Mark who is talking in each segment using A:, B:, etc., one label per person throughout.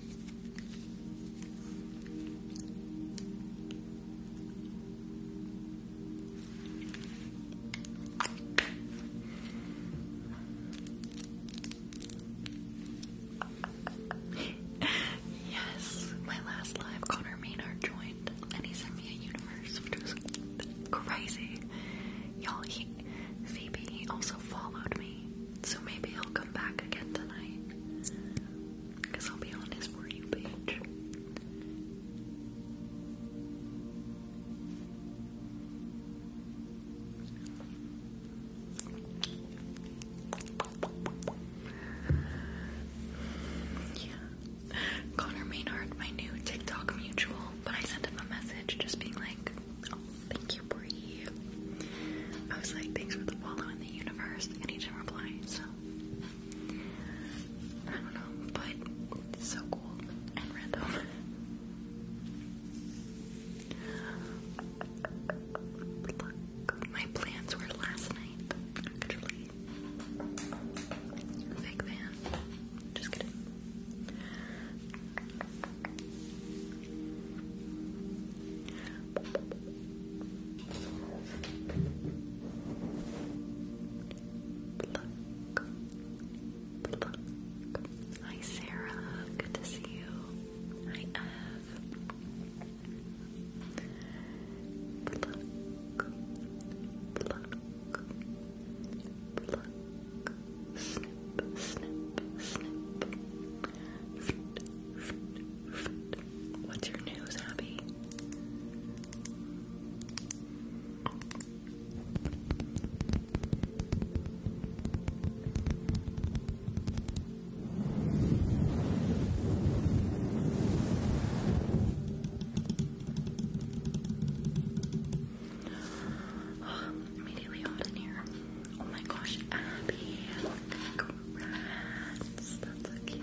A: yes, my last live, Connor Maynard joined, and he sent me a universe, which crazy. Y'all, he, Phoebe, he also followed me. So maybe he'll come back again tonight. Because I'll be on his For You page. Yeah. Connor Maynard, my new TikTok mutual, but I sent him a message just being like, Oh, thank you, Bree. I was like, thanks for the follow in the universe. And he did reply, so I don't know, but it's so cool and random. Look, my plans were last night, actually. Fake fan. Just kidding. Hi Sarah, good to see you. Hi Ev. Snip, snip, snip. What's your news, Abby? immediately hot in here. Oh my gosh, Abby. Congrats. That's so cute.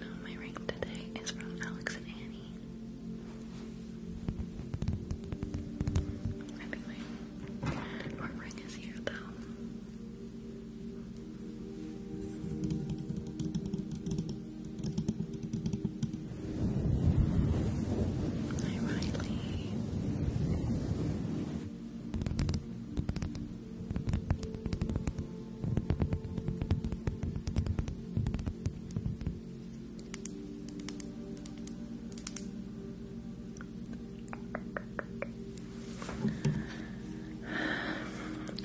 A: no, my ring today is from Alex and Annie. Anyway, our ring is here though. Hi, Riley.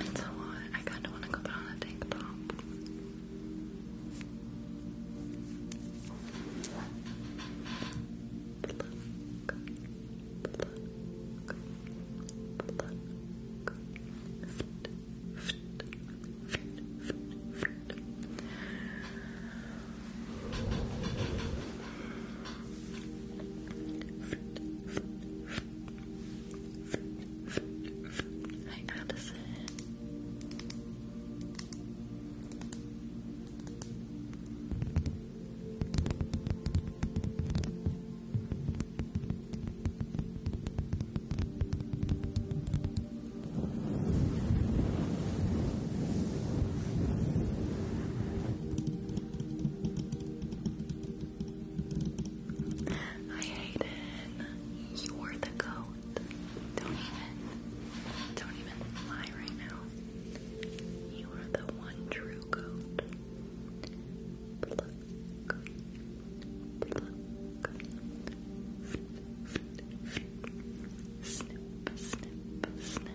A: It's I kind of want to go on a tank top. Hi, Addison. Hi Hayden, you are the goat. Don't even, don't even lie right now. You are the one true goat. snip, snip, snip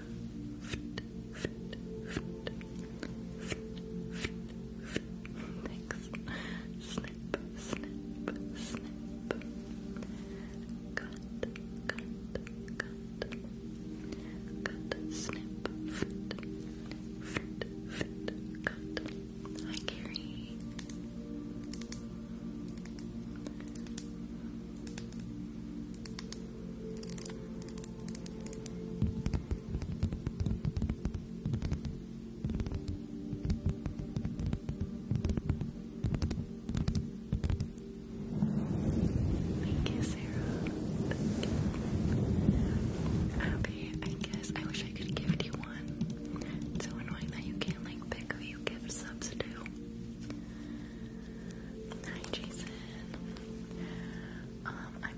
B: Next, snip, snip, snip. Cut, cut, cut. Cut, snip, fit, fit, fit, cut. Hi, Carrie.
A: Thank you, Sarah. Thank I guess I wish I could gift you one. It's so annoying that you can't like pick who you give subs Hi, Jason. Um, I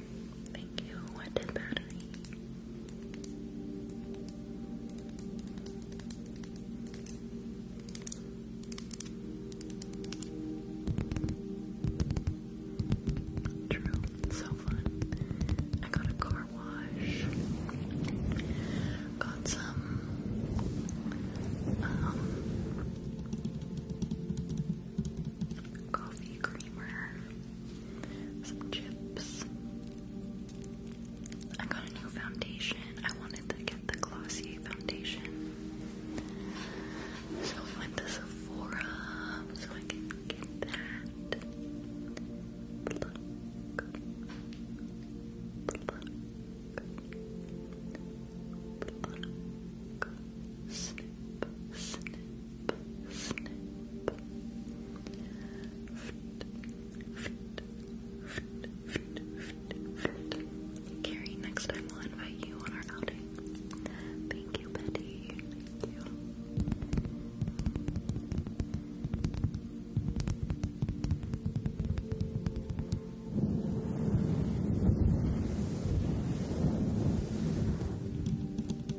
A: Thank you. What battery? True, so fun. I got a car wash. Got some um, coffee creamer some chips. I got a new foundation. I wanted to get the Glossier foundation. So I went to Sephora so I can get that. Carrie, next time we'll invite you on our outing. Thank you, Betty.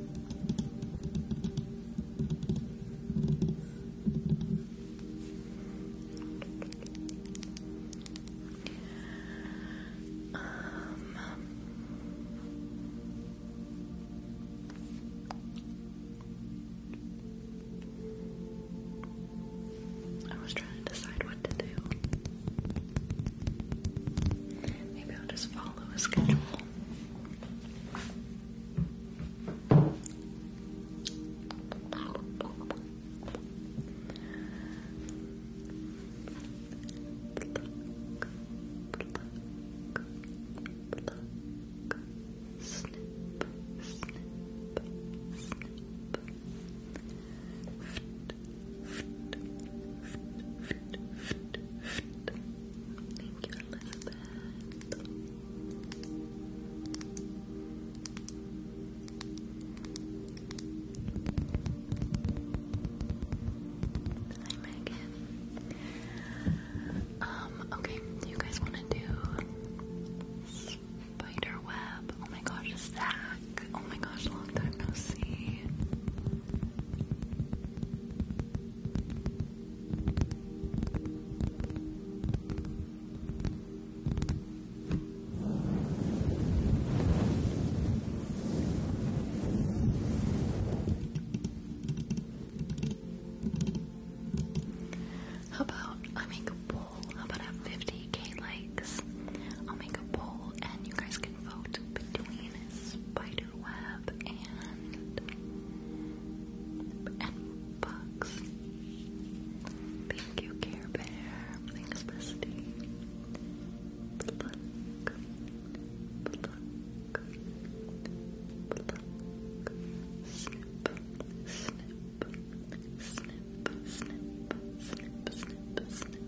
A: Um, I was trying to decide what to do. Maybe I'll just follow a schedule. Thank you, Elizabeth. Hi, Megan. Um, okay, you guys want to do spider web? Oh my gosh, Zach. Oh my gosh, long time no see. How about I make a poll? How about I 50k likes? I'll make a poll and you guys can vote between Spider web and and Thank you, Care Bear. Thanks, Misty. Pluck,
B: Snip, snip, snip, snip, snip, snip, snip.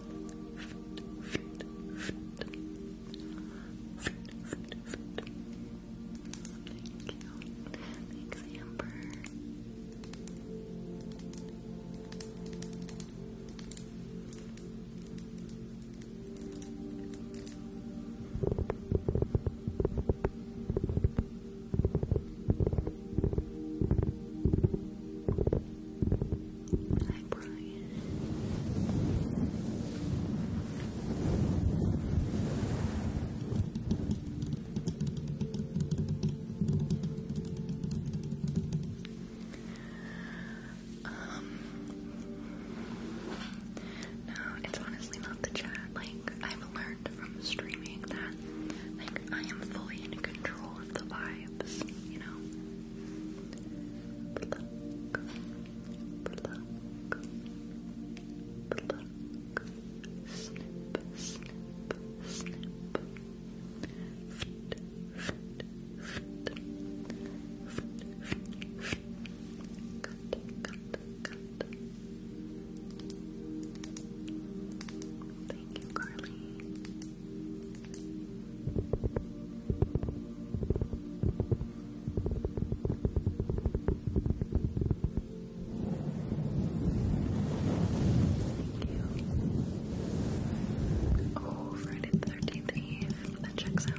A: Thanks, Amber. Thank um, no, it's honestly not the chat. Like, I've learned from streaming that I I am fully in control of the vibes, you know. snip, snip, snip. Thank you, Carly. Thank you. Oh, Friday the 13th Eve. That checks out.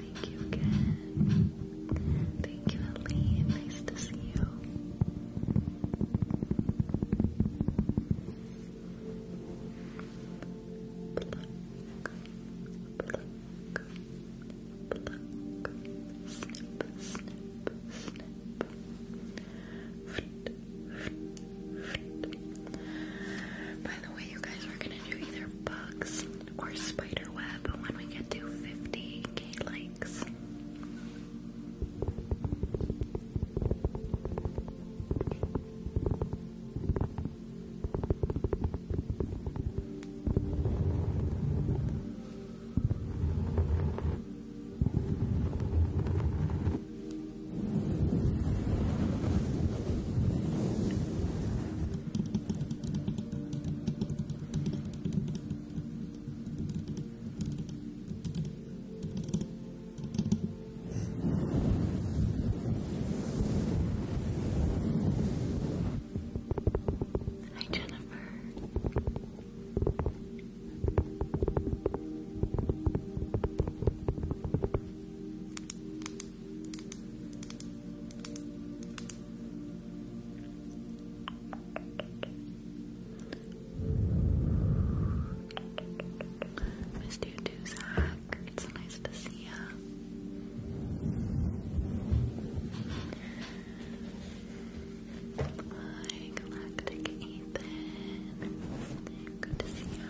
A: Thank you again. Thank you, Aline. Nice to see you. Pluck, pluck, pluck. Snip, snip, snip. Fruit, fruit, fruit. By the way, you guys are gonna do either bugs or spider web when we get to 50k likes. Hi, Jennifer. Missed you It's nice to see ya. Hi, Galactic Ethan. Good to see ya.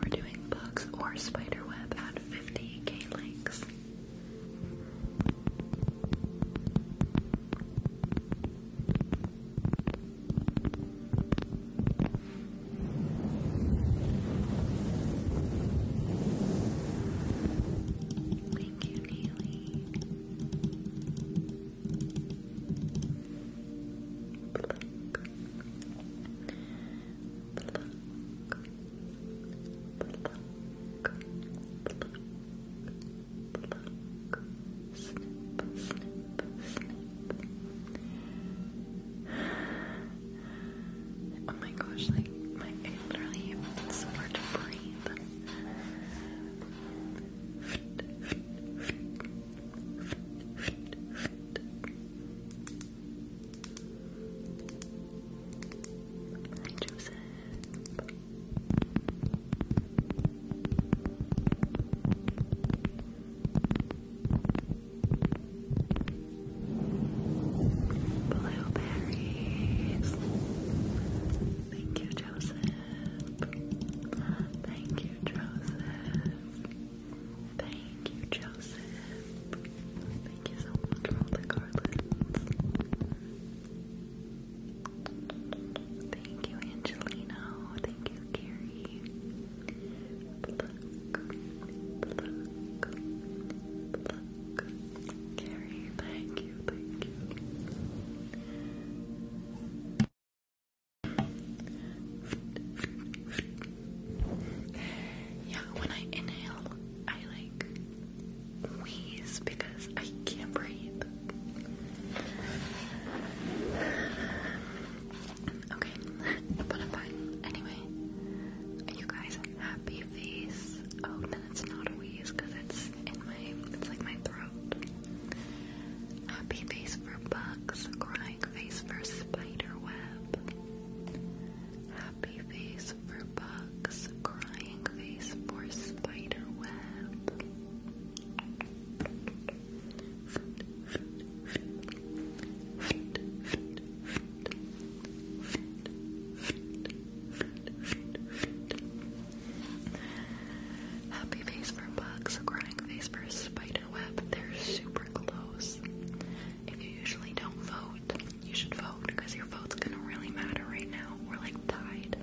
A: We're doing bugs or spider web at 50k links. Thank you, Neely. Pluck. Oh my gosh, like my literally it's hard to breathe. Joseph. Blueberries. Thank you, Joseph. Thank you, Joseph. Thank you, Joseph. Thank you so much for all the garlands. Thank you, Angelino. Thank you, Carrie. Pluck, pluck, pluck. Carrie, thank you, thank you. Yeah, when I inhale, I like wheeze because I can't breathe. Okay, but i Anyway, you guys happy face? Oh, then it's not a wheeze because it's in my, it's like my throat. Happy face for bugs, crying face for spider web. Happy Happy face for bugs, crying face for spider web. Happy face for bugs, crying face for spider web. They're super close. If you usually don't vote, you should vote because your vote's gonna really matter right now. We're like tied.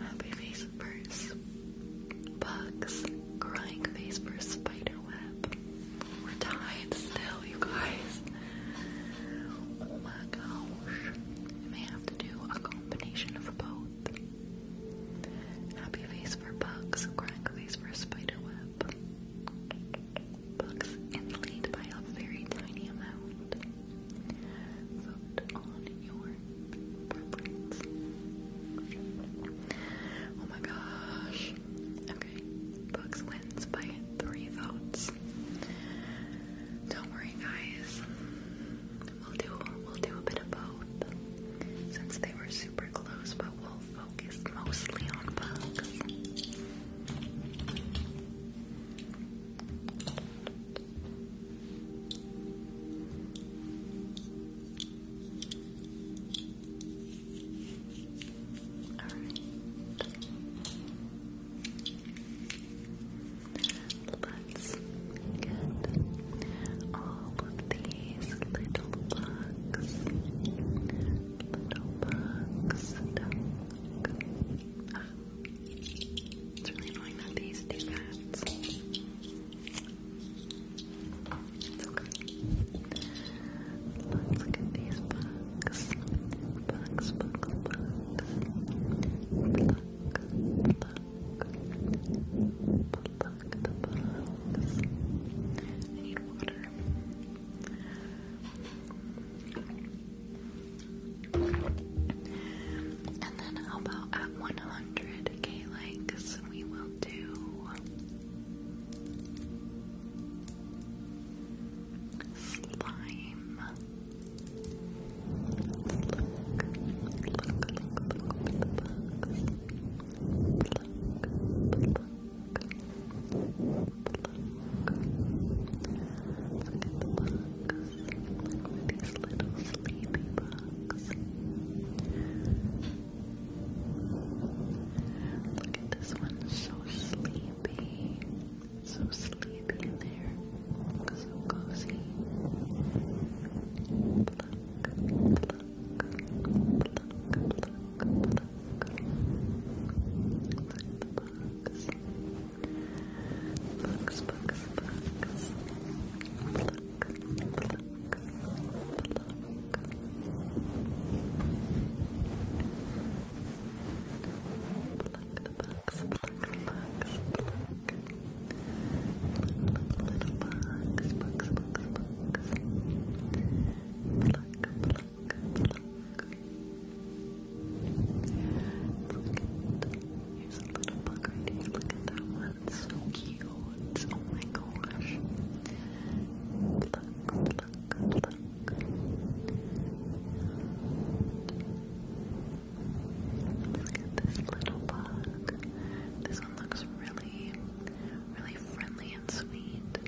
A: Happy face versus bugs. Crying face versus spider web. We're tied still, you guys. Oh my gosh. You may have to do a combination of both. Happy face for bugs, crying face for spider web up books and lead by a very tiny amount. Vote on your preference. Oh my gosh. Okay. Books wins by three votes. Don't worry guys. We'll do we'll do a bit of both. Since they were super close, but we'll focused mostly on right. Let's get all of these little bugs little bugs It's really annoying that these do that. Let's look these bugs. Bugs, bugs, bugs. Pluck, pluck. Pluck the bugs. I need water. And then how about at 100k likes we will do slime
B: at these little sleepy bugs. Look at this one, so
C: sleepy. So sleepy there. So cozy. Pluck, pluck, pluck, pluck, pluck. Look at bugs. Bugs, bugs, bugs. Pluck, pluck, pluck. Pluck the bugs, pluck the bugs, pluck. Pluck the little bugs, bugs, bugs, bugs. Pluck, pluck. Here's
A: a little bug right here. Look at that one. It's So cute. Oh my gosh. Look, look, look. Look at this little bug. This one looks really, really friendly and sweet.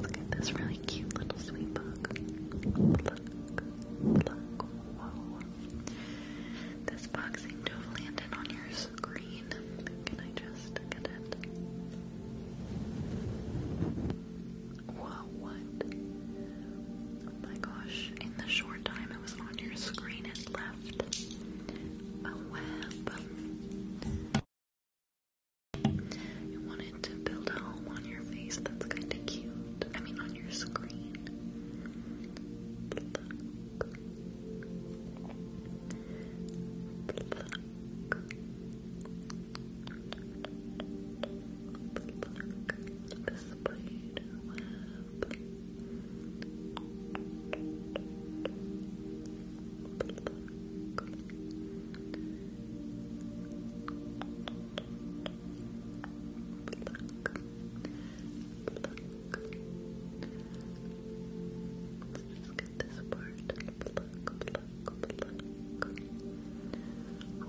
A: Look at this really cute little sweet bug. Look, look, whoa. This bug seemed to have landed on your screen. Can I just get it? Whoa, what? Oh my gosh, in the short time it was on your screen, it left a web. You wanted to build a home on your face that's kind of cute. I mean, on your screen just get this part. Oh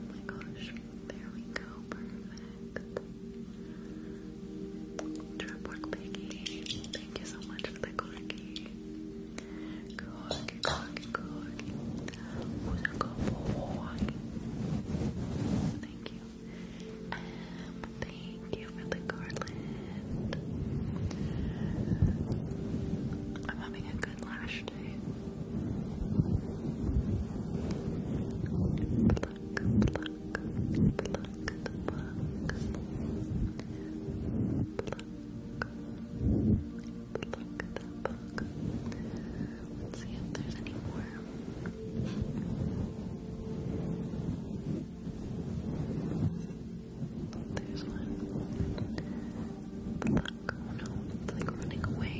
A: my gosh. There we go. Perfect. Trap work, Peggy. Thank you so much for the corgi. Corgi, corgi, corgi. Who's a cowboy? Thank you. Um, thank you for the garland. I'm having a good lash day. Pluck, pluck, pluck the pluck. Pluck, pluck, pluck, Pluck. Pluck that see if there's any more. There's one. Pluck. no, it's like running away.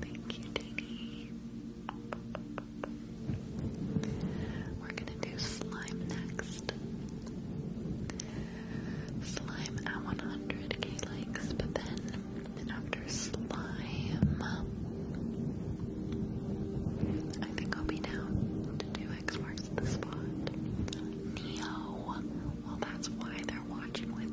A: Thank you, Diggy. We're gonna do slime next. Slime at 100k likes, but then after slime, I think I'll be down to do X marks the spot. Neo. Well, that's why they're watching with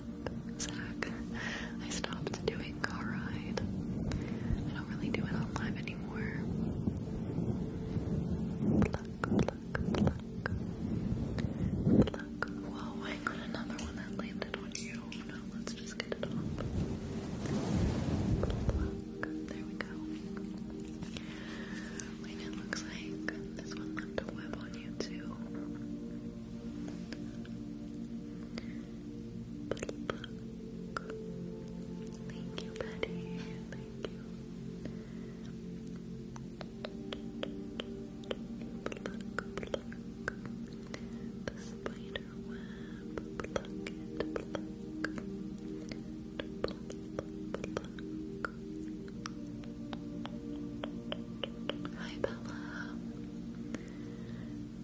A: Zach. I stopped doing car ride. I don't really do it on anymore. Pluck, pluck, pluck. Whoa, I got another one that landed on you. Oh, let's just get it off. There we go. looks like this one left a web on you too. Thank you, buddy. Thank you. Pluck, pluck. The spider web. Pluck it, Hi, Bella. Okay,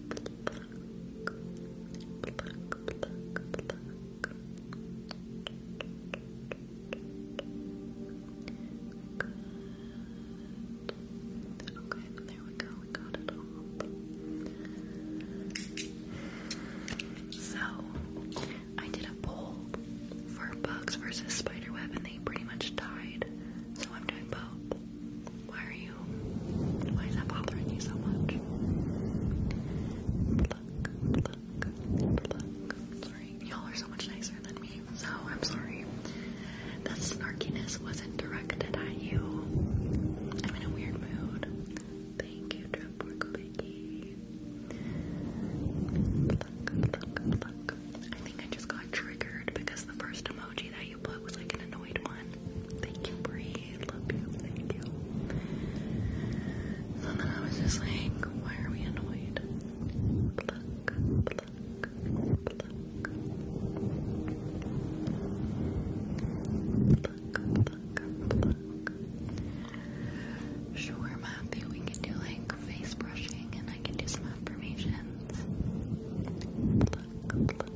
A: there we go, we got it all. So, I did a poll for bugs versus spiderweb and they pretty much died. So I'm doing both. Why are you? Why is that bothering you so much? Look, look, look. Sorry, y'all are so much nicer than me, so I'm sorry. That snarkiness wasn't directed at you. I'm in a weird mood. Thank you, Drupal Biggie. Look, look, look. I think I just got triggered because the first emoji that you, but was like an annoyed one. Thank you, Bree. Love you. Thank you. So then I was just like, why are we annoyed? Pluck, pluck, pluck. Pluck, we can do like face brushing and I can do some affirmations.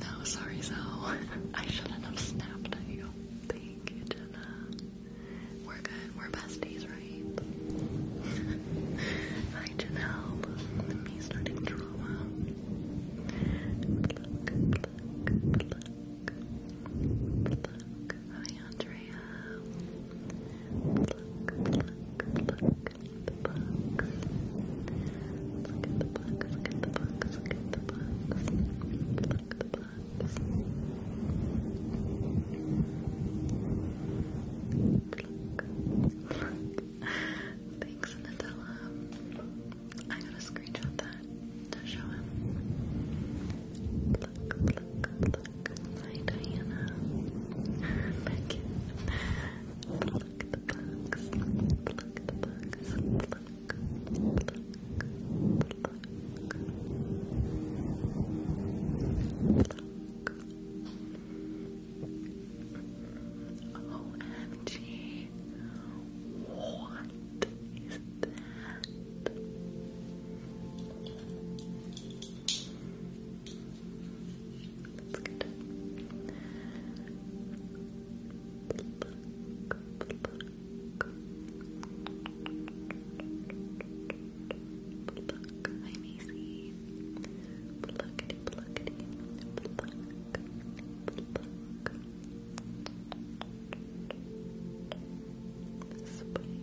A: No, sorry, so I shouldn't have snapped at you. Thank you, Jenna. We're good. We're besties, right? Hi, Janelle. Me starting drama. Hi, Andrea the bugs. Look at the bugs, look at the bugs, look at the bugs. Look at the bugs. Look. Thanks, Nutella. I gotta screenshot that to show him. Look, look, look. Hi, Diana. Becky. Pluck the bugs. Pluck the bugs. Pluck, pluck, pluck. Pluck. OMG. What is that? That's good. Pluck, hi Macy. Pluckity, pluckity, pluck, pluck. Spider web,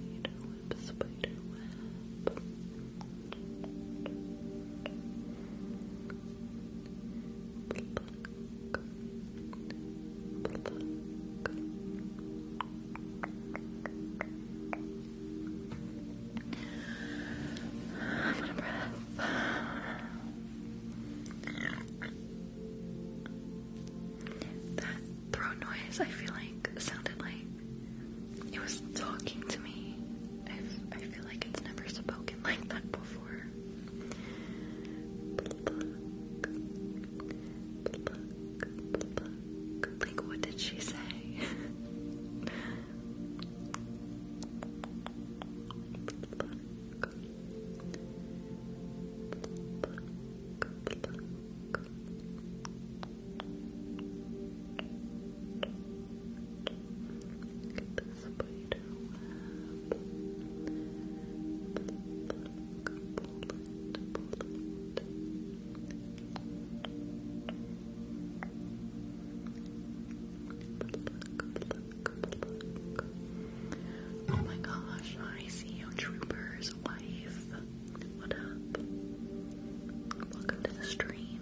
A: spider I'm gonna breath. That throat noise I feel like sounded like it was talking to me. i feel like it's never spoken like that before. Like, what did she say? Get Oh my gosh, I see you, Trooper's wife. What up? Welcome to the stream.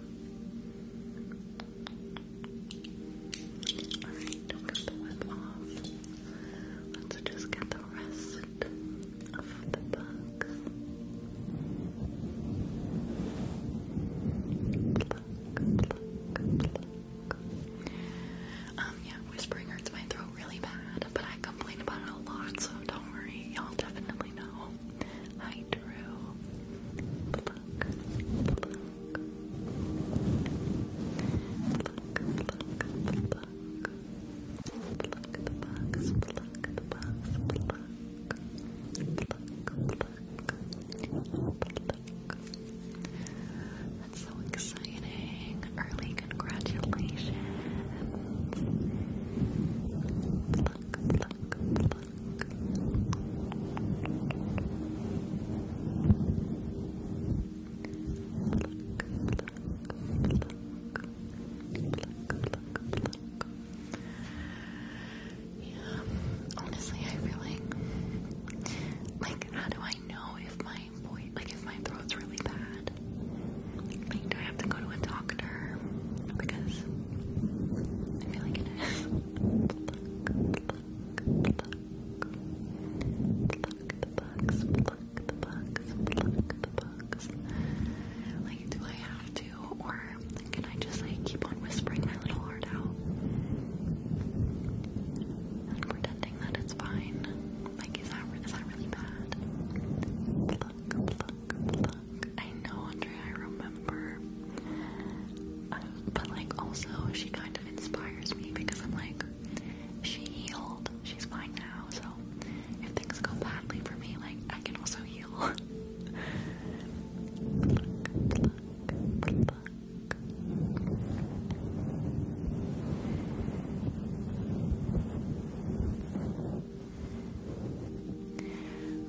A: Alright, don't cut the web off. Let's just get the rest of the bugs. Pluck, pluck, pluck. Um, yeah, whispering hurts my throat really bad, but I complain about it a lot, so don't worry, y'all definitely know. I drew pluck, pluck, pluck, pluck, pluck, pluck the box, pluck the box, pluck, That's so exciting! Early congratulations. Pluck, pluck, pluck. Yeah, honestly, I feel like, like, how do I know if my voice, like, if my throat's really bad? Like, do I have to go to a doctor? doctor because I feel like it is. pluck, Like, do I have to, or can I just like keep on whispering my little heart out pretending that it's fine? Like, is that really bad? Pluck, pluck, pluck, I know, Andre. I remember. Uh, but, like, also, she kind of inspires me because I'm like, she healed. She's fine now. So, if things go badly for me, like, I can also heal. pluck, pluck, pluck.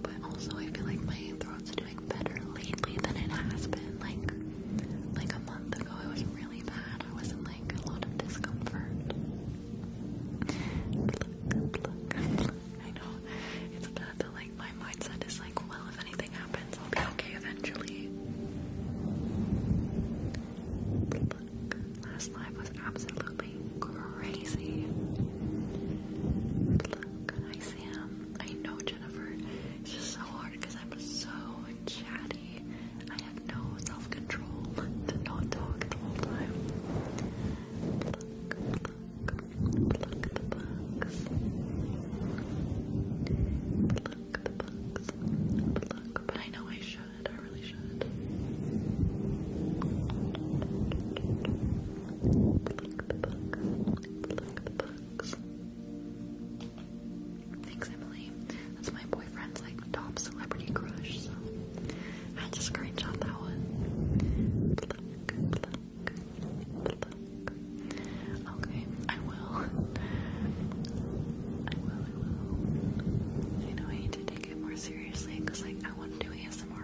A: But also, I feel like my throat's doing better lately than it has been. Like, like a month ago, it was really bad. I was not like a lot of discomfort. I know it's bad, but like my mindset is like, well, if anything happens, I'll be okay eventually. last life was absolutely crazy. Sam. I know Jennifer. It's just so hard because I'm so chatty. I have no self control to not talk the whole time. Pluck, pluck, pluck the bugs. the bugs. But I know I should. I really should. Thanks, Emily. That's my boyfriend's like top celebrity crush, so I had to screenshot that one. Okay, I will. I will, I will. You know, I need to take it more seriously because like I want to do ASMR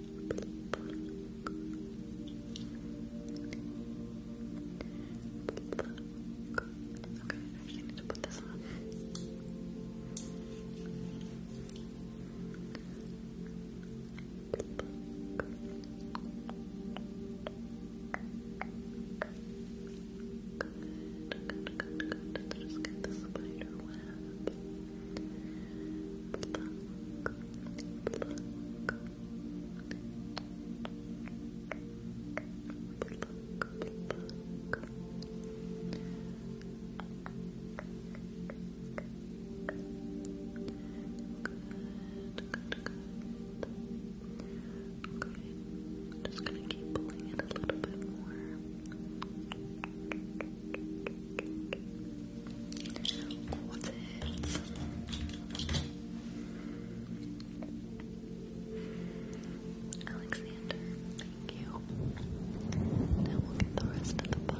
A: Okay, I actually need to put this on. Okay, i just gonna keep pulling it a little bit more. Alexander, thank you. Now we'll get the rest of the box.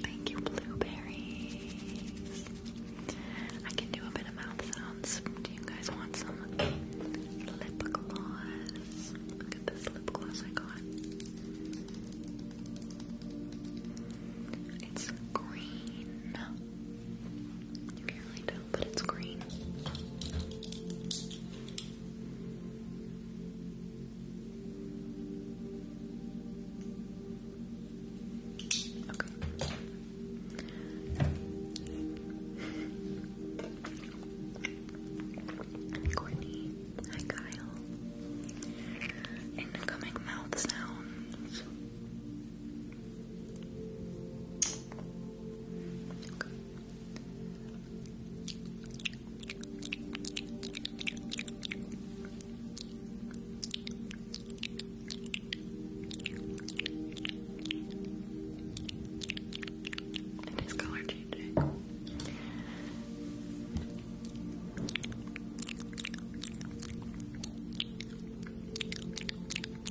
A: Thank you, blueberries. I can do a bit of mouth sounds. Do you guys want some lip gloss? Look at this lip gloss I got. It's green. You can't really tell, but it's green. Okay. Courtney, hi Kyle. Incoming mouth sounds. It is color changing. Thanks,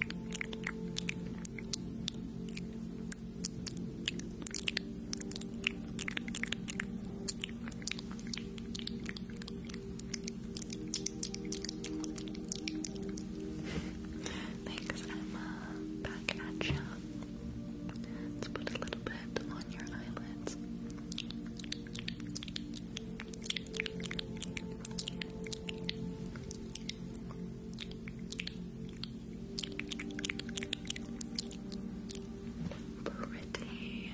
A: Emma. Back at you. Let's put a little bit on your eyelids. Pretty.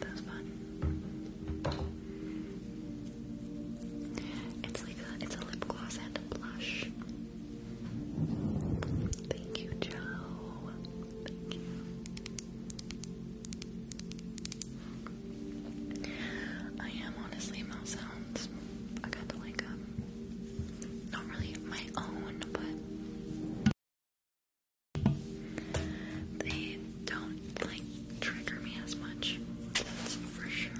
A: That's fun. It's like a it's a lip gloss and a blush. Thank you, Joe. Thank you. I am honestly mouth sounds. I got to like um not really my own, but they don't like trigger me as much. That's for sure.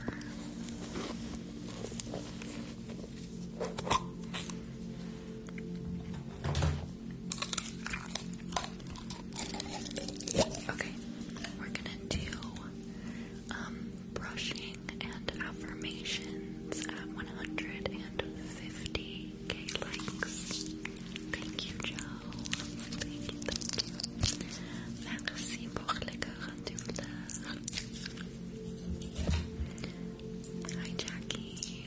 A: Okay, we're gonna do um, brushing and affirmations at 150k likes. Thank you, Joe. Thank you, thank you. Merci pour les 40 Hi, Jackie.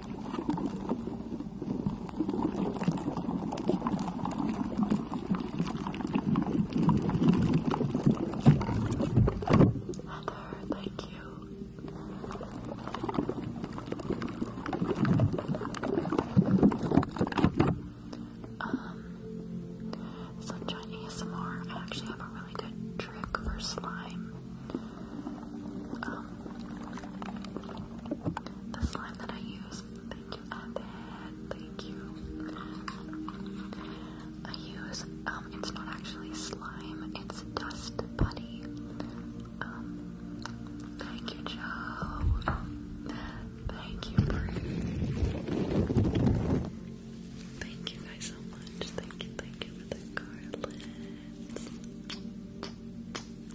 A: thank you. Um, Sunshine ASMR, I actually have a really good trick for slime. Um, the slime that I use, thank you, at thank you. I use, um, it's not actually slime, it's dust putty. Um, thank you, Joe. Thank you, Brie. Thank you guys so much. Thank you, thank you for the garland.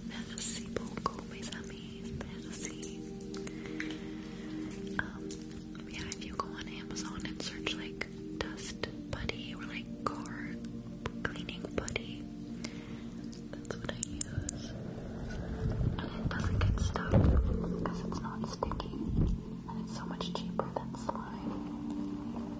A: Merci beaucoup, mes amis. Merci. Um, yeah, if you go on Amazon and search like dust buddy or like car cleaning buddy, that's what I use. And it doesn't get stuck because it's not sticky and it's so much cheaper than slime.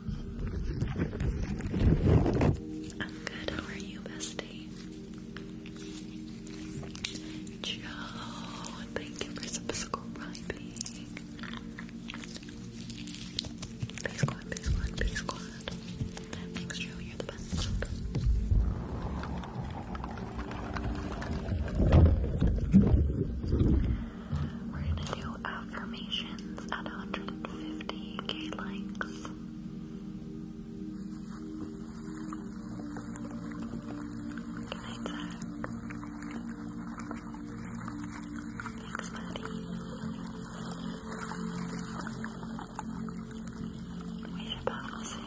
A: I'm good. How are you, bestie? Joe, thank you for subscribing. Base squad, base squad, base squad. Thanks, Joe. You're the best. We're gonna do affirmations at 150k likes. Thanks, buddy. We should probably say.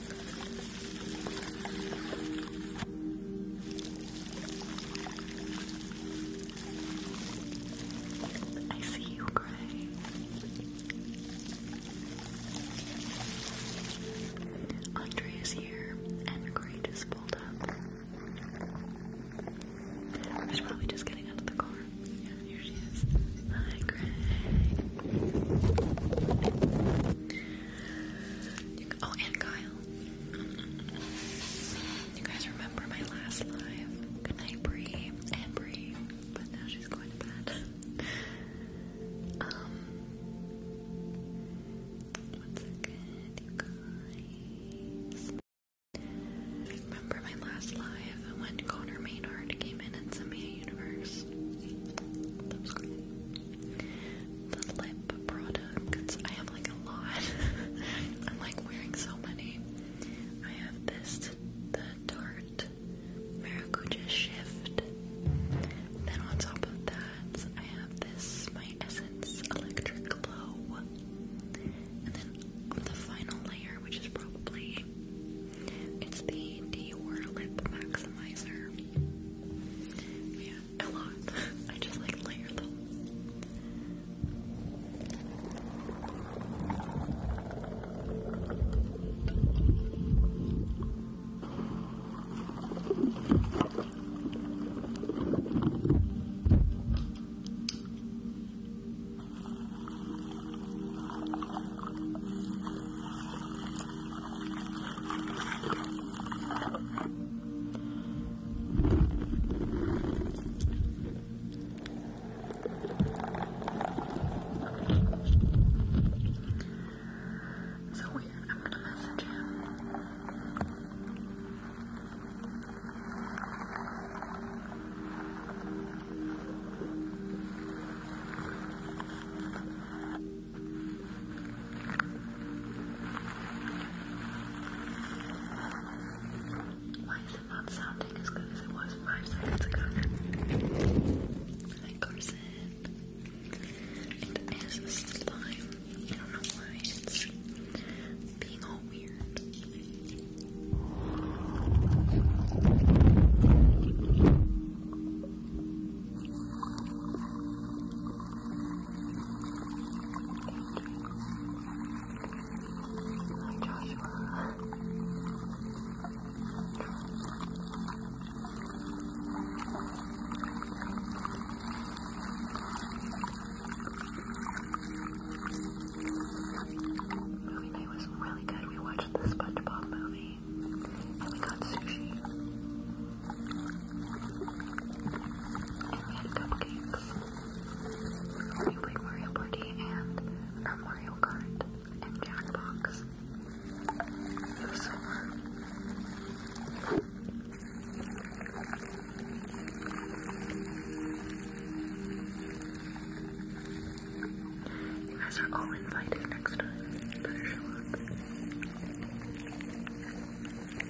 A: I see you, Gray. Andre is here, and Gray just pulled up. She's probably just getting out of the car. Yeah, here she is. Hi, Gray oh, and Kyle. You guys remember my last live? Good night, Bree. And Bree. But now she's going to bed. Um. One second, you guys. I remember my last live when Connor Maynard came in and sent me a universe. That was great. The lip products. I have like a lot. I'm like wearing so many. I have this, the Tarte Maracuja Shift. Then on top of that, I have this, my Essence Electric Glow. And then the final layer, which is probably, it's the Dior Lip Maximizer. Yeah, a lot. I just like layer them. So weird. I'm gonna message him. Why is it not sounding as good as it was five seconds ago? Hi, Carson. It is a slime. I don't know why it's being all weird. Movie night was really good. We watched the SpongeBob movie and we got sushi we had cupcakes. We played Mario Party and Mario Kart and Jackbox. It was so fun. You guys are all invited next time. Better in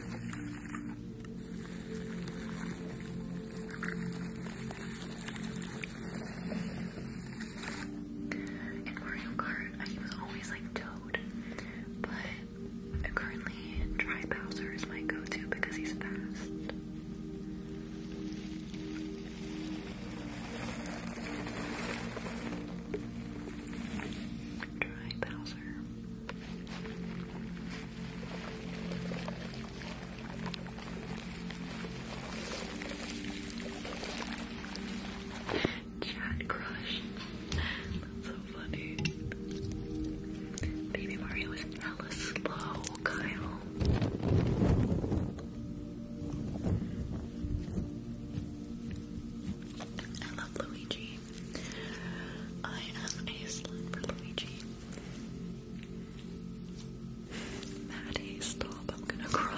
A: Mario Kart, I was always like Toad, but currently Dry Bowser is my go-to because he's fast. Dry Bowser. Chat crush. That's so funny. Baby Mario is hella slow, Kyle. I love Luigi. I am a slut for Luigi. Maddie, stop, I'm gonna cry.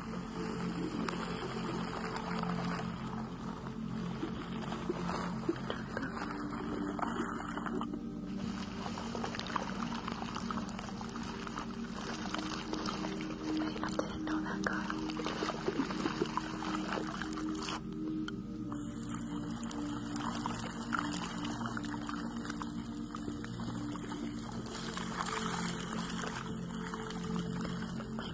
A: Wait, I didn't know that guy. Wait, my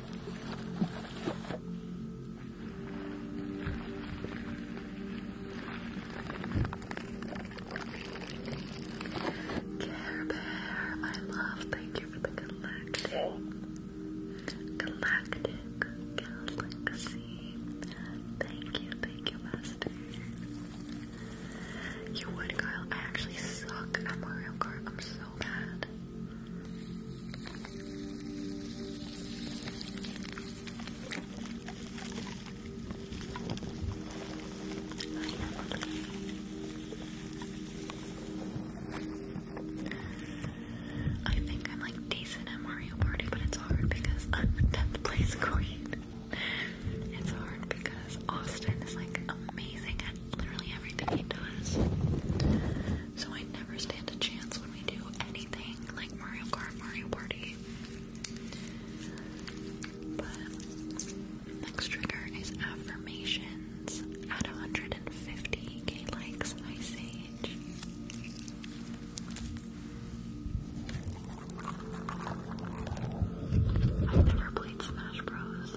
A: Care my love, thank you for the galactic, galactic galaxy. Thank you, thank you, Master. You would, Kyle. I actually suck at Mario Kart. I'm so so bad. I think I'm like decent at Mario Party, but it's hard because I'm the place queen. It's hard because Austin is like amazing at literally everything he does so I never stand a chance when we do anything like Mario Kart, Mario Party. But next trigger is affirmations at 150k likes. Ice Age. I've never played Smash Bros.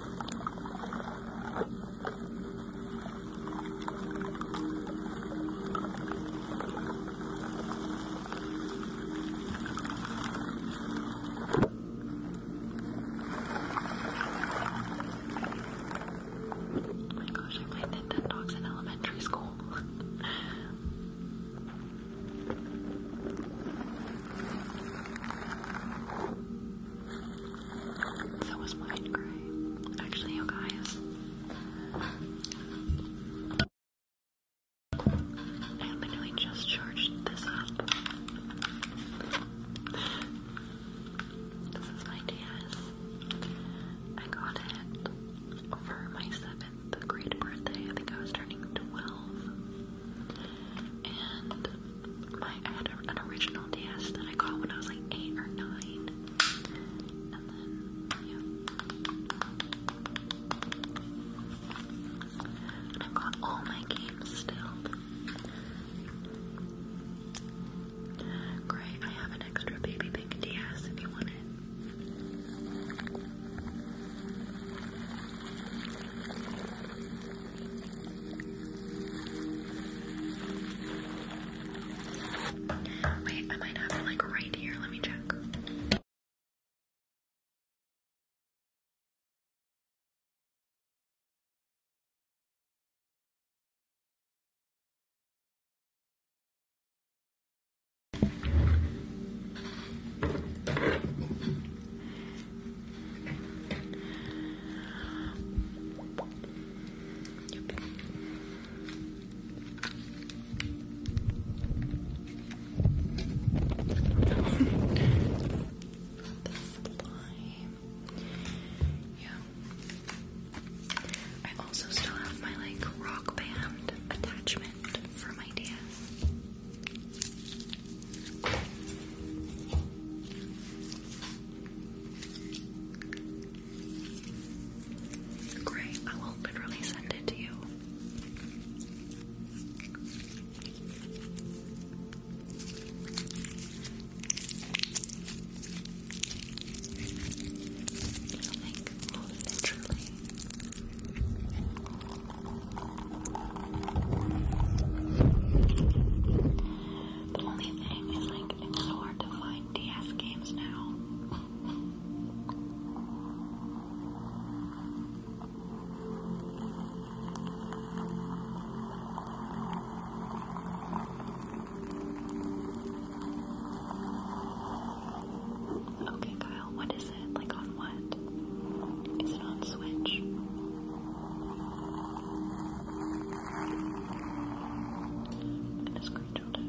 A: Oh my gosh, I played Nintendogs in elementary school. So was mine Actually, you guys. I literally just charged this up. This is my DS. I got it for my seventh grade birthday. I think I was turning 12 and my I had an original DS that I got when I was like eight or nine, and then yeah, I've got all my games still. Great, I have an extra baby pink DS if you want it. Wait, I might have it like right here. Let me check slime. Yeah. I also still have my like rock band attachment for my DS. Great, I will literally send it to you. Like, literally. The only thing is, like, it's so hard to find DS games now. Okay, Kyle, what is it? Like on what? Is it on Switch? I'm gonna screenshot it.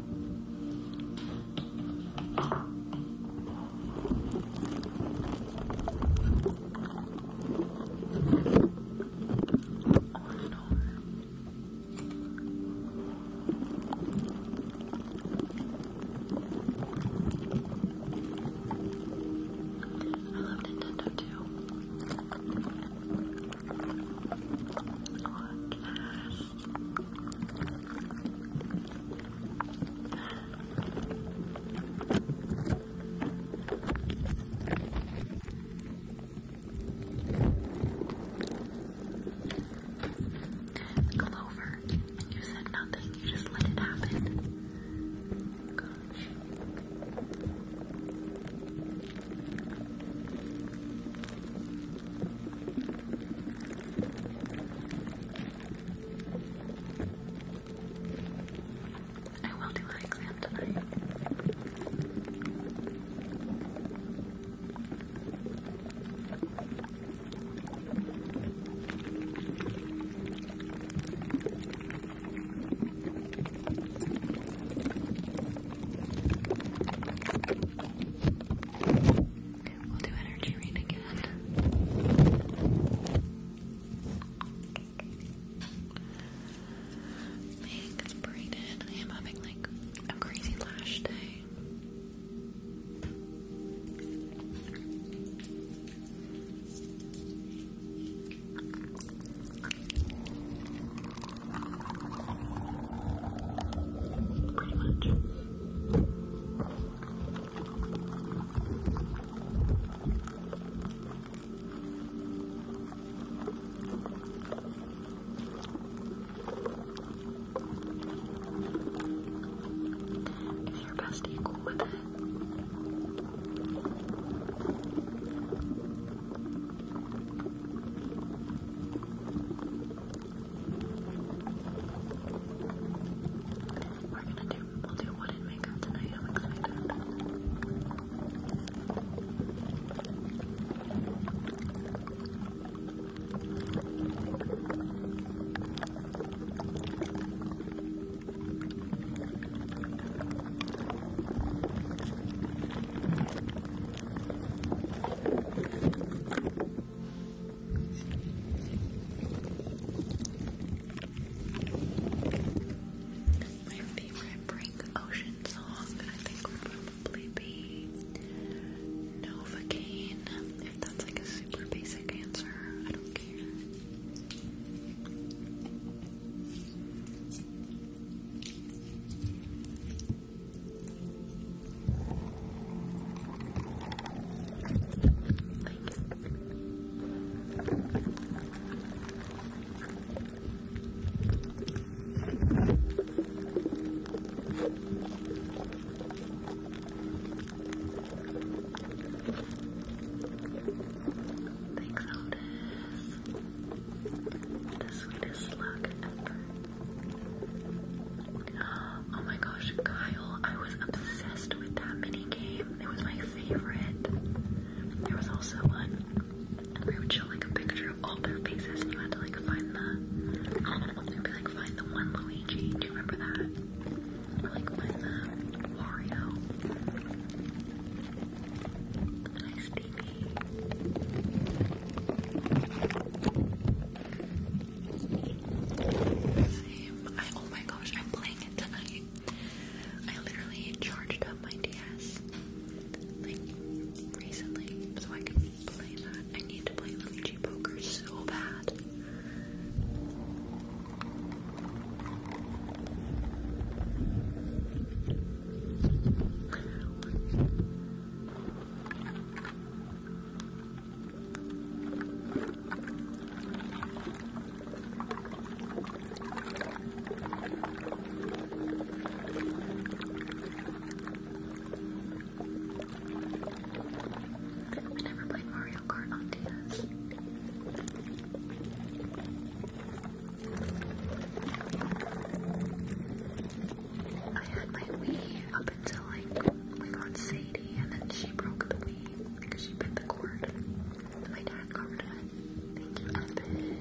A: I love Nintendo too. Look at Go you said nothing, you just let it happen. Gosh. I will do my exam tonight. We'll do energy read again. Make it's braided. I am having like a crazy lash day. Pretty much. Is your bestie cool with it? We're gonna do we'll do wooden makeup tonight. I'm excited. My favorite Brink Ocean song, I think, would probably be Novocaine. If that's like a super basic answer, I don't care. Thanks, Otis. The sweetest slug ever. Oh my gosh, Kyle, I was obsessed with that mini game. It was my favorite. There was also one where you would show like a picture of all their faces and you had to like find the it'd be like find the one Luigi. Do you remember that? Or like find the Wario. Nice TV. I, oh my gosh, I'm playing it tonight. I literally charged up my DS like recently so I can play that. I need to play Luigi Poker so bad. I've never played Mario Kart on DS. I had my Wii up until like we got Sadie, and then she broke the weed because she bit the cord. My dad got it. Thank you, Evan.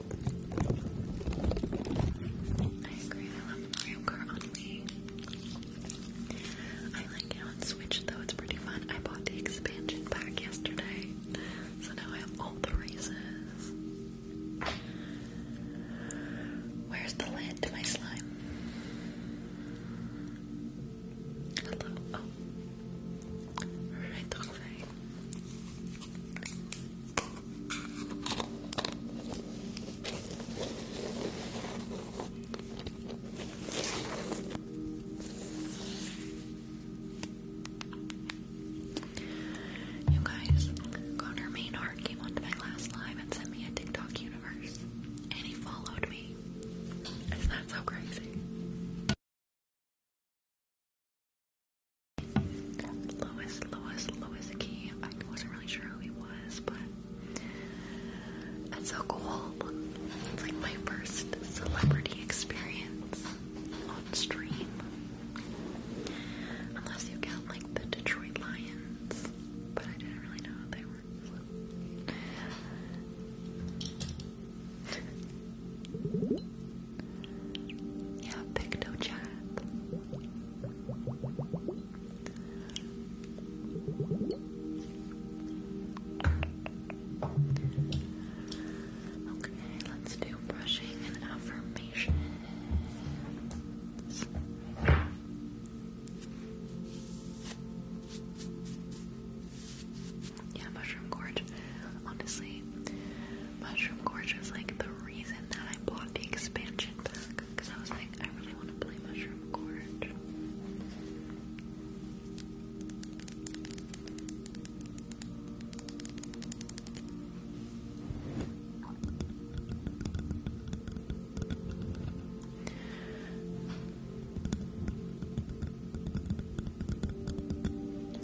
A: I agree, I love Mario Kart on Wii. I like it on though, it's pretty fun. I bought the expansion pack yesterday, so now I have all the races. Where's the lid to my slime? Hello, oh. Right the way. You guys, Connor Maynard came onto my last live and sent me a TikTok universe. And he followed me. Isn't that so crazy? Lois, Lois, Lois Key. I wasn't really sure who he was, but that's so cool. It's like my first celebrity experience on stream. Unless you count like the Detroit Lions, but I didn't really know they were. So. yeah, Picto Chat. Okay, let's do brushing and affirmations. Yeah, mushroom gorge. Honestly, mushroom gorge was like the reason that I bought the expansion because I was like, I really want to play Mushroom Court. I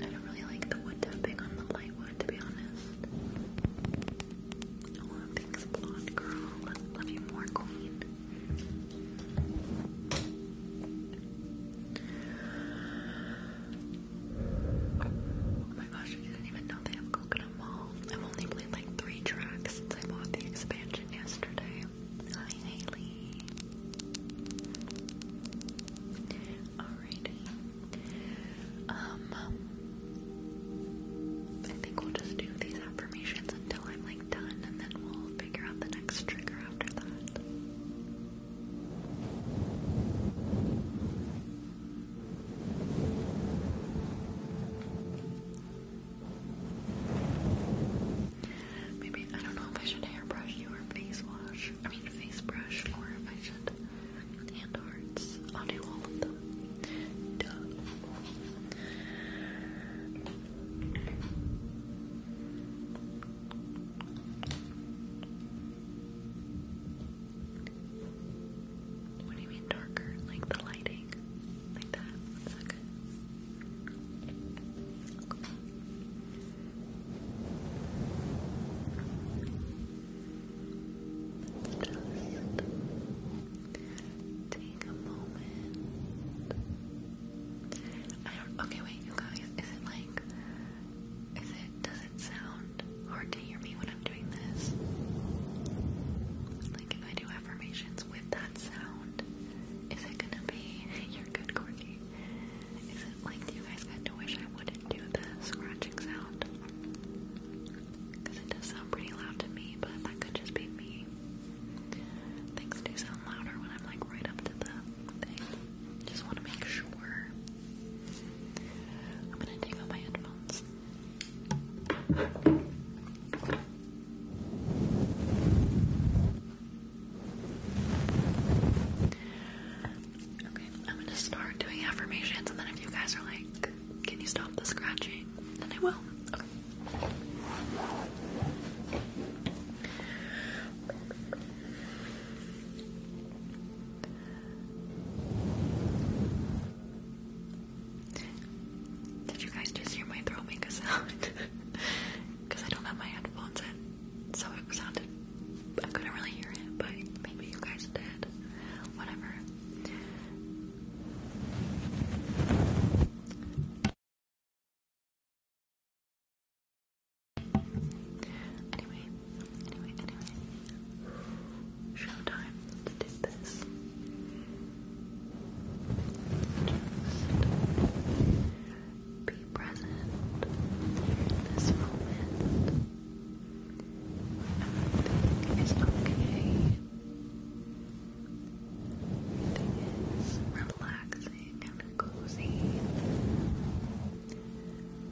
A: don't really like the wood tapping on the light one to be honest. Oh, thanks, blonde girl. Love you more, queen. Oh my gosh, I didn't even know they have Coconut Mall. I've only played like three tracks since I bought the expansion yesterday. Hi, Haley. Alrighty. Um, I think we'll just do these affirmations until I'm like done, and then we'll figure out the next trigger after that. Maybe I don't know if I should hairbrush you or face wash. I mean face brush, or if I should and hearts. I'll do all of them. What do you mean darker? Like the lighting? Like that Let's just take a moment. I don't. Okay, wait, you guys. Is it like? Is it? Does it sound hard to hear me when I'm doing this? Like if I do affirmations with that sound, is it gonna be? You're good, Corky. Is it like you guys got to wish I would do the scratching sound. Because it does sound pretty loud to me, but that could just be me. Things do sound louder when I'm like right up to the thing. Just want to make sure. I'm gonna take out my headphones. Okay, I'm gonna start doing affirmations, and then if you guys are like, can you stop the scratching? And I will. Did you guys just hear my throat make a sound? Because I don't have my headphones in, so it sounded. I couldn't really hear it, but maybe you guys did. Whatever. Anyway, anyway, anyway. Showtime to do this. Just be present in this moment. Everything is okay. Everything is relaxing and cozy.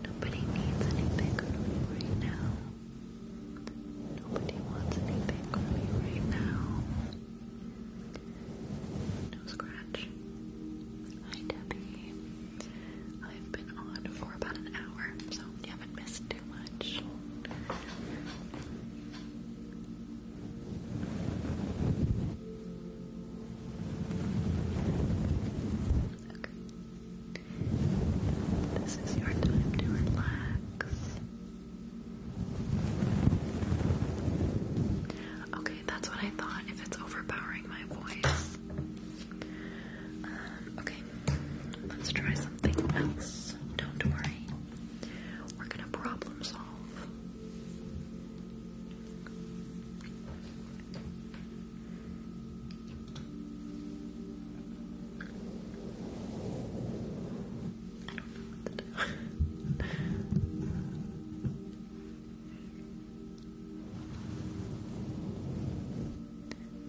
A: Nobody needs anything from you right now. Nobody wants anything from you right now. No scratch. Hi Debbie. I've been on for about an hour, so you haven't missed too much. Okay. This is your time to relax. Okay, that's what I thought. If it's overpowering my voice, okay, let's try something else. Don't worry. We're gonna problem solve.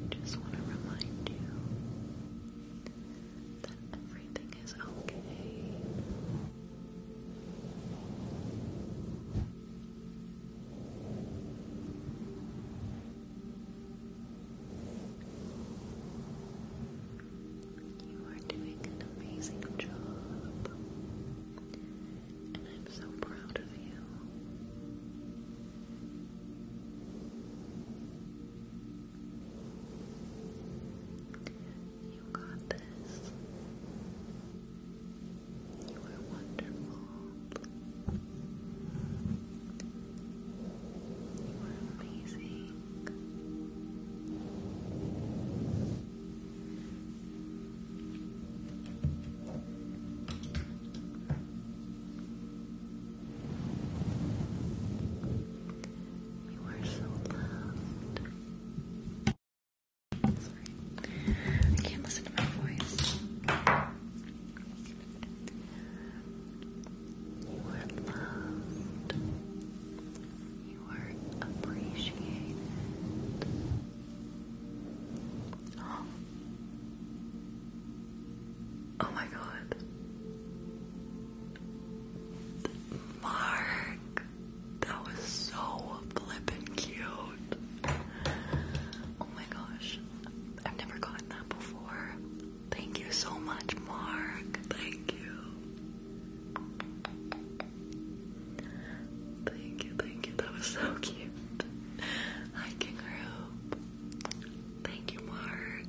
A: I just want to remind you that everything is okay. You are doing an amazing job, and I'm so proud of you. You got this. You are wonderful. You are amazing. You you are so loved. Sorry. I can't listen to my voice. loved. You are appreciated. Oh my god. Mark, that was so flippin' cute. Oh my gosh, I've never gotten that before. Thank you so much, Mark. Thank you. Thank you, thank you. That was so cute. Hi, King Thank you, Mark.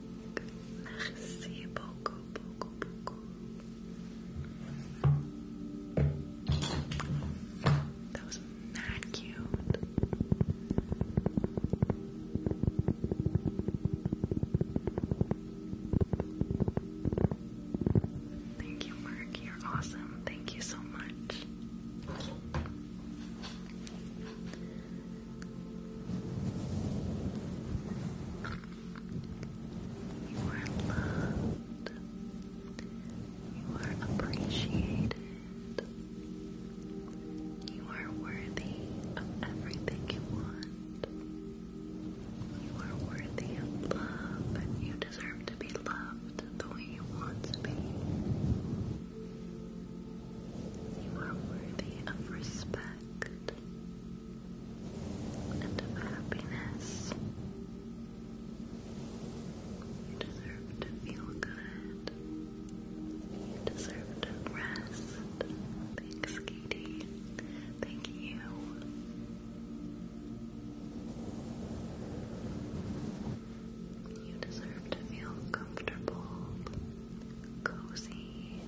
A: That was mad cute. Thank you, Mark. You're awesome. Thank you so much. You are loved. You are appreciated. You are worthy of everything you want. You are worthy of love, and you deserve to be loved the way you want to be. You are worthy of respect and of happiness. You deserve to feel good. You deserve to rest. Thanks, Katie. Thank you. You deserve to feel comfortable cozy.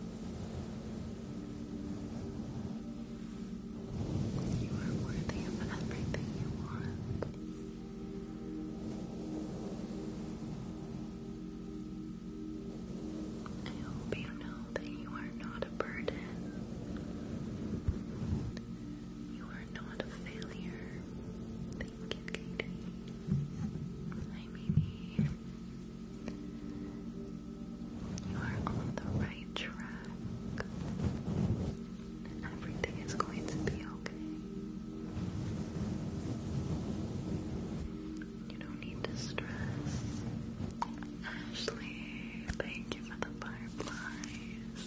A: You are worthy of everything you want. I hope you know that you are not a burden. You are not a failure. Thank you, my You are on the right track. Everything is going to be okay. You don't need to stress. Ashley, thank you for the fireflies.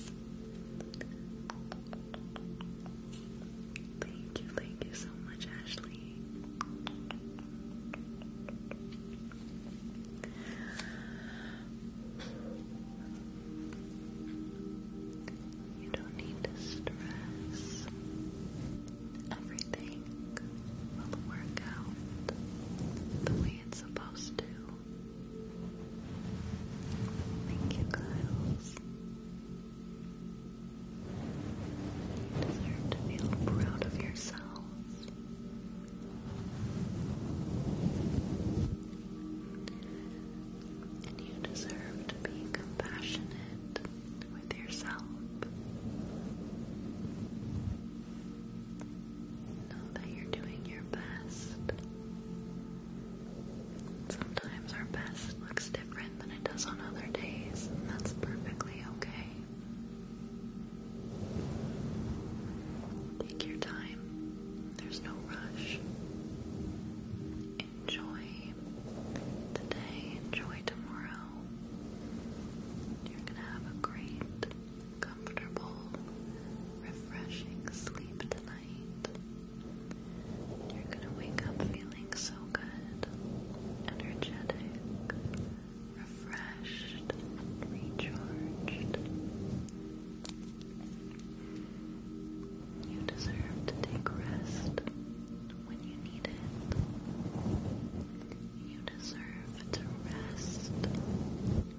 A: Thank you, thank you so much, Ashley. You don't need to stress. Everything will work out the way it's supposed to. Thank you, Giles deserve to feel proud of yourselves. And you deserve to be compassionate with yourself. Know that you're doing your best. Sometimes our best looks than it does on other days, and that's perfectly okay. Take your time, there's no rush. Enjoy today, enjoy tomorrow. You're gonna have a great, comfortable, refreshing sleep tonight. You're gonna wake up feeling so so good, energetic, refreshed, recharged. You deserve to take rest when you need it. You deserve to rest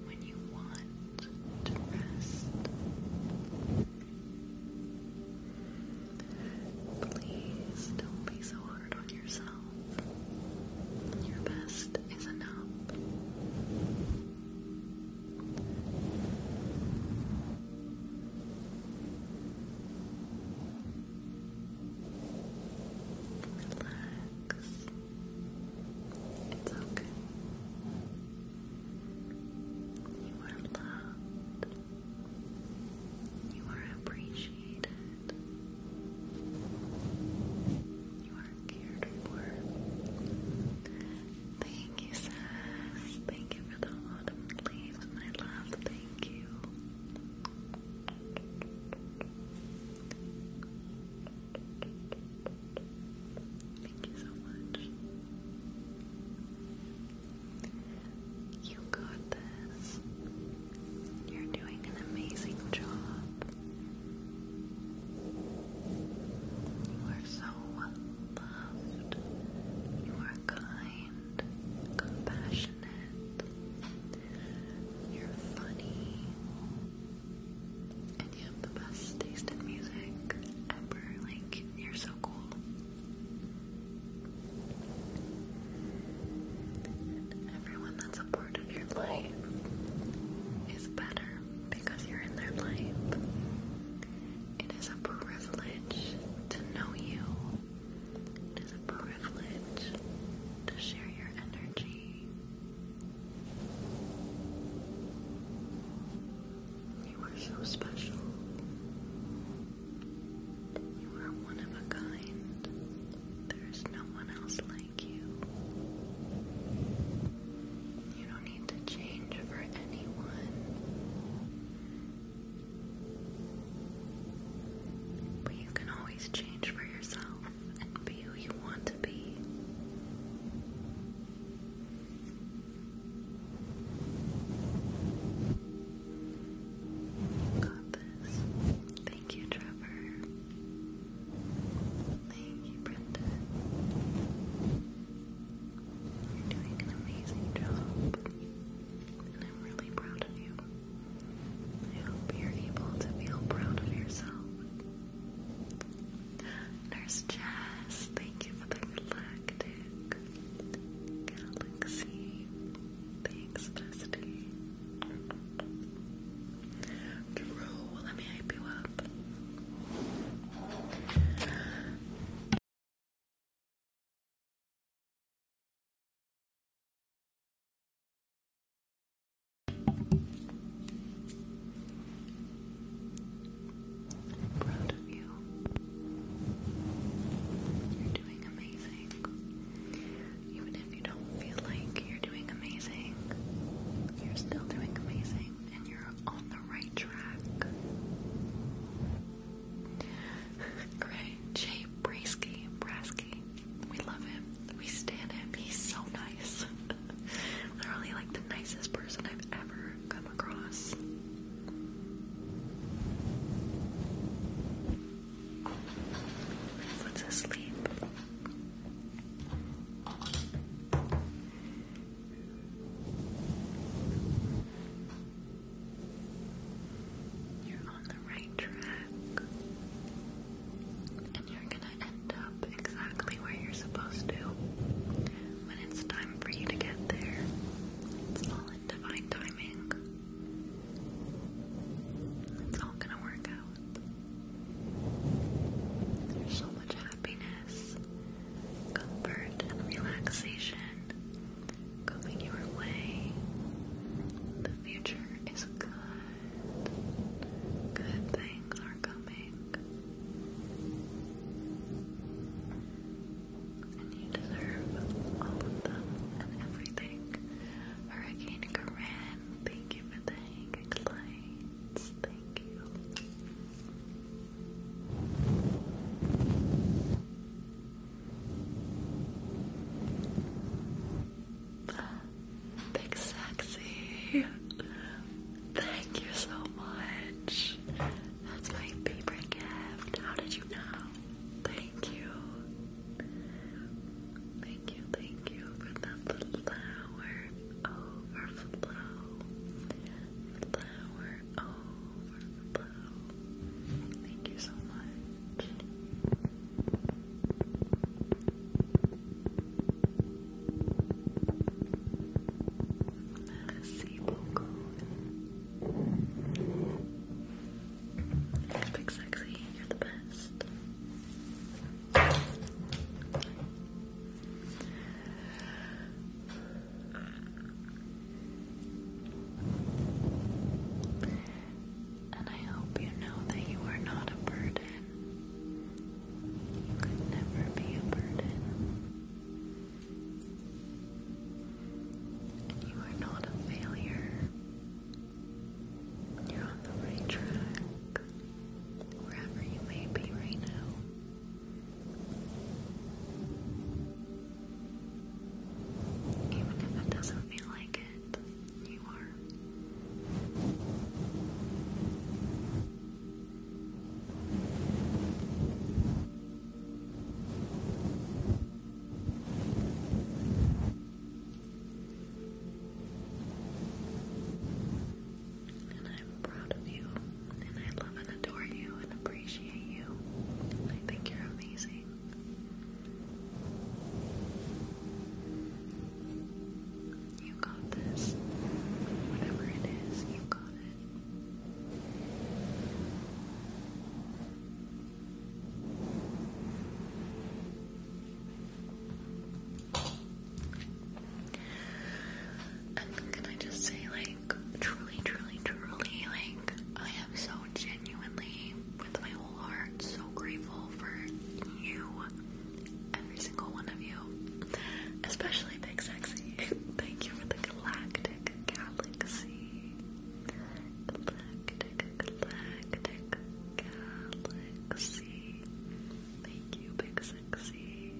A: when you want to rest. Please don't be so hard on yourself. Your best is enough. Relax. It's okay. You are loved. You are appreciated. You are cared for. Thank you, Sass. Thank you for the autumn leaves, my love. Thank you. Thank you so much. You got this. You're doing an amazing job. You are so loved. You are kind, compassionate. You're funny. And you have the best taste in music ever. Like, you're so cool everyone that's a part of your life is better because you're in their life. It is a privilege to know you. It is a privilege to share your energy. You are so special. You are one of a kind. There is no one else like you. You don't need to change for anyone. But you can always change for yourself and be who you want to be. Got this. Thank you, Trevor. Thank you, Brenda. You're doing an amazing job. And I'm really proud of you. I hope you're able to feel proud of yourself. Nurse Jess, thank you for the galactic galaxy. Thanks, bestie. Drew, let me hype you up. proud of you. You're doing amazing. Even if you don't feel like you're doing amazing, you're still doing amazing and you're on the right track. Great. Jay Brasky, Brasky. We love him. We stand him. He's so nice. Literally like the nicest person I've ever come across. Let's asleep. You're on the right track. And you're gonna end up exactly where you're supposed to when it's time for you to get there. It's all in divine timing. It's all gonna work out. There's so much happiness, comfort, and relaxation going your way. The future is good. Good things are coming you deserve all of them and everything. Hurricane Corinne, thank you for the hanging Thank you. Big sexy. Thank you so much. That's my favorite gift. How did you know? Thank you. Thank you, thank you for that flower overflow. Flower overflow. Thank you so much. Merci beaucoup. It's big sexy. You're the best. And I hope you know that you are not a burden. You could never be a burden. You are not a failure. You're on the right track, wherever you may be right now. Even if it doesn't feel like it, you are. And I'm proud of you, and I love and adore you, and appreciate you. I think you're amazing. You got this. Whatever it is, you got it can I just say, like, truly, truly, truly, like, I am so genuinely, with my whole heart, so grateful for you, every single one of you, especially Big Sexy. Thank you for the galactic galaxy.
B: Galactic, galactic, galaxy. Thank you, big sexy.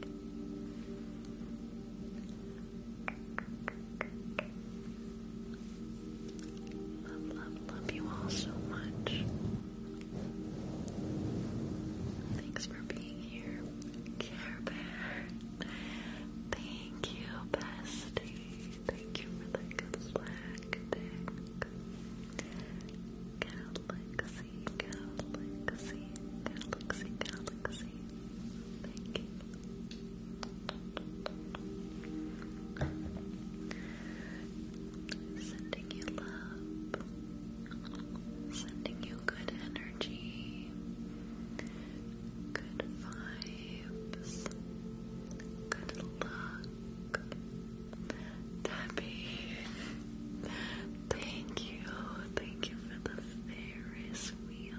B: Love, love, love you all so much. Thanks for being here, Care Bear. Thank you, bestie. Thank you for the good galaxy, galaxy, galaxy. Thank you.
A: Sending you love. Sending you good energy. Good vibes. Good luck. Debbie, thank you, thank you for the Ferris wheel.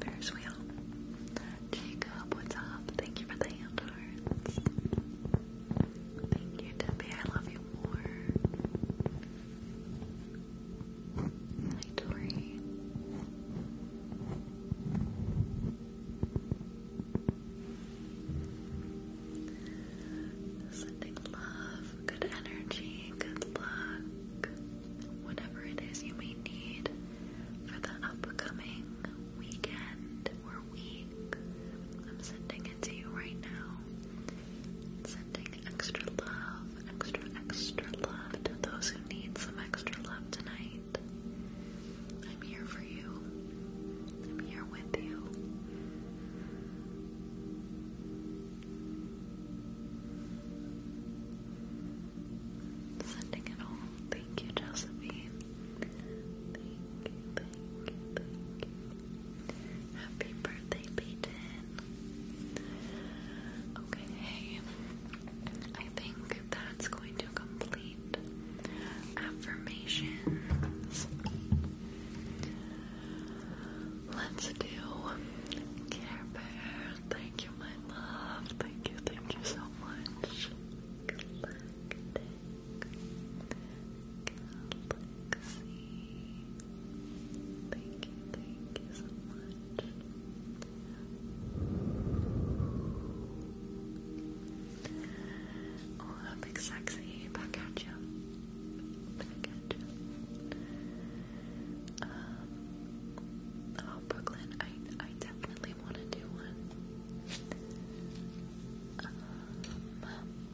A: Ferris wheel. Jacob, what's up? Thank you for the hand hearts. Thank you, Debbie. I love you more. Hi, Tori. Sending love, good energy, good luck, whatever it is you may need for the upcoming weekend or week. I'm sending into you right now. Sending extra love, extra, extra love to those who need some extra love tonight. I'm here for you. I'm here with you. Sending it all. Thank you, Josephine. you. Happy birthday, Peyton. Okay, I think that's going to complete affirmations. Let's do Care Bear. Thank you, my love. Thank you, thank you so much. Galactic Galaxy Thank you, thank you so much. Oh, that big sexy back at you. Back at you. Um, oh, Brooklyn, I, I definitely want to do one. Um,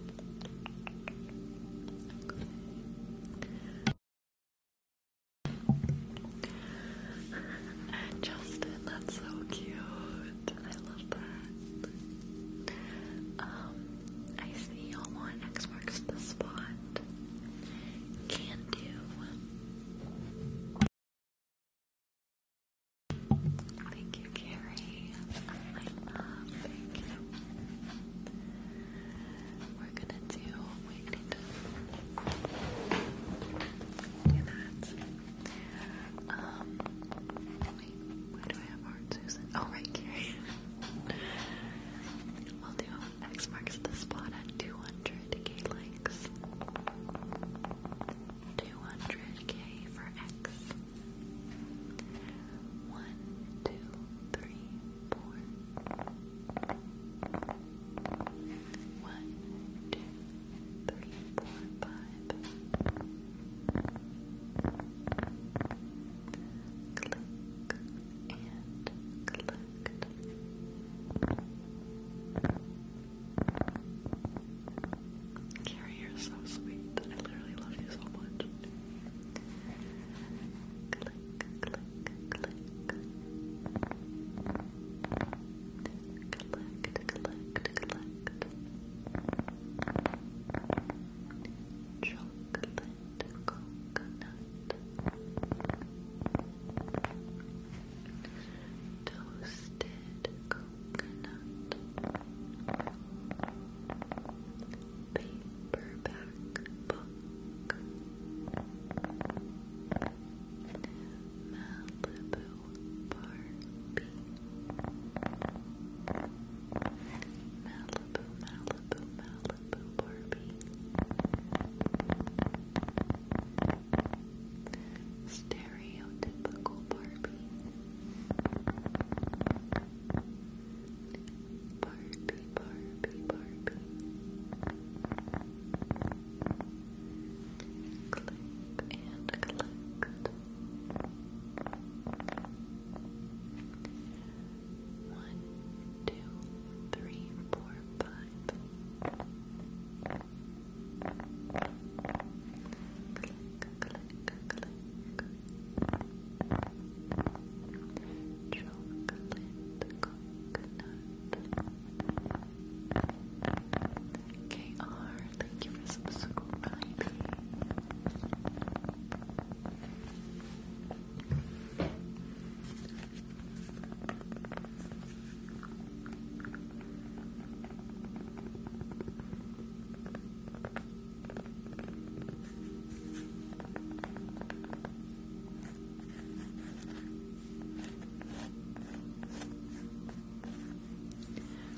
A: Justin, that's so cute. I love that. Um, I see y'all want X marks the spot. Can do. Thank you, Carrie. I love. Thank you. We're gonna do. We need to do that. Um. Where do I have Art Susan? Oh, right here. we'll do X marks the spot at 200k likes. 200k for X. One, two, three, four. One, two, three, four, five. Click and collect. Carrie, you're so sweet. I literally love you so much click, click, click, collect, collect, collect, chocolate, coconut, toasted coconut. Toasted coconut, paperback book, Malibu Barbie, Malibu, Malibu, Malibu Barbie, stereotypical Barbie. Barbie, Barbie, Barbie. Clip and collect. One, two, three, four, five. Click, click, click. Try KR, thank you for subscribing. Thank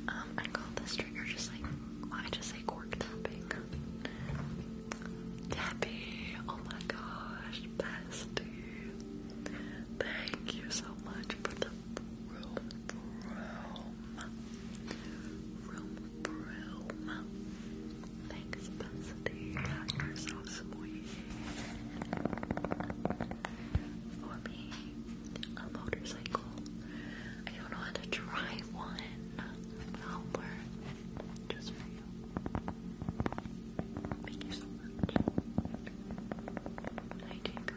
A: um, I call this trigger just like I just say cork tapping. Tappy, oh my gosh, bestie. Thank you so much for the room, room broom. Thanks, Felicity. You're so sweet. For me, a motorcycle. I don't know how to drive one. But i just for you. Thank you so much. Hi, Jacob.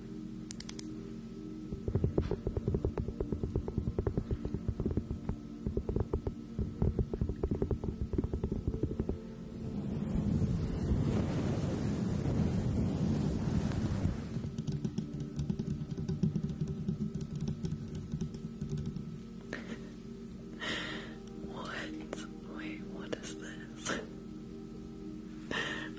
A: what? Wait, what is this?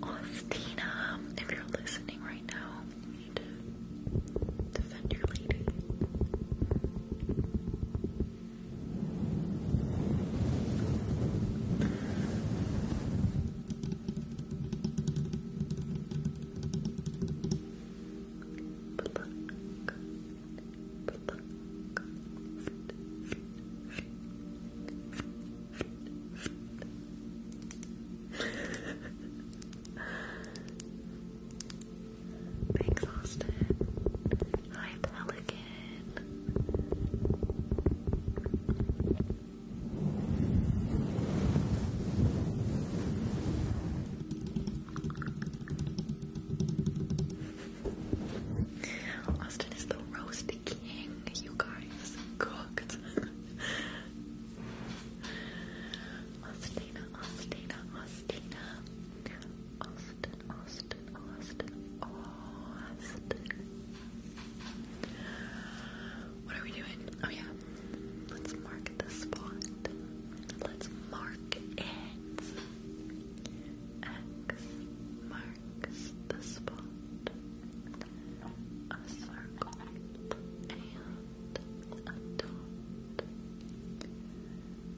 A: Austina, if you're listening right now, need to defend your lady. Pluck, pluck, pluck, pluck, Thanks, Austin. Hi, Pelican. Austin is the roast king, you guys rice cooked. Austina, Austina, Austin, Austin, Austin, Austin. What are we doing? Oh yeah. Let's mark the spot. Let's mark it. X marks the spot a circle and a dot.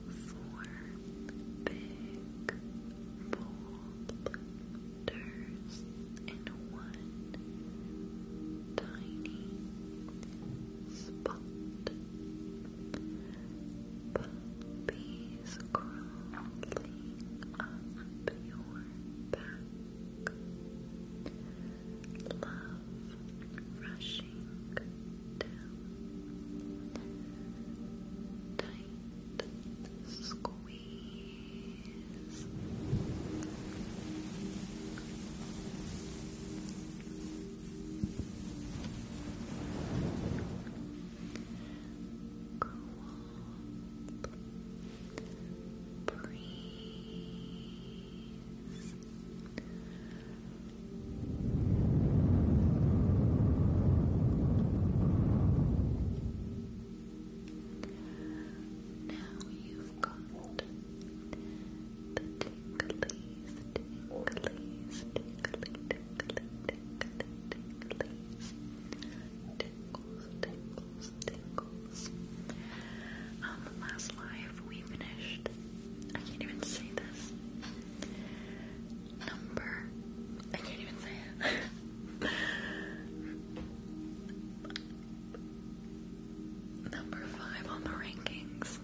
A: Four big boulders and one tiny spot. Puppies crawling up your back, love rushing down, tight squeeze. Cool
B: breathe. Now you've got the ticklies, ticklies, tickly, tickly, tickly, ticklies, tickles, tickles, tingles, tingles. Um, last live we finished. I can't even say this. Number. I can't even say it.
A: Number five on the rankings.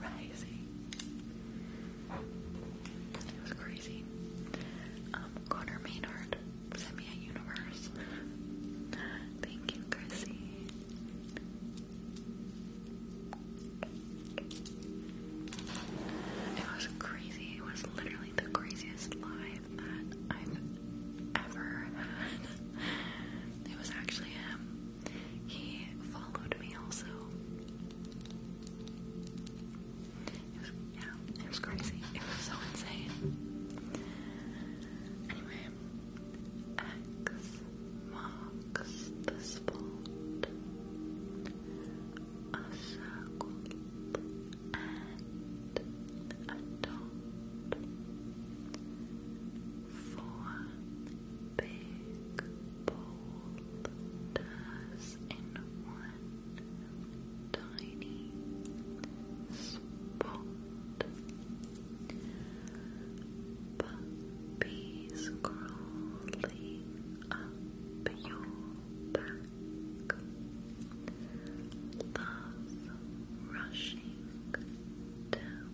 A: Crazy. It was crazy. Um, Connor Maynard sent me a universe. Thank you, Chrissy. It was crazy. It was literally the craziest live that I've ever had. It was actually him. He followed me also. It was, yeah, it was crazy. It was so insane. Anyway, marks the spot. A circle and a dot. Four big boulders in one tiny spot. Puppies crawling up your back. Love rushing down.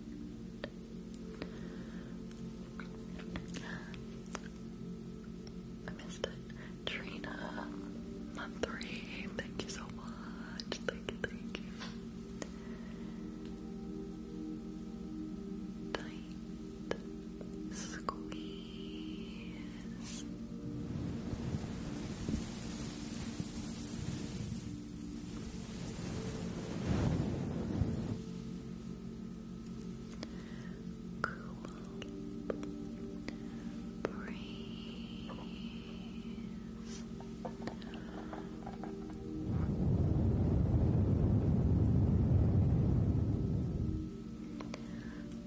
A: I missed it. Trina, month three, thank you so much. Thank you, thank you. Tight squeeze. Cool breeze.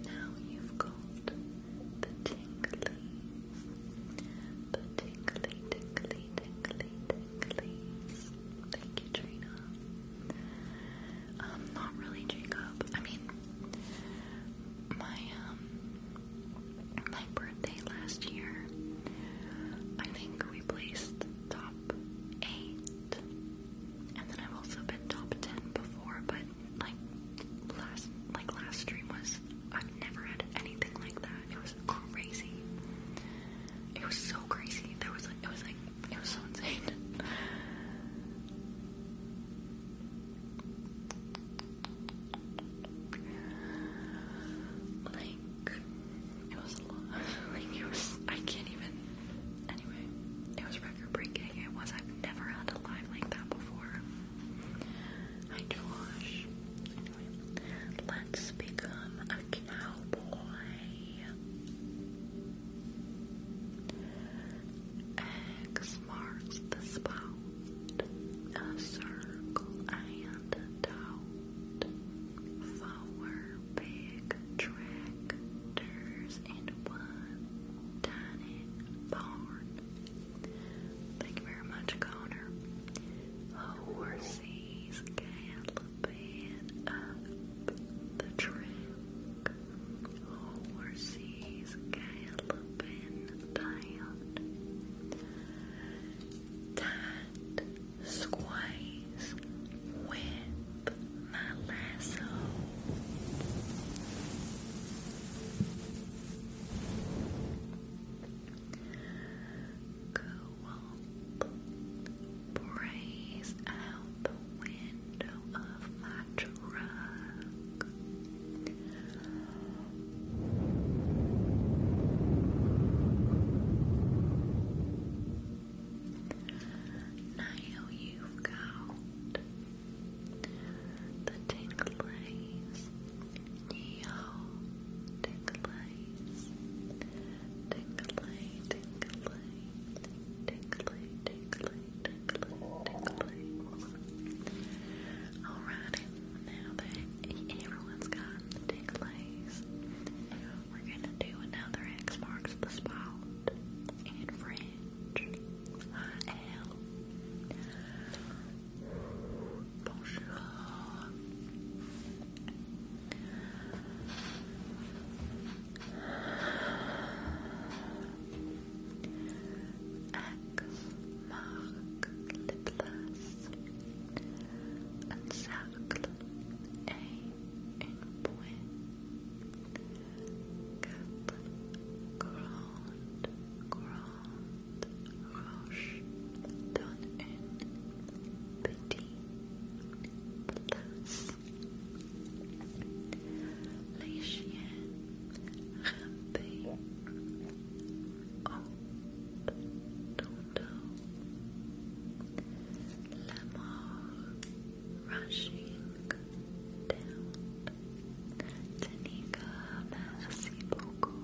A: Now you've got the tingly, the tingly, tingly, tingly, tingly. Thank you, Trina. Um, not really Jacob. I mean, my um, my birthday last year, I think we placed top eight, and then I've also been top ten before. But like last, like last stream was, I've never had anything like that. It was crazy. It was so crazy. There was like, it was like it was so insane. like it was a lot. like it was. I can't even. Anyway, it was record breaking. It was. I've never had a live like that before. Hi Josh. let's become a cowboy. X marks the
B: spot, a circle and a dot.
A: Four big tractors and one tiny barn. Thank you very much, Connor. Horses galloping up the track overseas Galopin dialed that squeeze with my lasso. Go up, praise out window of my truck. Now you've got the tinglies, neo tinglies, tingley, tingley, tingley, tingley, tickling, Alrighty, now that everyone's gotten the ticklies, we're gonna do another X marks the spot in French. I L. Bonjour. Mark lip gloss Encercle et une pointe Quatre grandes, grandes roches donnent une
B: les chiens rampaient haut ton dos, la mort rushing down. Tanika, merci beaucoup.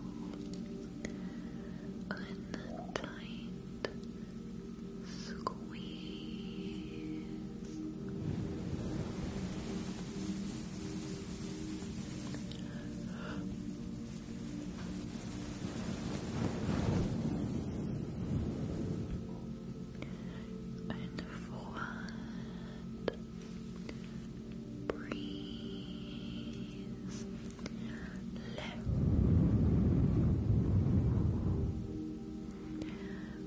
B: Untied squeeze. And forward, breeze, left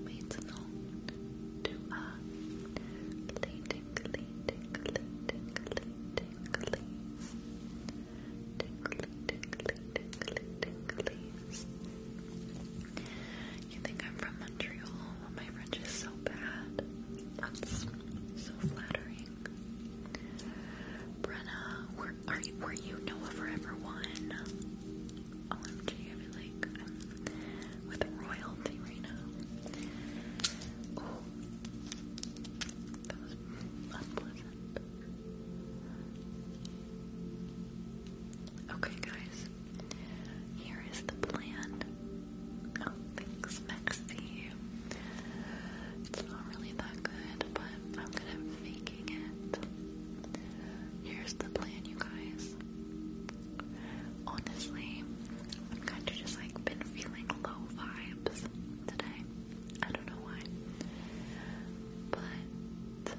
A: made known to a tingly, tingly, tingly, tinglies, tingly, tingly, tingly, tinglies. You think I'm from Montreal? Oh, my French is so bad. That's so flattering. Brenna, were, are you, were you Noah Forever One? OMG, I feel like with royalty right now. Okay, guys, here is the plan. Oh, thanks, It's not really that good, but I'm gonna faking it. Here's the plan, you guys honestly, I've kind of just like been feeling low vibes today. I don't know why. But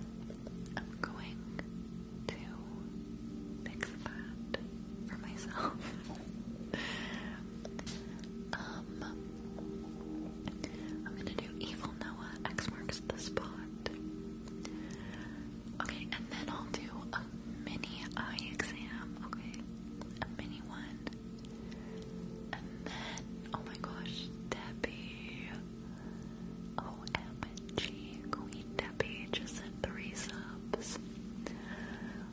A: I'm going to fix that for myself. Um, I'm gonna do Evil Noah X marks the spot. Okay, and then I'll do a mini eye exam, okay? A mini one. And then, oh my gosh, Debbie. OMG, Queen Debbie just sent three subs.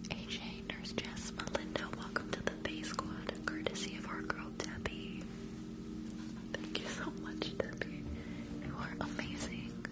A: AJ, Nurse Jess, Melinda, welcome to the Face Squad, courtesy of our girl Debbie. Thank you so much, Debbie. You are amazing.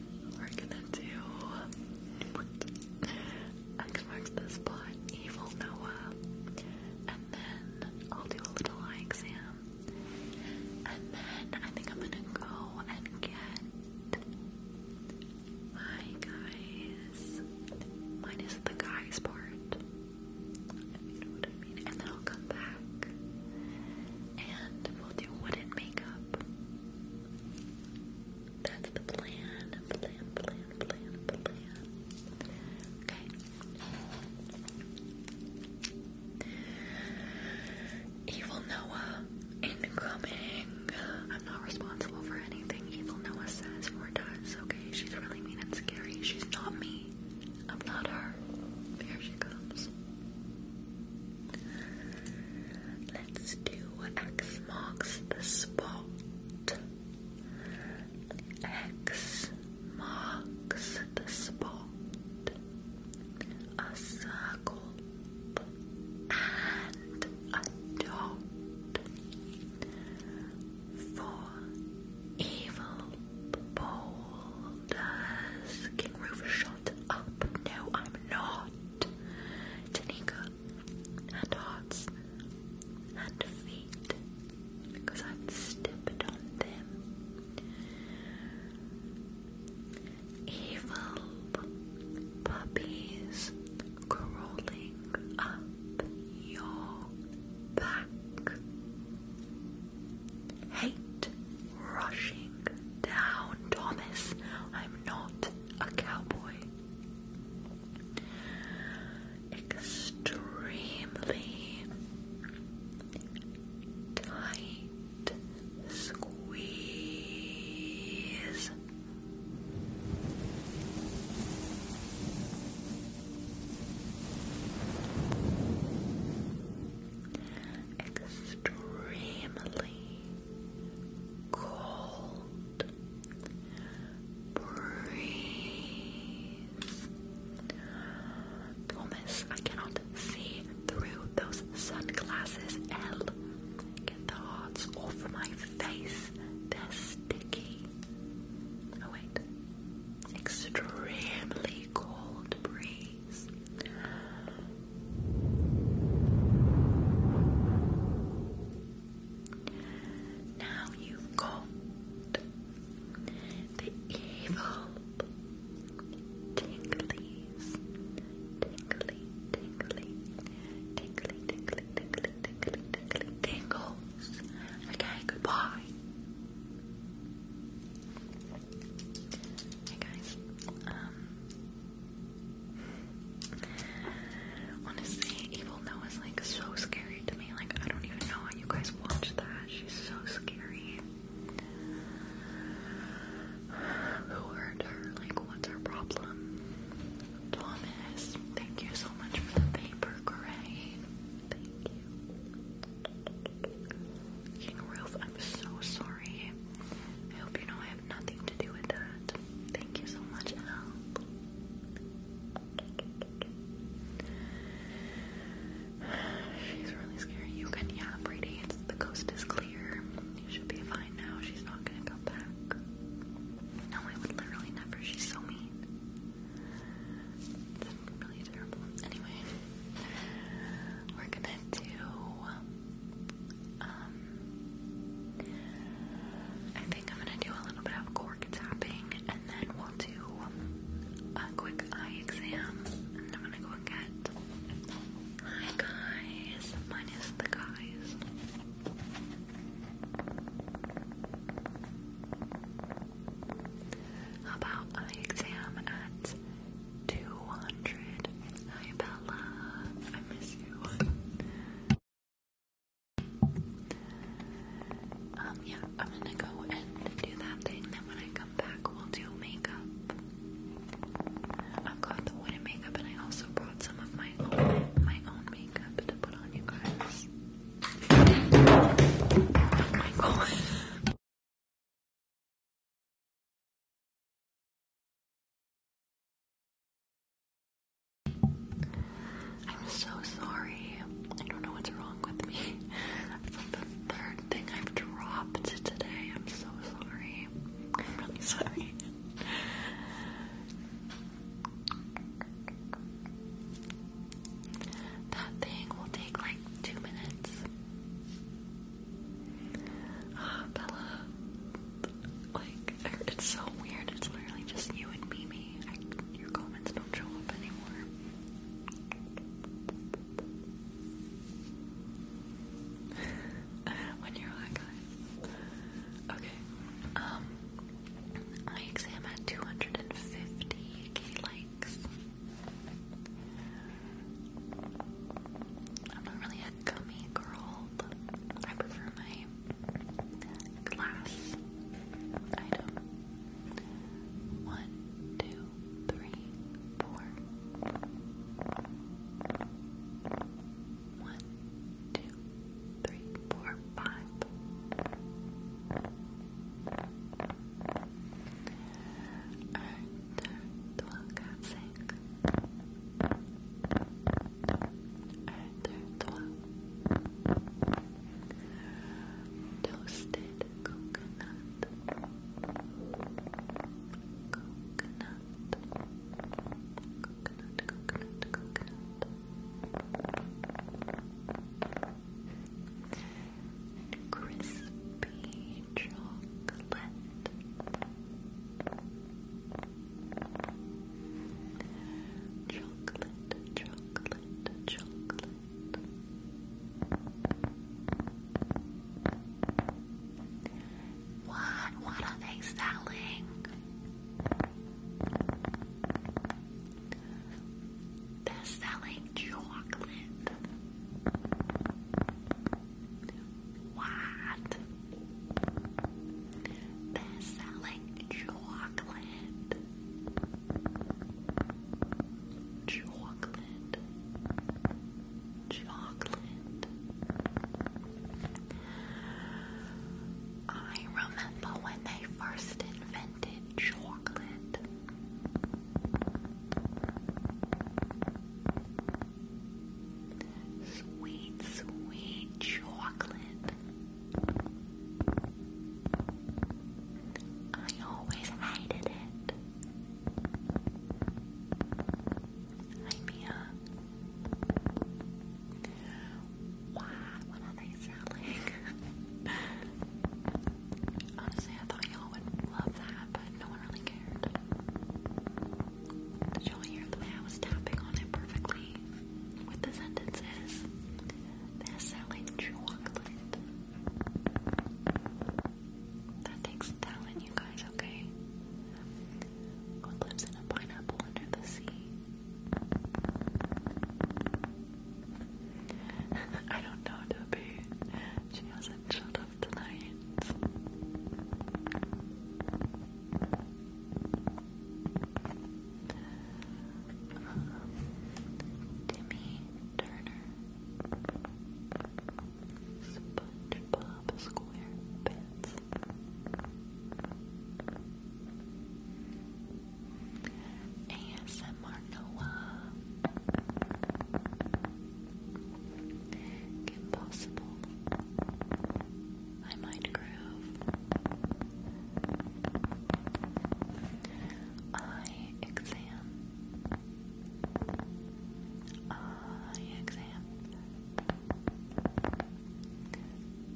A: We're gonna do X marks the spot, Evil Noah, and then I'll do a little eye exam, and then I think I'm gonna go and get. Hi guys, mine is the guys part. you know what I mean, and then I'll come back and we'll do wooden makeup. That's the plan. Plan, plan, plan, plan. Okay. Evil Noah, incoming. I'm not responsible for anything Evil Noah says or does, okay? She's really mean and scary. She's not me. I'm not her. Here she comes. Let's do X marks the spot. X marks the spot. A circle and a dot. For evil boulders, King Rufus up. No, I'm not. Tanika, and hearts, and feet, because I've stepped on them. Evil puppies crawling up your back. Hate rushing down Thomas. I'm not a cowboy. Extremely tight squeeze. Extremely cold breeze. Thomas, I cannot see through those sunglasses. L, get the hearts off my face. They're sticky. Oh wait. Extremely cold breeze cheeks. Now you got the evil tinglies. Tingly, tingly, tingly, tingly, tingly, tingly, tingly, tingles. Okay, goodbye. Hey guys, um, Honestly, Evil Noah is like so scary to me. Like I don't even know you guys watch that. She's so scary. Who hurt her? Like what's her problem? Thomas, thank you so much for the paper, Gray. Thank you. King Roof, I'm so sorry. I hope you know I nothing to do with that. Thank you so much, She's really scary. You can, yeah, Brady, the coast is clear. You should be fine now. She's not gonna come back. No, I would literally never. She's so mean. really terrible. Anyway, we're gonna do um, I think I'm gonna do a little bit of cork tapping, and then we'll do a quick eye exam. And I'm gonna go and get. Hi guys, minus the guys. about eye exam at 200. Hi, Bella. I miss you. Um, yeah, I'm gonna go and do that thing, then
C: when I come back, we'll do makeup. I've got the wooden makeup, and I also brought some of my my own makeup to put on you guys. Oh my god. I'm so sorry. I
A: don't know what's wrong with me. It's like the third thing I've dropped today. I'm so sorry. I'm really sorry. That thing will take like two minutes. Ah, Bella. Like, er, it's so weird. It's literally just you and Mimi. your comments don't show up anymore. when you're hot, Okay. Um, my exam had 250k likes. I'm not really and gummy I prefer my glass item. One, two, three, four. One, two, three, four, five. Un, deux, trois, quatre, Toasted coconut, coconut, coconut, coconut, coconut, crispy chocolate. Chocolate, chocolate, chocolate. What? What are they selling? They're selling chocolate. What? They're selling chocolate. Chocolate. Chocolate. I remember when they first invented chocolate. Sweet, sweet chocolate. I always hated it. Hi, Mia. Wow, what are they selling? Honestly, I thought y'all would love that, but no one really cared. Did you hear the way I was tapping on it perfectly with the sentences? They're selling chocolate. That takes talent, you guys, okay? What lives in a pineapple under the sea? I don't know, Debbie. She hasn't shut up tonight lines. Um, Timmy Turner, SpongeBob SquarePants. ASMR Noah Impossible I might groove. Eye exam. Eye exam.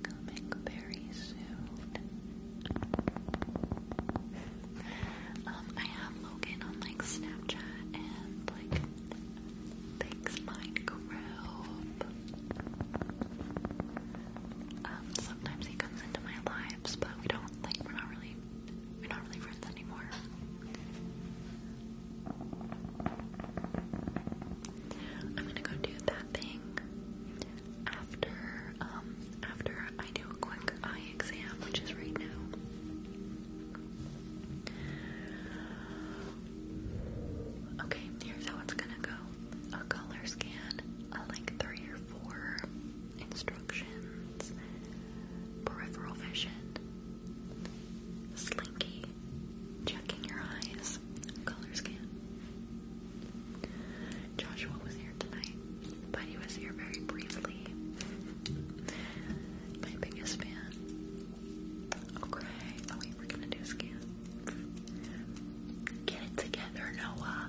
A: Coming very soon. um, I have Logan on like Snapchat and like Thanks, Minecraft. Um, sometimes he comes into my lives, but we don't like we're not really we're not really friends anymore. I'm gonna go do that thing after um after I do a quick eye exam, which is right now. Okay, here's how it's gonna go a color scan, like three or four instructions, peripheral vision, slinky, checking your eyes, color scan. Joshua was here tonight, but he was here very briefly. My biggest fan. Okay. Oh we're gonna do skin. Get it together, Noah.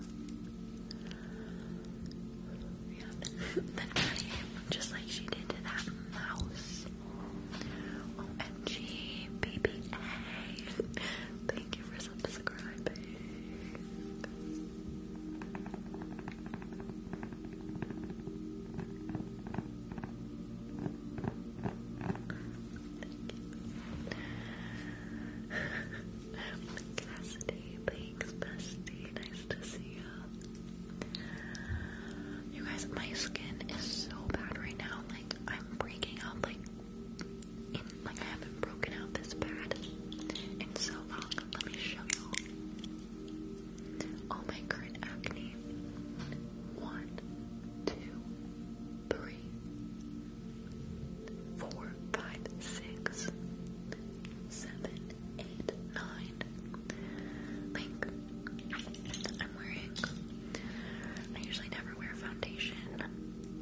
A: Yeah, then, just like she did to that mouse. OMG, Thank you for subscribing. Cassidy, thanks, bestie. Nice to see you. You guys, my skin is so bad right now. Like I'm breaking out. Like like I haven't broken out this bad in so long. Let me show you all my current acne. One, two, three, four, five, six, seven, eight, nine. Like, I'm wearing, I usually never wear foundation,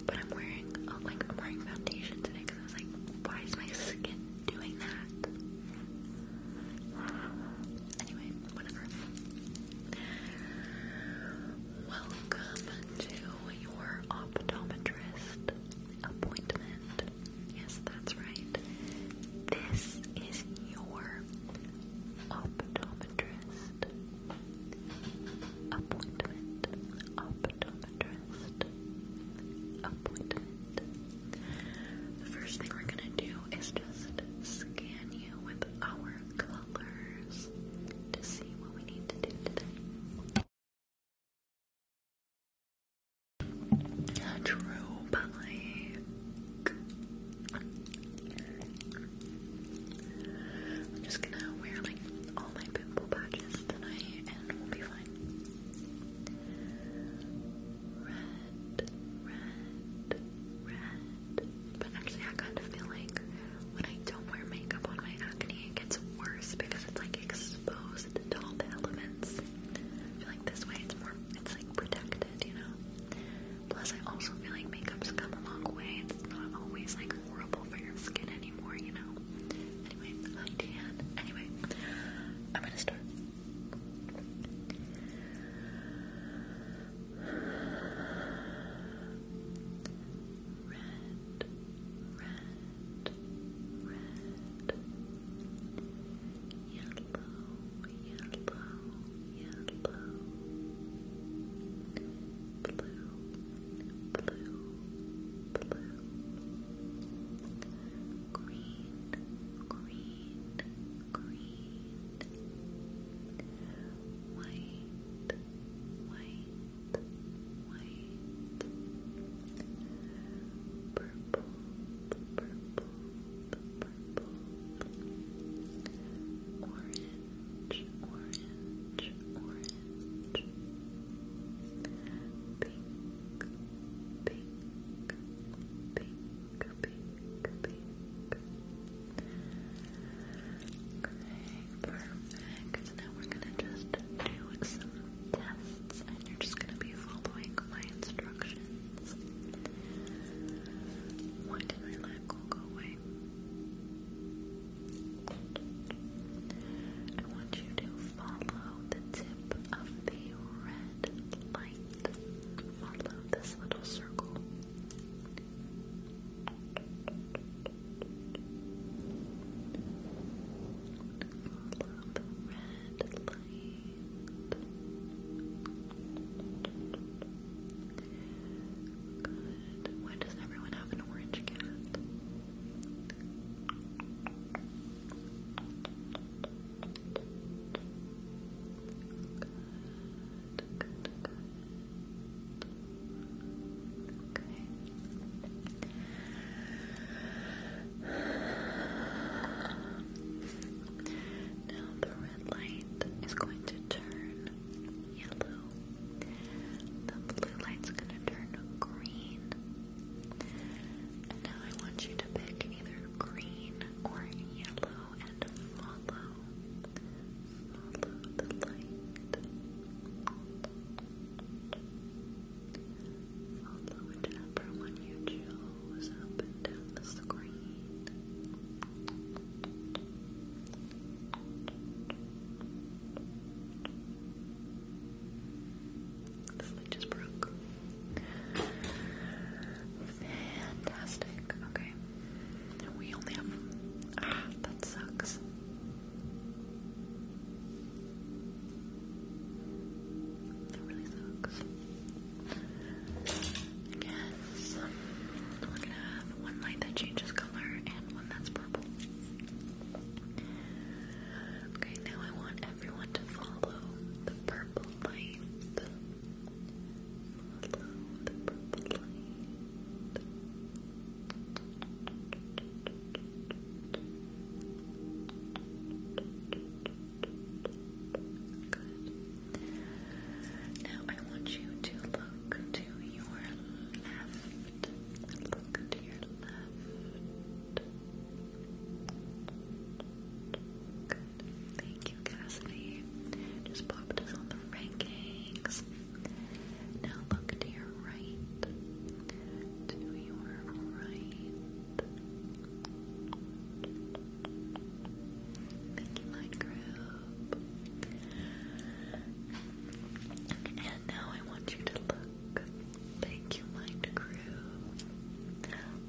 A: but I'm wearing, oh, like, I'm wearing foundation today because I was like, why is my skin doing that? Anyway, whatever. Welcome to your optometrist appointment. Yes, that's right. This is your optometrist appointment. Optometrist appointment. The first thing we're going to do is just scan you with our True, but like, I'm just gonna wear like all my pimple patches tonight and we'll be fine. Red, red, red. But actually, I kind of feel like when I don't wear makeup on my acne, it gets worse because it's like exposed to all the elements. I feel like this way it's more, it's like protected, you know? Plus, I also feel like makeup's come a long way. It's not always like horrible for your skin anymore, you know? Anyway, hi Dan. Anyway, I'm gonna start red, red, red, yellow, yellow, yellow, blue, blue, blue, green, green, green white, white, white, purple, purple, purple, orange, orange, orange, pink, pink, pink perfect. Now we're gonna just do some tests, and you're just gonna be following my instructions. Why did I let go away? I want you to follow the tip of the red light. Follow this little circle red light. Why does everyone have an orange cat? Good, Now the red light is going to turn yellow. The blue light's going to turn green. now I want you to pick either green or yellow and follow. Follow the light. Follow whichever one you choose up and down the screen. This light just broke. Fantastic. Okay we only have. Ah, that sucks. That really sucks. I we're gonna have one light that changes color and one that's purple. Okay, now I want everyone to follow the purple light. Now I want you to look to your left. Look to your left. Good. Thank you, Cassidy. Just popped us on the rankings. Now look to your right. To your right. Thank you, my group. And now I want you to look. Thank you, Mind Groove.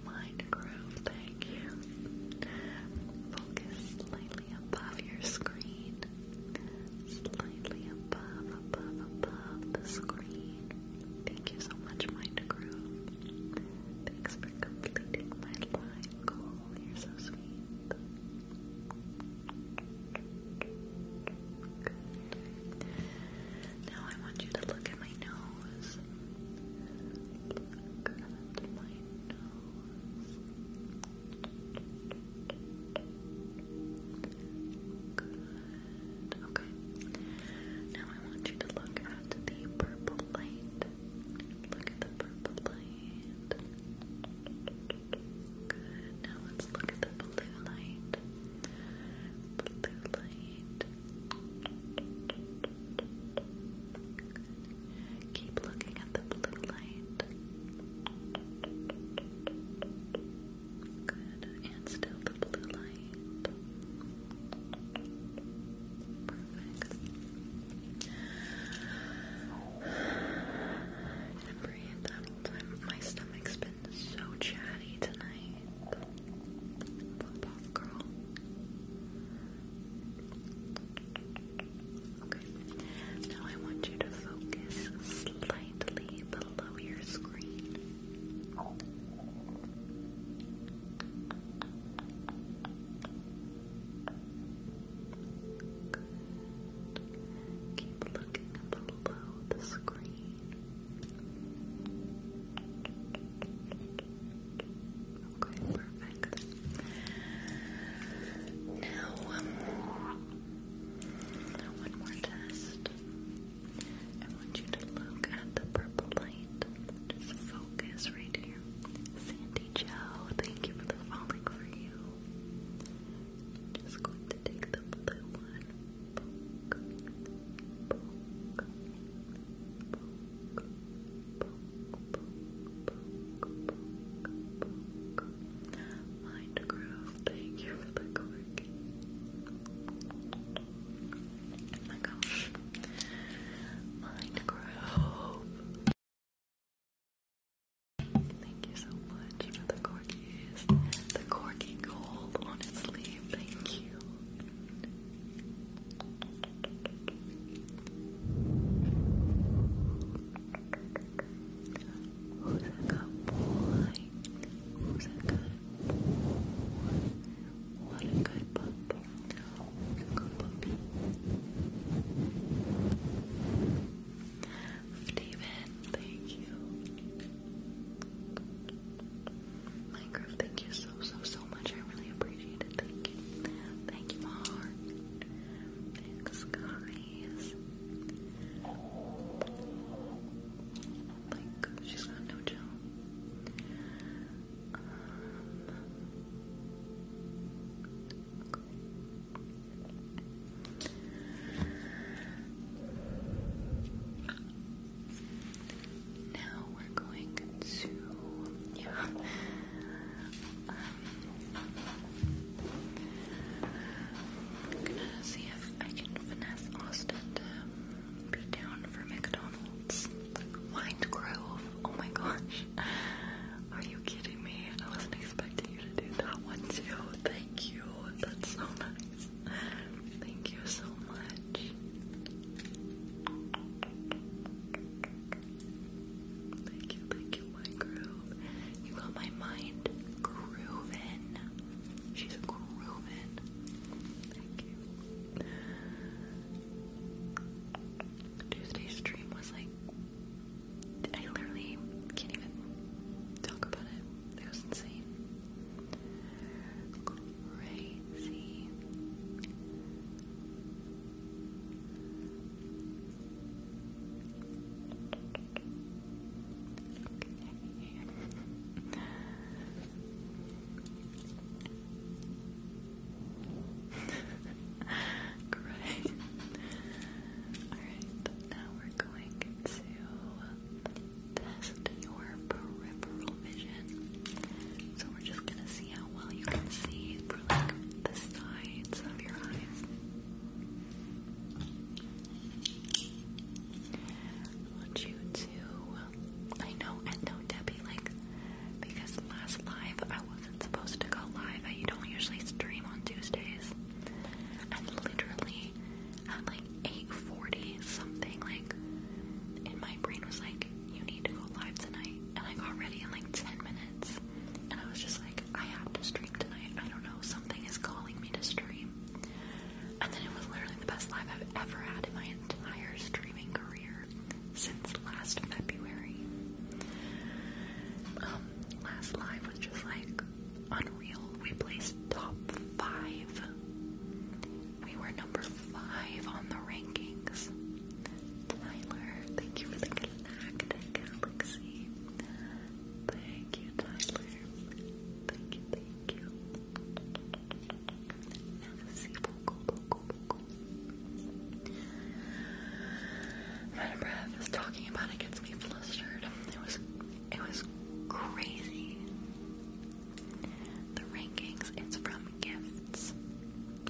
A: Mind Groove, thank you. Focus slightly above your screen, slightly above, above, above the screen. Thank you so much, Mind Thanks for completing my live goal. You're so sweet. Now I want you to look at my nose. Look at my nose. Good. Okay. Now I want you to look at the purple light. Look at the purple light. Good. Now let's look at the blue light. Blue light. Keep looking at the blue light. Good. And still the blue light. Perfect. And breathe My stomach's been so chatty tonight. Pop girl. Okay. Now I want you to focus slightly below your screen. Keep looking below the screen. Okay, perfect. Now, one more test. I want you to look at the purple light. Just focus right here. Sandy Joe, thank you for falling for you. Just going to take the blue one. Mind thank you for the cork. Oh my gosh. Mind Thank you so much for the corkies. The corky gold on its sleeve, thank you. Who's a good boy? Who's a good boy? What a good puppy. good puppy? David, thank you. Minecraft, thank you so, so, so much. I really appreciate it. Thank you. Thank you, my Thanks, guys. Like, she's got no gel. Um, now we're going to, um, I'm gonna see if I can finesse Austin to be down for McDonald's. Wine Grove. Oh my gosh. Are you kidding me? I wasn't expecting you to do that one too. Thank you. That's so nice. Thank you so much. Thank you, thank you, Wine Grove. You got my mind grooving. She's grooving. Thank you. Tuesday's stream was like I literally can't even talk about it. It was insane. Crazy. Great. Alright, now we're going to test your peripheral vision. So we're just gonna see how well you can see for like the sides of your eyes. I want you to. I know, and no, Debbie, like, because last live I wasn't supposed to go live. I don't usually stream on Tuesdays. And literally at like 8:40 something, like, in my brain was like, you need to go live tonight. And I got ready in like 10 minutes. And I was just like, I have to stream tonight. I don't know, something is calling me to stream. And then it was literally the best live I've ever had in my entire streaming career since last February. Um, last live was just like unreal. We placed top five. We were number five on the rankings. Tyler, thank you for the galactic galaxy. Thank you, Tyler. Thank you, thank you. Madam Breath is talking about it gets me flustered. It was it was crazy. The rankings, it's from gifts.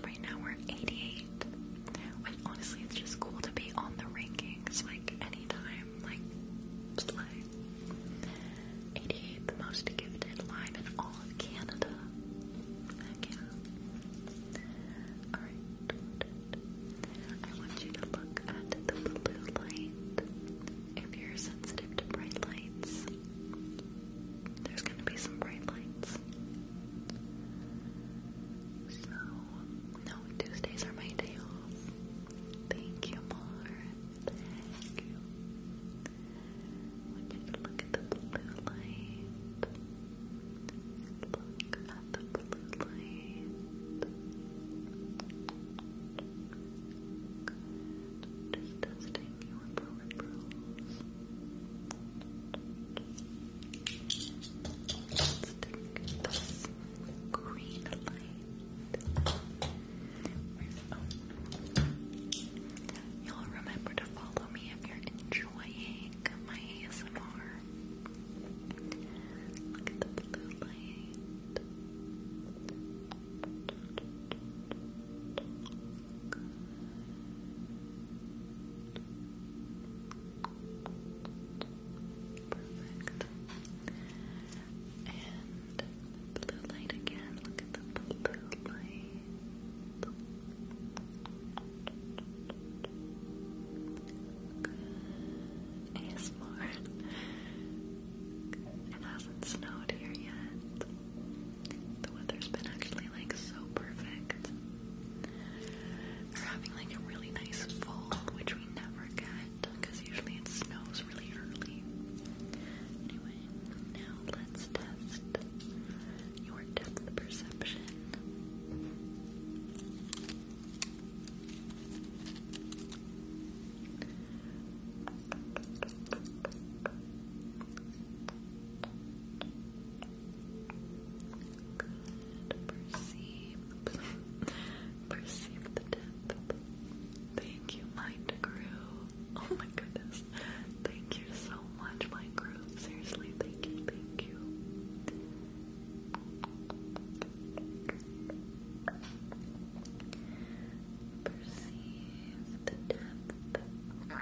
A: Right now we're 88. But honestly, it's just cool to be on the rankings rankings like anytime, like eighty-eight, the most gifted live in all of Canada. Heck yeah. Alright. I want you to look at the blue light. If you're sensitive to bright lights, there's gonna be some bright lights. So, no Tuesdays are my day off. Thank you, Mar. Thank you. look at the blue light, look at the blue light. testing your peripherals. Let's take green You'll remember to follow me if you're enjoying my ASMR. Look at the blue light. Perfect. And blue light again. Look at the blue light. Good. ASMR. It hasn't snowed here yet. The weather's been actually like so perfect. We're having like a really nice fall, which we never because usually it snows really early. Anyway, now let's test your depth perception. Perceive. Perceive the depth. Thank you, Mind Crew. Oh my goodness. Thank you so much, Mind Crew. Seriously, thank you, thank you. Perceive the depth. Good.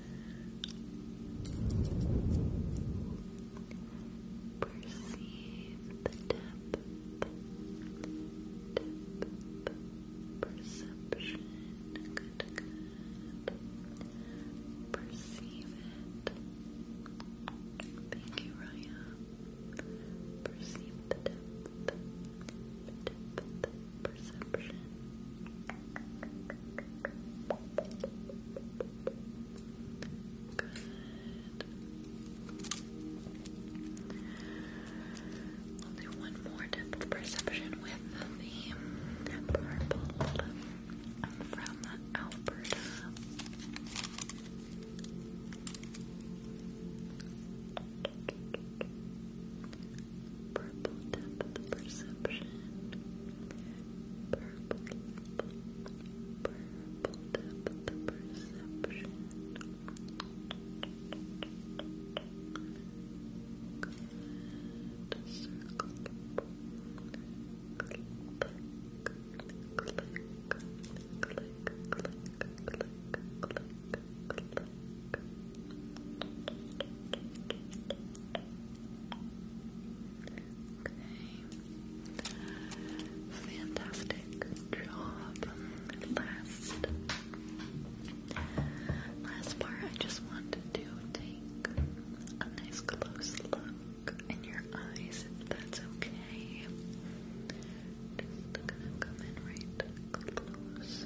A: Perceive the depth, depth, perception, Perceive it. Thank you, Raya. Perceive the depth, perception. Good. do one more depth perception with the purple. I'm from Alberta. Purple depth of perception. Purple, purple depth of perception. Good. Circle. Click, click, click, click, click, click, click. Good. Okay. Fantastic job. Last last part I just wanted to take a nice close look in your eyes if that's okay. Just gonna come in right close.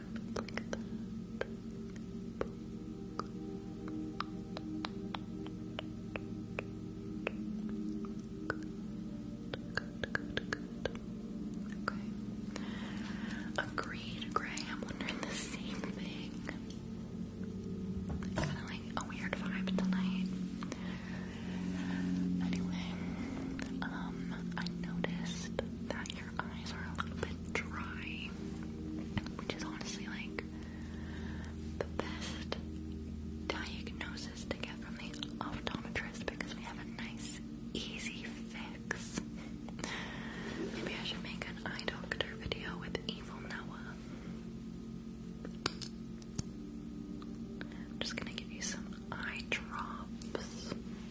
A: kind of Agreed, Gray. I'm wondering the same thing. kind of like a weird vibe tonight. Anyway, um, I noticed that eyes are a little bit dry, which is honestly like the best diagnosis to get from the optometrist because we have a nice, easy fix. Maybe I should make an eye doctor video with Evil Noah. I'm just gonna give you some eye drops.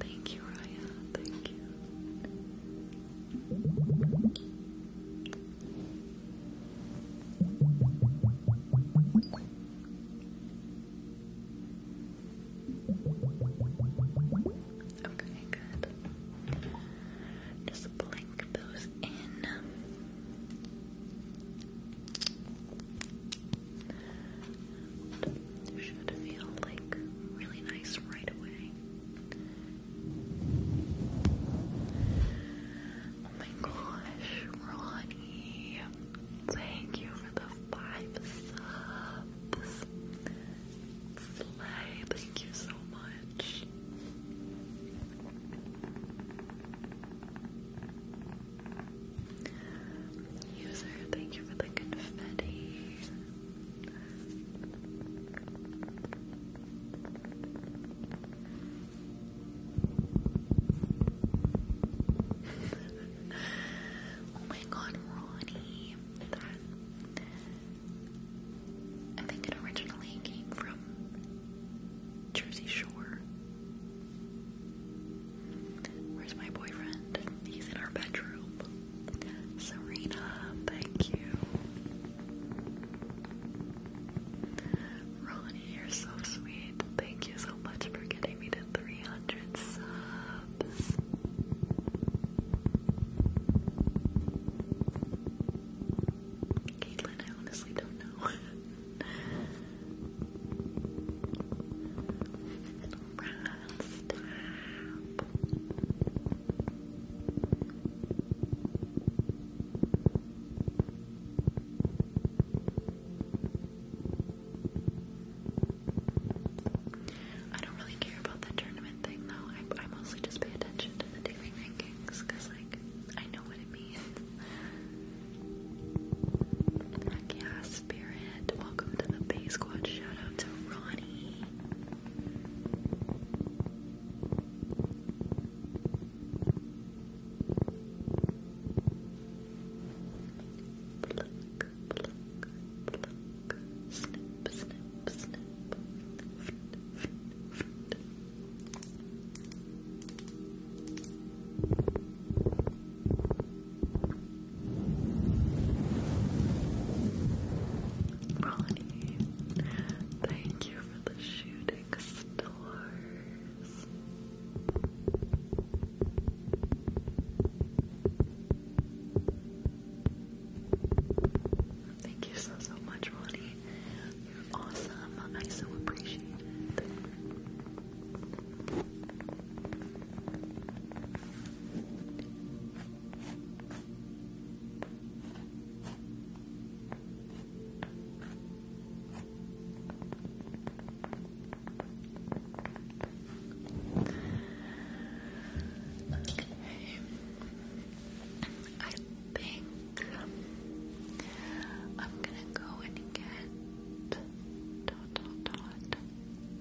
C: Thank you, Raya. Thank you. Okay, good. Just blink those in
A: and should feel like really nice right away. Oh my gosh, Ronnie, thank you for the five subs. Slay, thank you so much. User, thank you for the confetti oh my god, Ronnie. I think it originally came from Jersey Shore. Where's my boyfriend? He's in our bedroom. Serena, thank you. Ronnie, you're so sweet. Thank you so much for getting me to 300 subs. Caitlin, I honestly don't know. I don't really care about the tournament thing though. I, I mostly just pay attention to the daily rankings because, like, I know what it means. yeah, Spirit. Welcome to the Bay Squad. Shout out to Ronnie. Pluck, pluck, pluck. Snip, snip, snip. Snip, snip, snip. Ronnie, thank you for the shooting stars. Thank you so, so much, Ronnie. You're awesome. I so appreciate it. I think I'm gonna go and get dot dot dot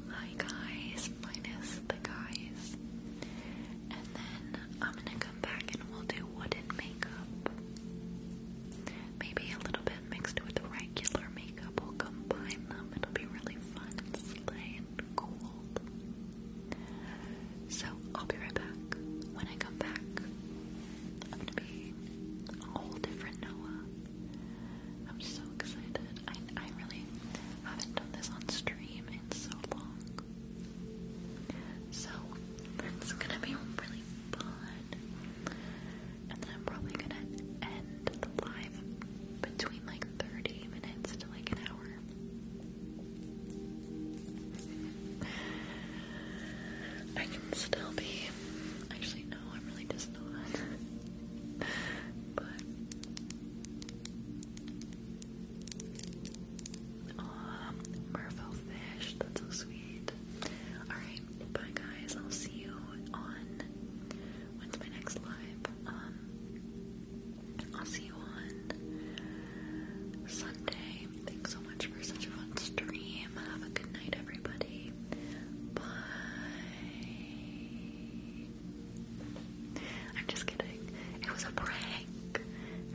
A: my guys minus the guys. And then I'm gonna come back and we'll do wooden makeup. Maybe a little bit mixed with regular makeup. We'll combine them. It'll be really fun and slay and cool. So I'll be right back. When I come back, I'm gonna be a whole different Noah. I'm so excited. I I really I haven't done this on stream in so long. So it's gonna be really fun. And then I'm probably gonna end the live between like 30 minutes to like an hour. I can still be. Actually, no, I'm really just not. but Aw, um, fish, that's so sweet. Alright, bye guys, I'll see you on, when's my next live? Um, I'll see you on Sunday. Thanks so much for such a fun stream. Have a good night, everybody. Bye. I'm just kidding. It was a prank.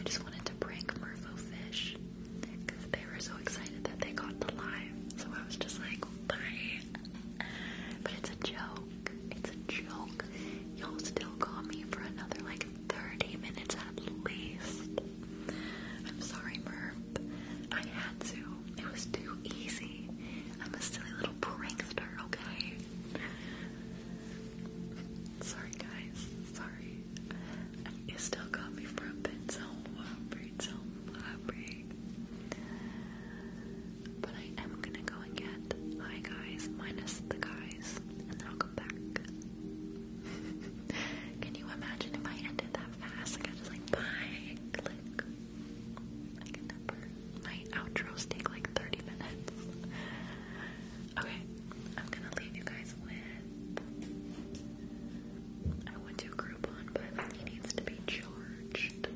A: I just wanted to prank Mervo Fish because they were so excited that they got the live. So I was just like, bye. But it's a joke. It's a joke. You'll still call me for another like 30 minutes at least. I'm sorry, Merv. I had to. It was too easy. I'm a silly little prankster, okay? Sorry guys, sorry. It still got me from a bit, so hungry, uh, uh, But I am gonna go and get hi guys, minus the guys, and then I'll come back. Can you imagine if I ended that fast? Like I just like bye, click. I can never. My outros take like 30 minutes. Okay, I'm gonna leave you guys with. I want to Groupon, but he needs to be charged.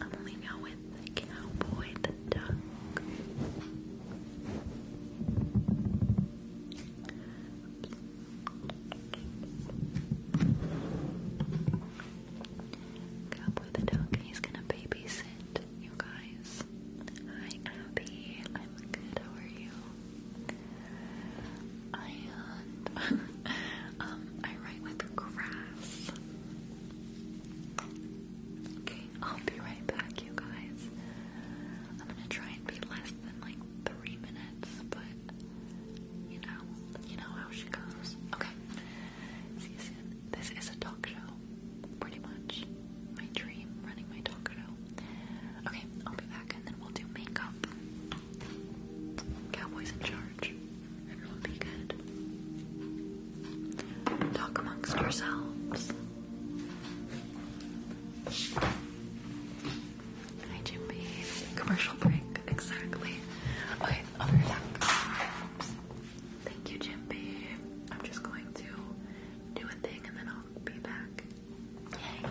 A: I'm gonna leave y'all the Duck. Cowboy the dog, he's gonna babysit you guys. Hi Abby, I'm good, how are you? I, um, I write with grass. Okay, I'll be right back, you guys. I'm gonna try and be less than like three minutes, but you know, you know how she goes. Okay. See you soon. This is a talk show, pretty much. My dream, running my talk show. Okay, I'll be back and then we'll do makeup. Cowboys in charge. Everyone be good. Talk amongst ourselves. Hi, Jimby. Commercial break, exactly. Okay, I'll be back. Thank you, Jimpy. I'm just going to do a thing and then I'll be back. Yay.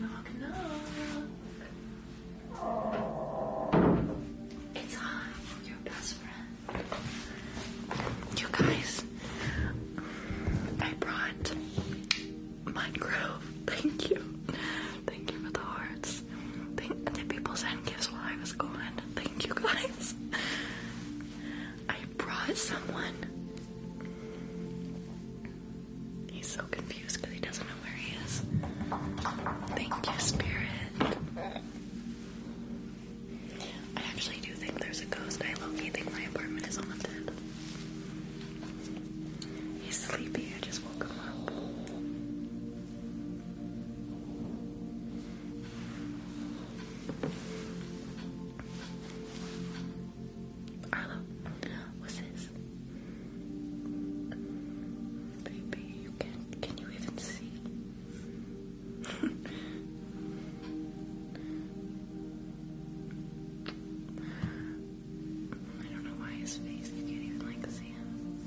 A: Knock, knock. Oh. It's I, your best friend. You guys, I brought Minecraft. Thank you. Thank you for the hearts. Thank the people sent gifts while I was gone. Thank you guys. I brought someone. He's so confused because he doesn't know where he is. Thank you, Spirit. I actually do think there's a ghost. I low-key think my apartment is haunted. He's sleepy, I just woke him up. Arlo, what's this? Baby, you can can you even see? I don't know why his face, you can't even like see him.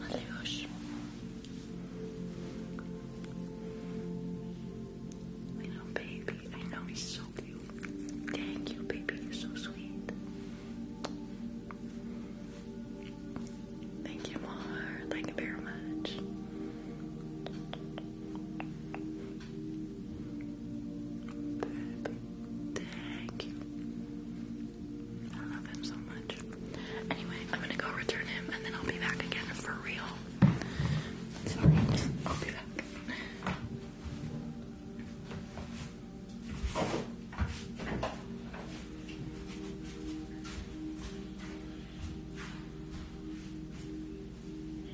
A: Mateusz. You know, baby, I know he's so cute. Thank you, baby, you're so sweet. Thank you, Mar. Thank you very much. Thank you. I love him so much. Anyway, I'm gonna go return him and then I'll be back again for real. Sorry, I'll be back.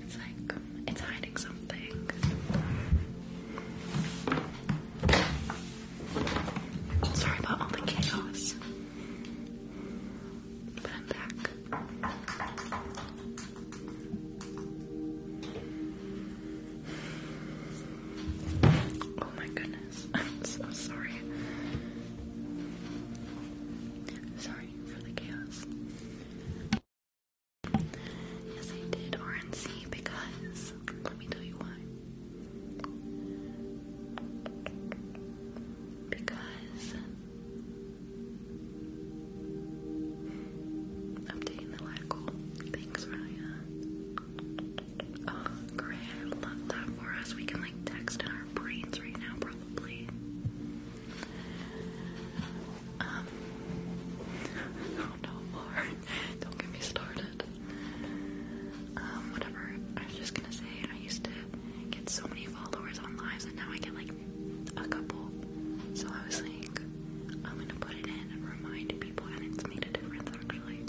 A: It's like it's hiding something. Sorry about the chaos. But I'm back. Oh my goodness. I'm so sorry. Sorry waiting for the chaos. Yes, I did RNC because let me tell you why. Because updating the live Thanks, Raya. Oh, great! I love that for us. We can like text our brains right now, probably. Um, oh no, Lord, don't get me started. Um, whatever. I was just gonna say, I used to get so many followers on lives, and now I get like a couple. So I was like, I'm gonna put it in and remind people, and it's made a difference actually.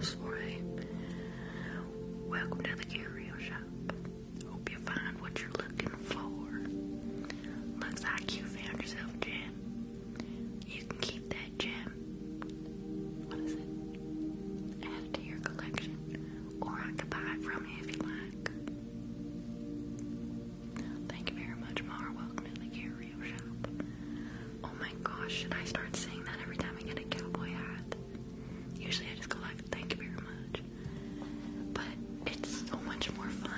A: Sorry. Welcome to the curio shop. Hope you find what you're looking for. Looks like you found yourself a You can keep that gem. What is it? Add your collection. Or I could buy it from you if you like. Thank you very much, Mara. Welcome to the curio shop. Oh my gosh, should I start saying that every time I get a cowboy hat? Usually I just go like, thank you very much. But it's so much more fun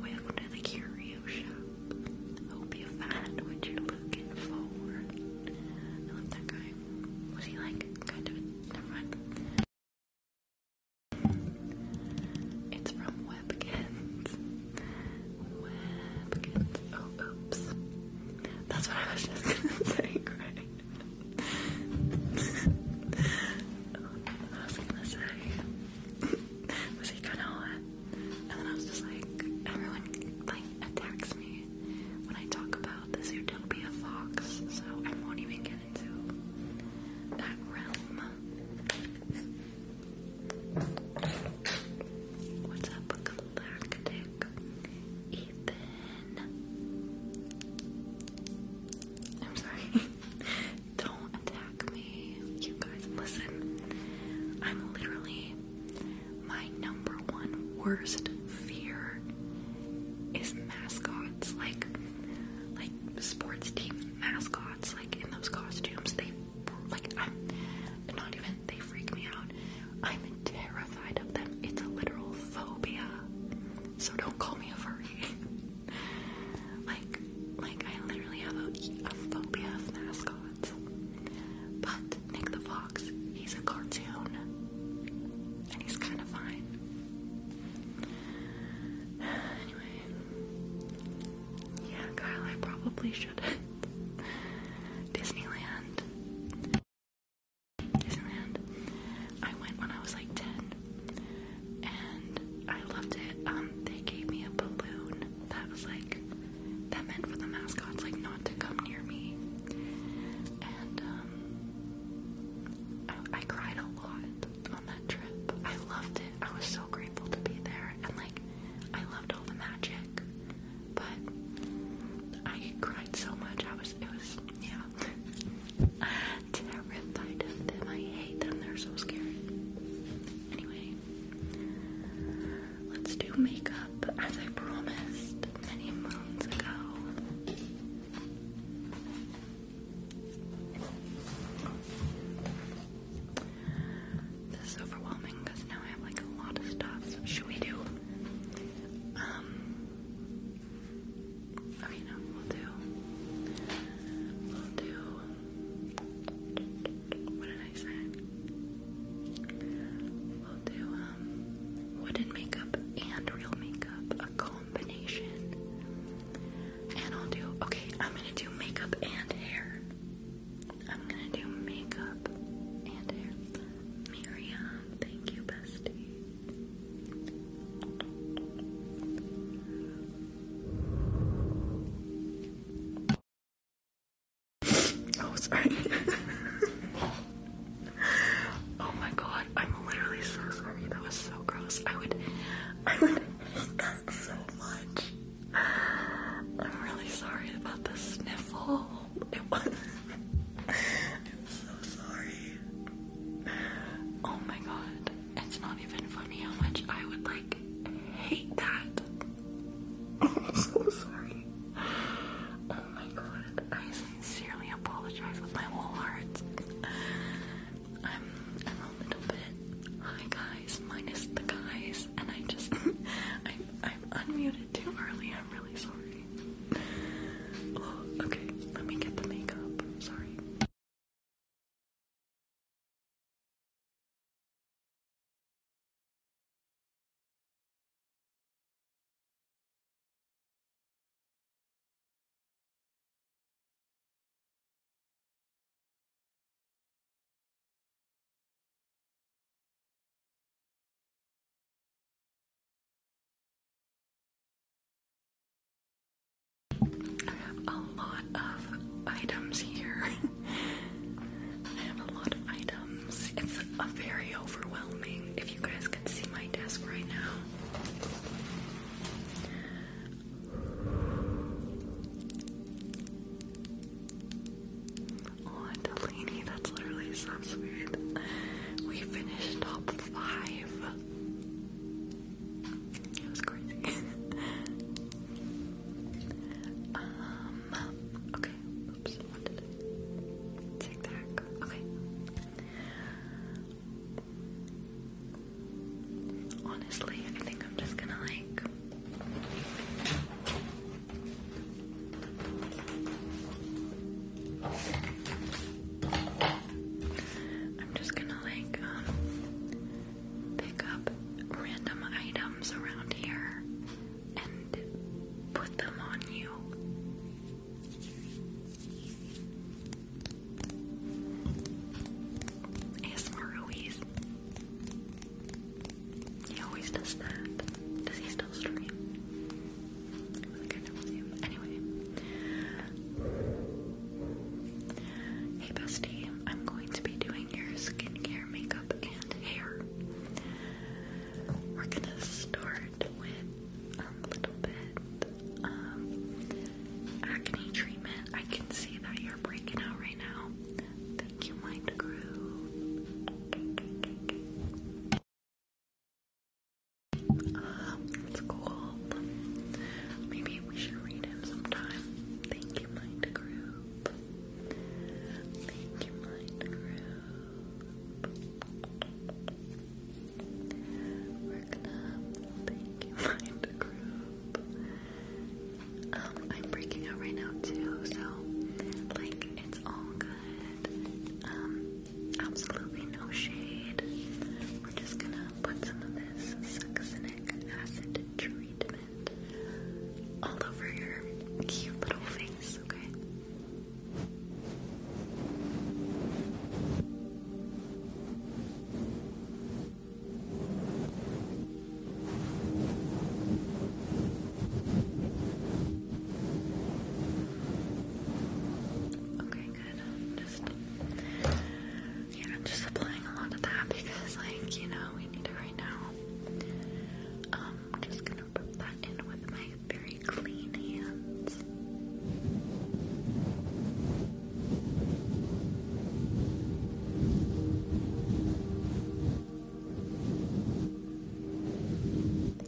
A: with the curio shop. Hope you find what you're looking for. I love that guy. Was he like kind of never mind. It's from Webkins. Webkins. Oh, oops. That's what I was just gonna say, I was gonna say, was he gonna And then I was just like, everyone like attacks me when I talk about the Zootopia fox, so I won't even get into that realm. What's up, Galactic? Ethan. I'm sorry. Don't attack me. You guys, listen. I'm literally. My number one worst fear is mascots. Like, like sports team mascots. Like in those costumes, they like I'm not even they freak me out. I'm terrified of them. It's a literal phobia. So don't call me a furry. like, like I literally have a, phobia of mascots. But Nick the Fox, he's a cartoon, and he's kind of fine. Anyway, yeah, Kyle, I probably should. Disneyland. Disneyland. I went when I was like 10 and I loved it. Um, they gave me a balloon that was like, that meant for the mascots like not to come near me. And um, I, cried a lot on that trip. I loved it. I was so grateful to be there and like I loved all the magic but I cried so much. I was, it was, yeah, terrified of I hate them. They're so scary. Anyway, let's do makeup as I promised many moons ago. This overwhelming because now I have like a lot of stuff. Should we do um, okay, we'll do. We'll do. What did I say? We'll do um, wooden makeup and real makeup, a combination. And I'll do. Okay, I'm gonna do makeup and hair. I'm gonna do makeup and hair. Miriam, thank you, bestie. Oh, sorry. oh my god, I'm literally so sorry. That was so gross. I would, I would hate that so much. I'm really sorry about the sniffle. It was. I'm so sorry. Oh my god. It's not even funny how much I would like hate that. I'm so sorry. Oh my god. I sincerely apologize with my whole heart. I'm, I'm a little bit hi guys, minus the guys, and I just I'm I'm unmuted too early. I'm really sorry. Oh, okay, let me get the makeup.
C: Sorry. A lot of items
A: here. I have a lot of items. It's a very overwhelming. If you guys can see my desk right now. Oh, Delini, that's literally so sweet. We finished top five. It was crazy. Um, okay. Oops, take that? Okay. Honestly, I think I'm just gonna like I'm just gonna like um, pick up random items around here and put them on you. ASMR he always does that. Does he still stream? Anyway. Hey bestie, I'm going to be doing your skincare, makeup, and hair. We're gonna start with a little bit of um, acne treatment. I can see that you're breaking out right now. Thank you, Mind Groove. Um, cool. Maybe we should read him sometime. Thank you, Mind Group. Thank you, Mind Group. We're gonna thank you, Mind Group. Um, I'm breaking out right now too, so like it's all good. Um, absolutely no shade. We're just gonna put some of this succinic acid treatment all over your cute little face, Okay, Okay, good. I'm just yeah, just applying a lot of that because like, you know, we need it right now. I'm um, just gonna put that in with my very clean hands.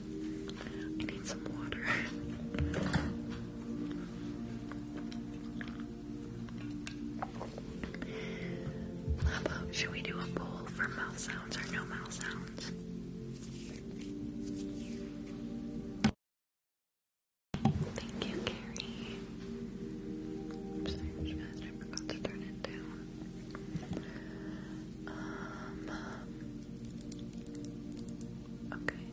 A: I need some water. should we do a poll for mouth sounds or no mouth sounds? Thank you, Carrie. Oops, I forgot to turn it down. Um, okay.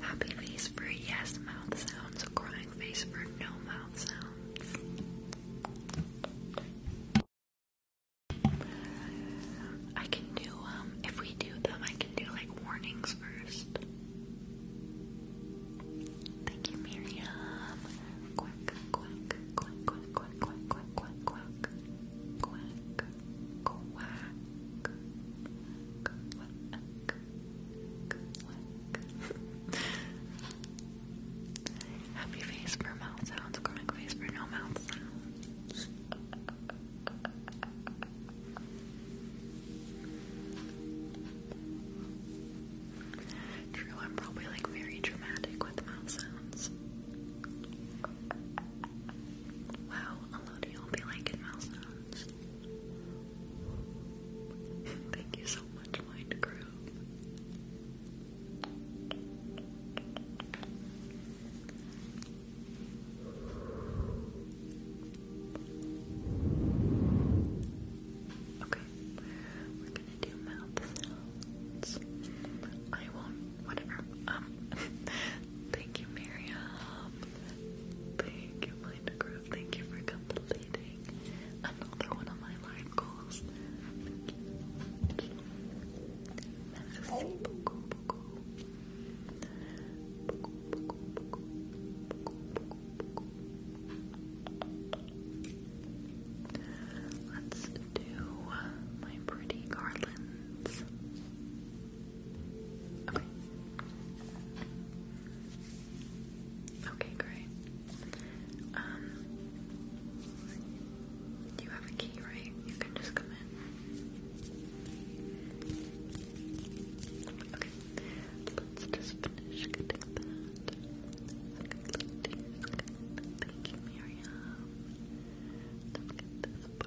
A: Happy face for yes mouth sounds, crying face for no mouth sounds. I can do, um, if we do them, I can do like warnings first. Thank you, Miriam. Quack, quack, quack, quack, quack, quack, quack, quack, quack, quack quack, quack, Happy face for mouth sounds, chronic face for no mouth sounds. True, I'm probably like very dramatic with mouth sounds. Wow, a lot of y'all be liking mouse sounds. Thank you so much, Mind Groove.
B: Okay, we're gonna do mouth sounds. I won't, whatever. Um, Thank you, Miriam. Thank you, Minecraft. Thank you for completing another one of my live goals. Let's do my pretty garlands. Okay. Okay, great. Um, you have a key, right? You can just come in. Okay, let's just finish getting that. Thank you, Miriam. Let's get this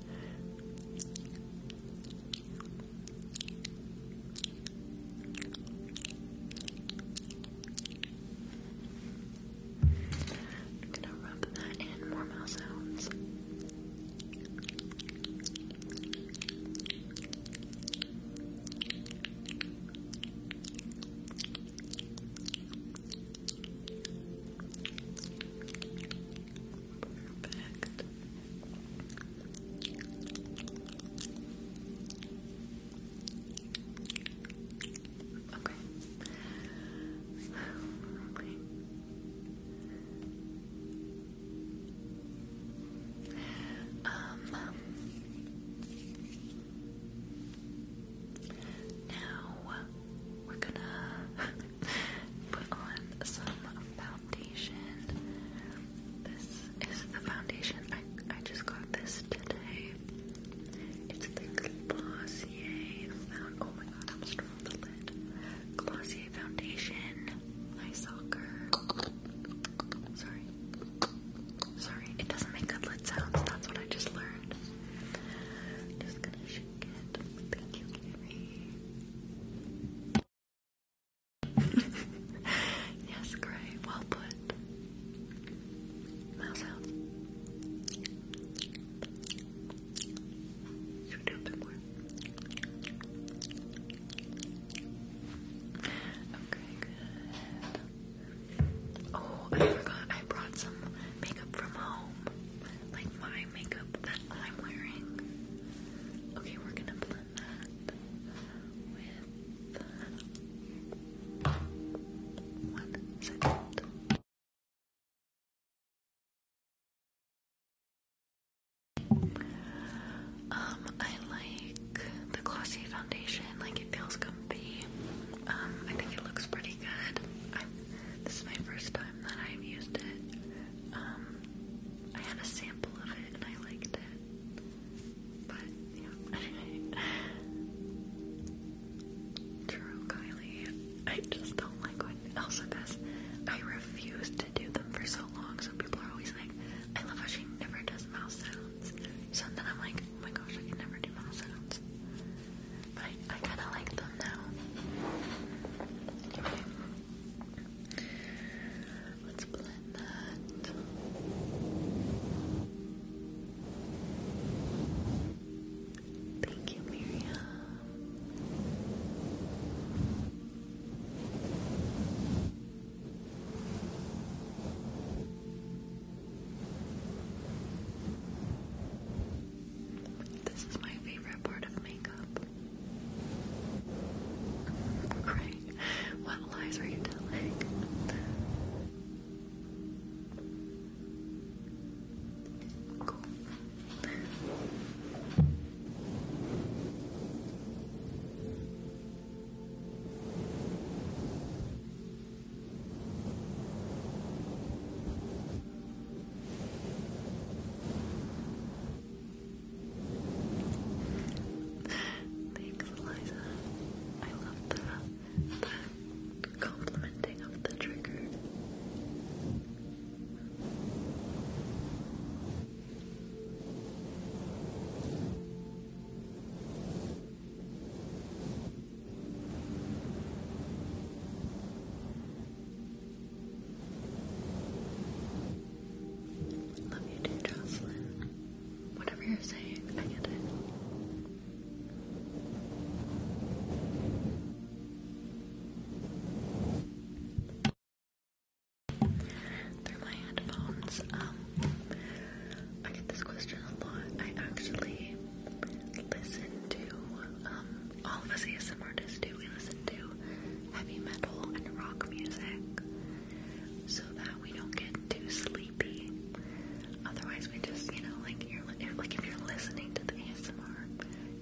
A: I'm gonna rub that in more mouth sounds. Perfect. Okay. Um now we're gonna put on some foundation. This is the foundation I I just got this today. It's the Glossier Found. Oh my god, I'm strong the lid. Glossier Foundation. My soccer. Sorry. Sorry, it doesn't make good lid sounds. That's what I just learned. Just gonna shake it. Thank you, Gary. yes, great. Well put. Mouse out. Should we do a bit more? Okay, good. Oh, I forgot I brought some makeup from home like my makeup that I'm wearing. Okay, we're gonna blend that with one second. Um, I like the glossy foundation, like it feels comfy. Um, I think it looks pretty good. this is my first time that I've used it. Um, I had a sample of it and I liked it. But, yeah. True, Kylie. I just don't like when Elsa does. I refused to do them for so long, so people are always like, I love how she never does mouth sounds. So then I'm like, oh my gosh, I can never do mouth sounds. But I, kind of like them now. Let's blend that. Thank you, Miriam. This is my favorite part of makeup. Great. What lies are you telling? Cool. Thanks, Eliza. I love the, the complimenting of the trigger. Love you too, Jocelyn. Whatever you're saying, I get it. Through my headphones, um, I get this question a lot. I actually listen to um all of us A S M R artists do. We listen to heavy metal and rock music so that we don't get too sleepy. Otherwise, we just, you know, like you're like if you're listening to the ASMR,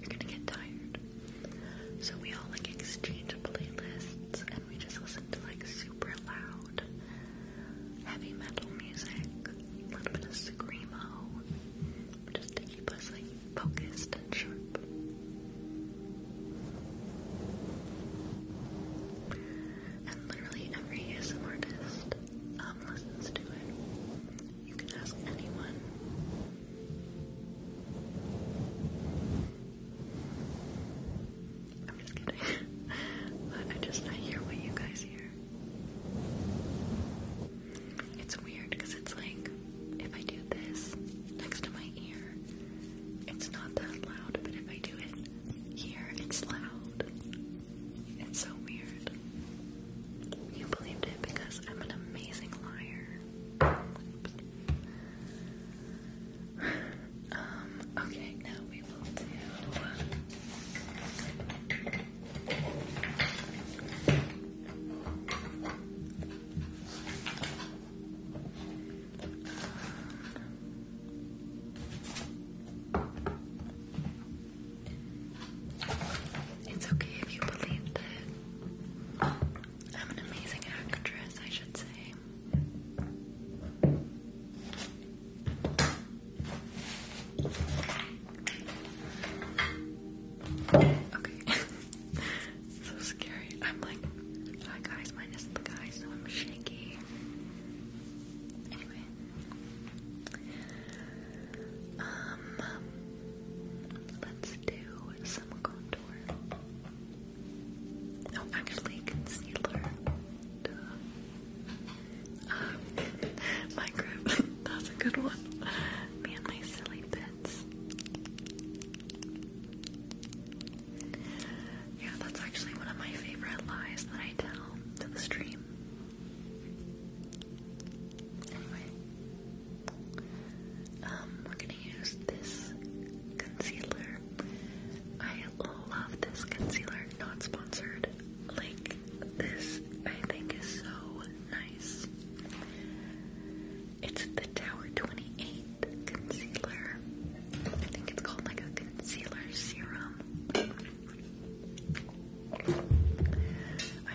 A: you're gonna get tired. So we all like exchange playlists and we just listen to like super loud heavy metal music, a little bit of screamo, just to keep us like focused and sharp. And literally every ASM um, listens to it. You can ask anyone. I'm just kidding. but I just, I hear what you guys hear. It's weird because it's like if I do this next to my ear, it's not that loud, but if I do it here, it's loud. It's so weird. You believed it because I'm an amazing liar. um, okay, now we will do. Uh, it's okay if you believe that I'm an amazing actress, I should say. Okay. so scary. I'm like, hi guys, minus the guy, so I'm shaky. Anyway. Um let's do some contour. No, oh, actually concealer. Um, uh, my grip. That's a good one. Me and my silly bits. Yeah, that's actually one of my favorite lies that I tell to the stream. Anyway, um, we're gonna use this concealer. I love this concealer, not sponsored. Like, this I think is so nice. It's the Tower 28 concealer. I think it's called like a concealer serum. I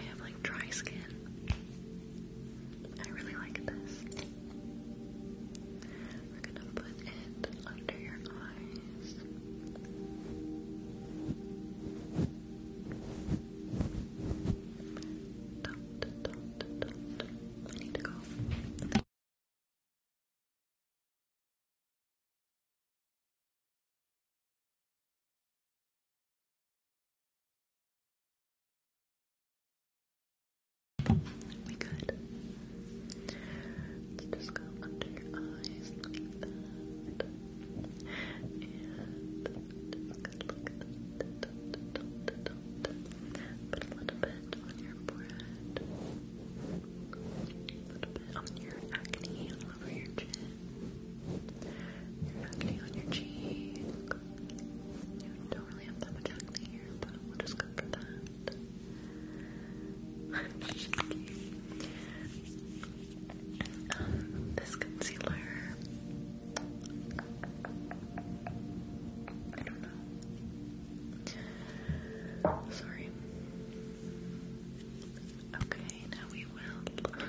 A: have like dry skin. I really like this. We're gonna put it under your eyes. Don't, I need to go. We good. Let's just go under your eyes And Put a little bit on your forehead. A little bit on your acne all over your chin. Your acne on your cheek. You don't really have that much acne here, but we'll just go for that. Um, this concealer I don't know. Sorry. Okay, now we will.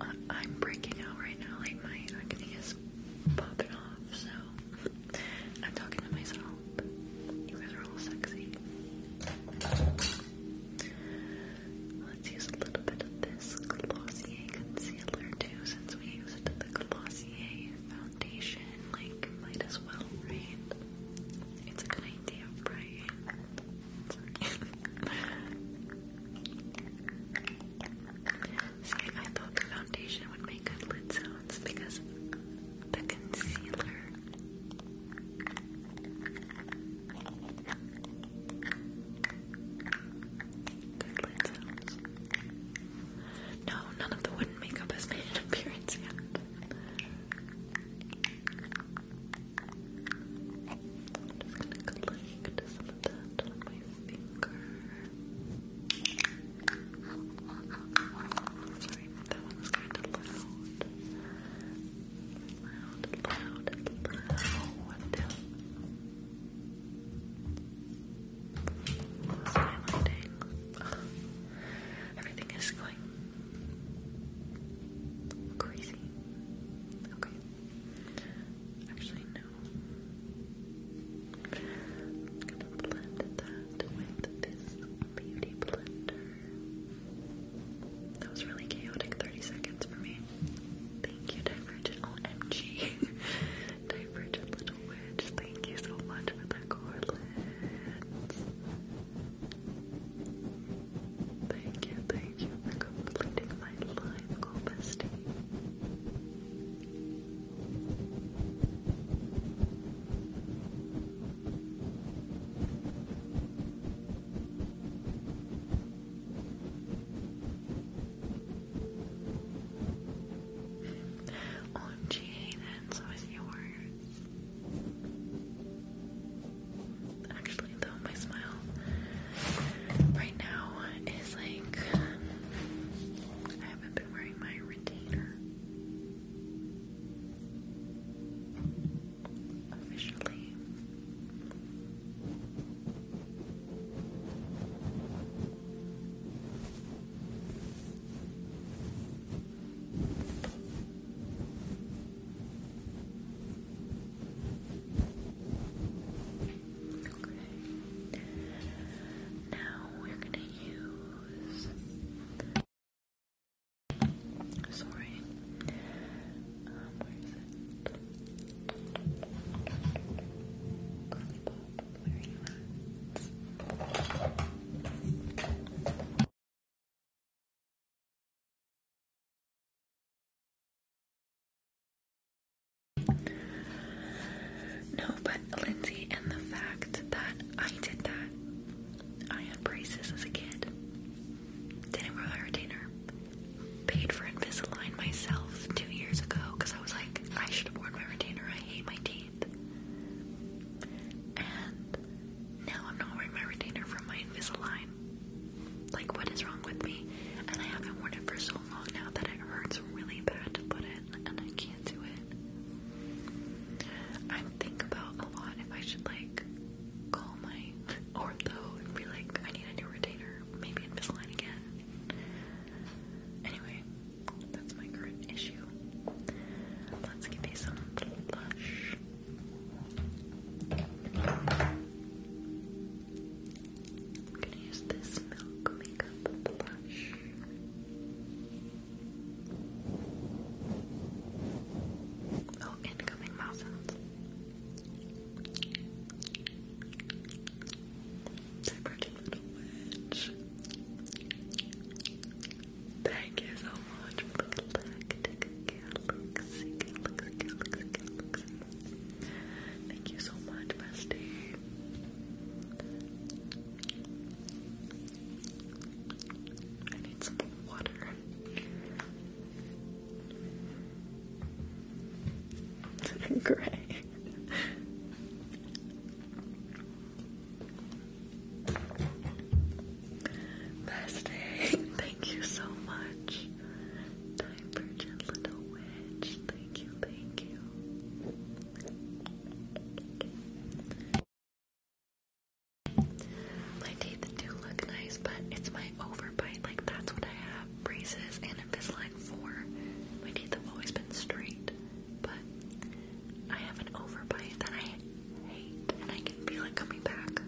A: Uh, I'm breaking out right now, like my acne is popping off, so I'm talking to myself. You guys are all sexy. Let's use a little bit of this Glossier concealer too, since we used the Glossier foundation, like, might as well, right? It's a good idea, right? See, I thought the foundation would make good lid sounds because the concealer. Good lid sounds. No, none of the wooden makeup has made an appearance yet. I'm just gonna collect some of that on my finger. Sorry, that one was kind of loud. Loud, loud, loud. Everything is going crazy. Okay. Actually, no. I'm gonna blend that with this beauty blender. That was really chaotic 30 seconds for me. Thank you, Divergent. OMG. Divergent Little Witch, thank you so much for the correlates. Thank you, thank you for completing my live goal,
C: OMG, Hayden, so yours. Actually, though, my smile right now is like I haven't been wearing my retainer officially. Okay. Now we're gonna use. Sorry. Um, where is it? No, but Lindsay, and
A: the fact that I did that, I had braces as a kid, didn't wear my retainer, paid for Invisalign myself two years ago because I was I should have worn my retainer. I hate my teeth. And now I'm not wearing my retainer from my Invisalign. Like, what is wrong with me? And I haven't worn it for so long now that it hurts really bad to put it, and I can't do it. I think about a lot if I should, like, call my ortho and be like, I need a new retainer. Maybe Invisalign again. Anyway, that's my current issue. Let's give you some blush. I'm gonna use this milk makeup blush. Oh, incoming mouse sounds my pretty little witch. Thank you so much for the galactic galaxy, galaxy, Thank you so much, bestie. I need some water. Great. Best day. Thank you so much. Divergent little witch. Thank you, thank you. My teeth do look nice, but it's my overbite. Like that's what I have. Braces and Invisalign for. My teeth have always been straight but I have an overbite that I hate and I can feel it coming back.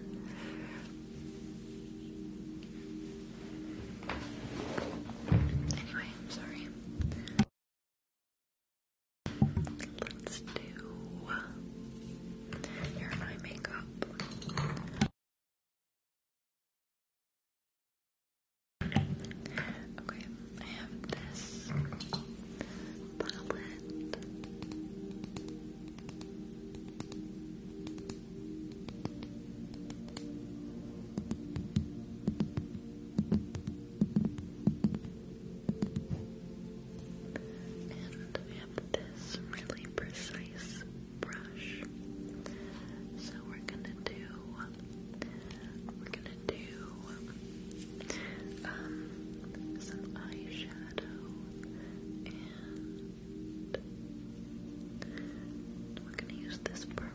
A: Anyway, I'm sorry. Let's do your eye makeup. Okay, I have this palette. And I have this really precise brush. So we're gonna do we're gonna do um, some eyeshadow and we're gonna use this purple.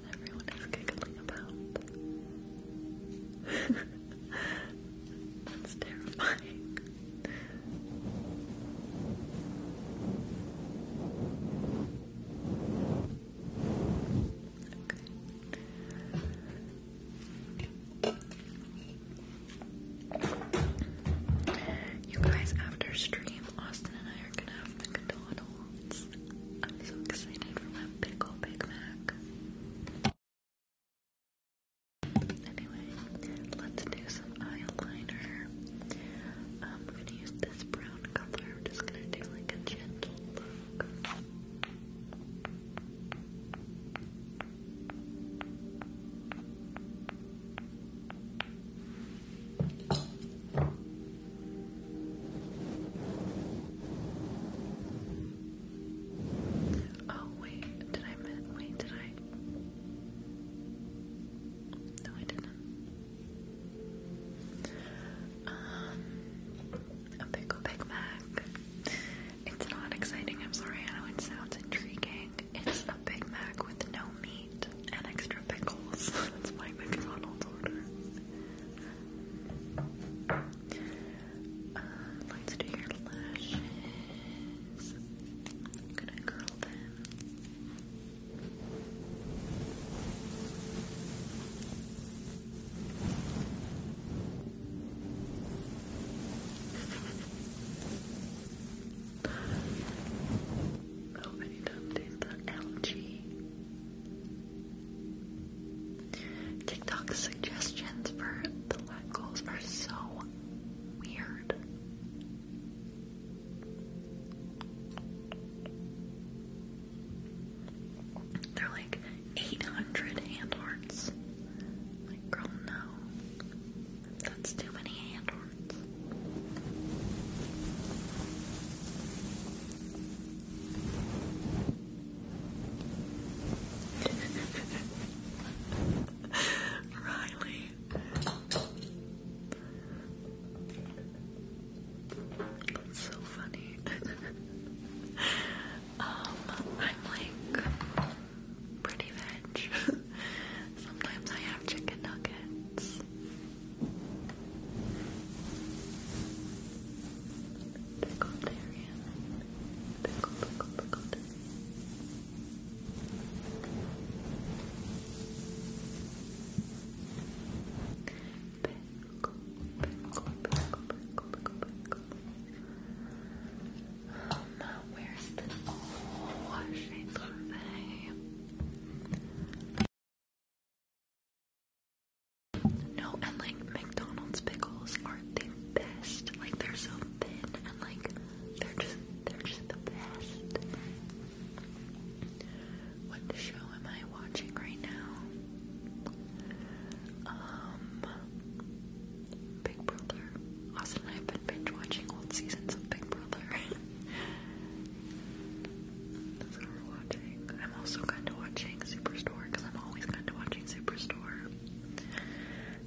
A: everyone is giggling about. That's terrifying. You guys, after stream, Austin and I are gonna have McDonald's. I'm so excited for my pickle Big Mac. Anyway, let's do some eyeliner. Um, we gonna use this brown color. We're just gonna do like a gentle look. Oh wait, did I Wait, did I? No, I didn't. Um, a pickle Big Mac. It's not exciting. I'm sorry. I know it sounds intriguing. It's a Big Mac with no meat and extra pickles. That's my McDonald's order. Uh, let's do your lashes. I'm gonna curl them. Oh, I need to the algae. TikTok suggestions for the legos are so weird. They're like 800 hand Like, girl, no. That's too many hand hearts. Riley. That's so funny. um, I'm like pretty veg. Sometimes I have chicken nuggets. Pickled area. Pickle, pickle, pickled area. Pickle, pickle, pickle, pickle, pickle, pickle. where's the oh, shape of no, and like McDonald's pickles are the best. Like they're so thin and like they're just they're just the best. What show am I watching right now? Um Big Brother. Austin and I have been binge watching old seasons of Big Brother. I'm also kind of watching Superstore because I'm always kind of watching Superstore.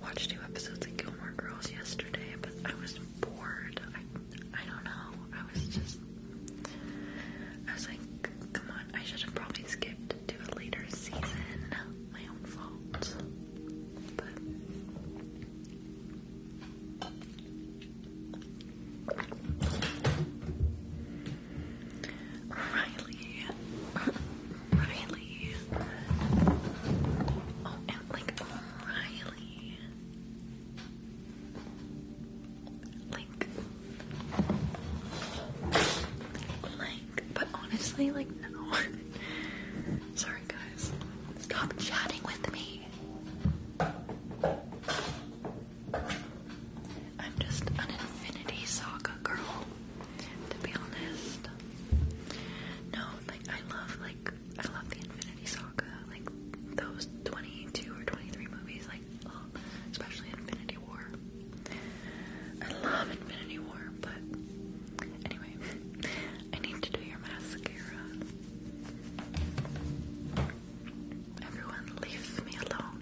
A: Watched two episodes of Gilmore Girls yesterday, but I was bored. I, I don't know. I was just. I was like, come on, I should have probably skipped to a later season. My own fault. Riley. Riley. Oh, and like Riley. Like, like, but honestly, like, no. Sorry, guys. Stop chatting with me. I'm just an Infinity Saga girl, to be honest. No, like I love like I love the Infinity Saga, like those 22 or 23 movies, like oh, especially Infinity War. I love Infinity War, but anyway, I need to do your mascara. Everyone leave me alone.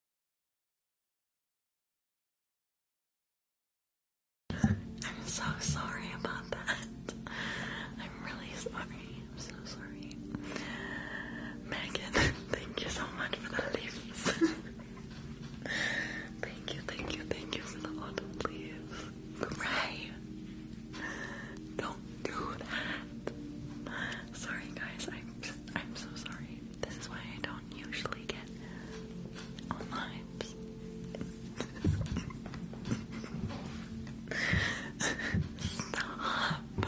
A: I'm so sorry about that. I'm really sorry. I'm so sorry. Megan, thank you so much for the leaves. thank you, thank you, thank you for the autumn leaves. Gray! Don't do that. Sorry guys, I'm I'm so sorry. This is why I don't usually Stop.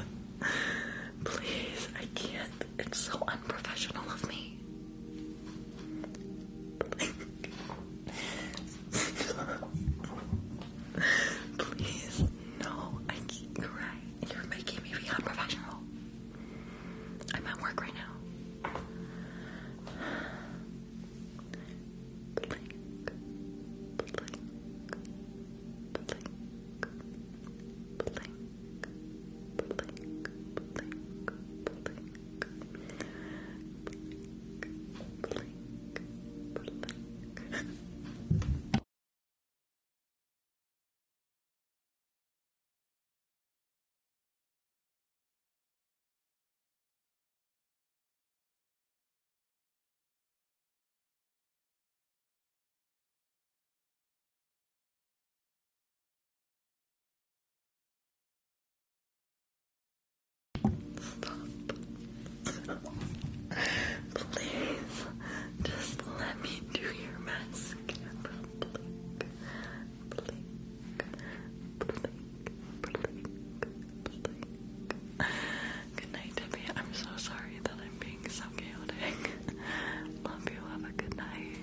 A: Please, I can't. It's so unprofessional of me. Please, no, I keep crying. You're making me be unprofessional. I'm at work right now blink, blink, blink, blink, blink, blink, blink, blink, blink. Stop. Please, just let me do your mascara, Good night, Debbie. I'm so sorry that I'm being so chaotic. Love you. Have a good night.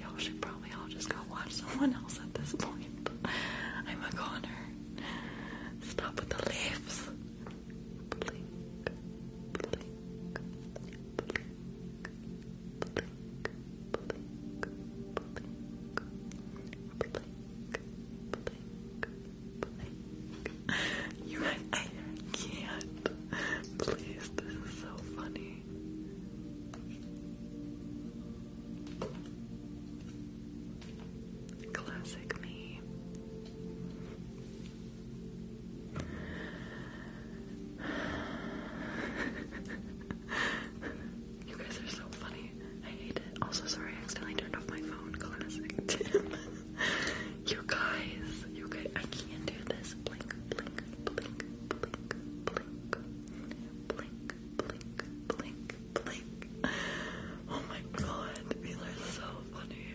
A: Y'all should probably all just go watch someone else at this point. I'm a goner. Stop with the leaves. You guys, I can't. Please, this is so funny. Classic me you guys are so funny. I hate it. Also, sorry, I accidentally turned off my phone. Classic. Tim. you guys, you guys, I can't do this. Blink, blink, blink, blink, blink, blink, blink, blink, blink. Oh my god, these are so funny.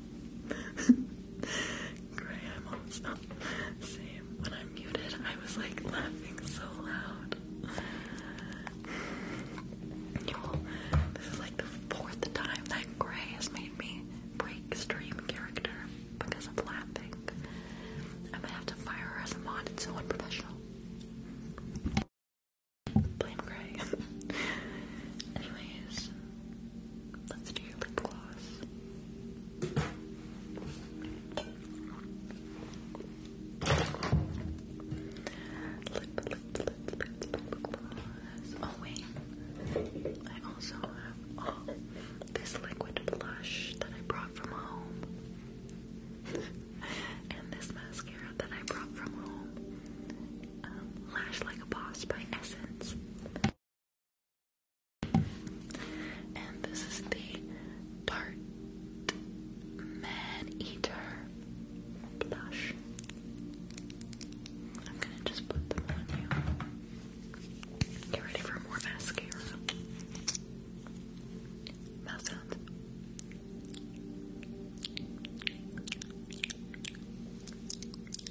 A: Gray eyeballs. Same. When I muted, I was like laughing so loud. you this is like the fourth time that Gray has made me break stream character because of laughing. I'm gonna have to fire her as a mod. It's so unprofessional. Blame Gray. Anyways, Let's do your lip gloss. Lip, lip, lip, lip, lip gloss. Oh wait, I also have oh, this liquid blush that I brought from home, and this mascara that I brought from home. Um, lash Like a Boss by Essence. And this is the Tarte Man Eater blush. I'm gonna just put them on you. Get ready for more mascara. Mouth sounds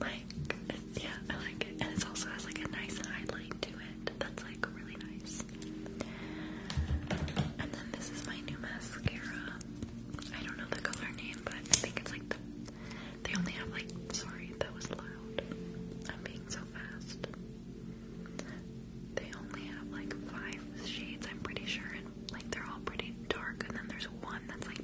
A: like, yeah, I like it. And it also has like a nice highlight to it. That's like really nice. And then this is my new mascara. I don't know the color name, but I think it's like the. They only have like. Sorry, that was loud. I'm being so fast. They only have like five shades, I'm pretty sure, and like they're all pretty dark, and then there's one that's like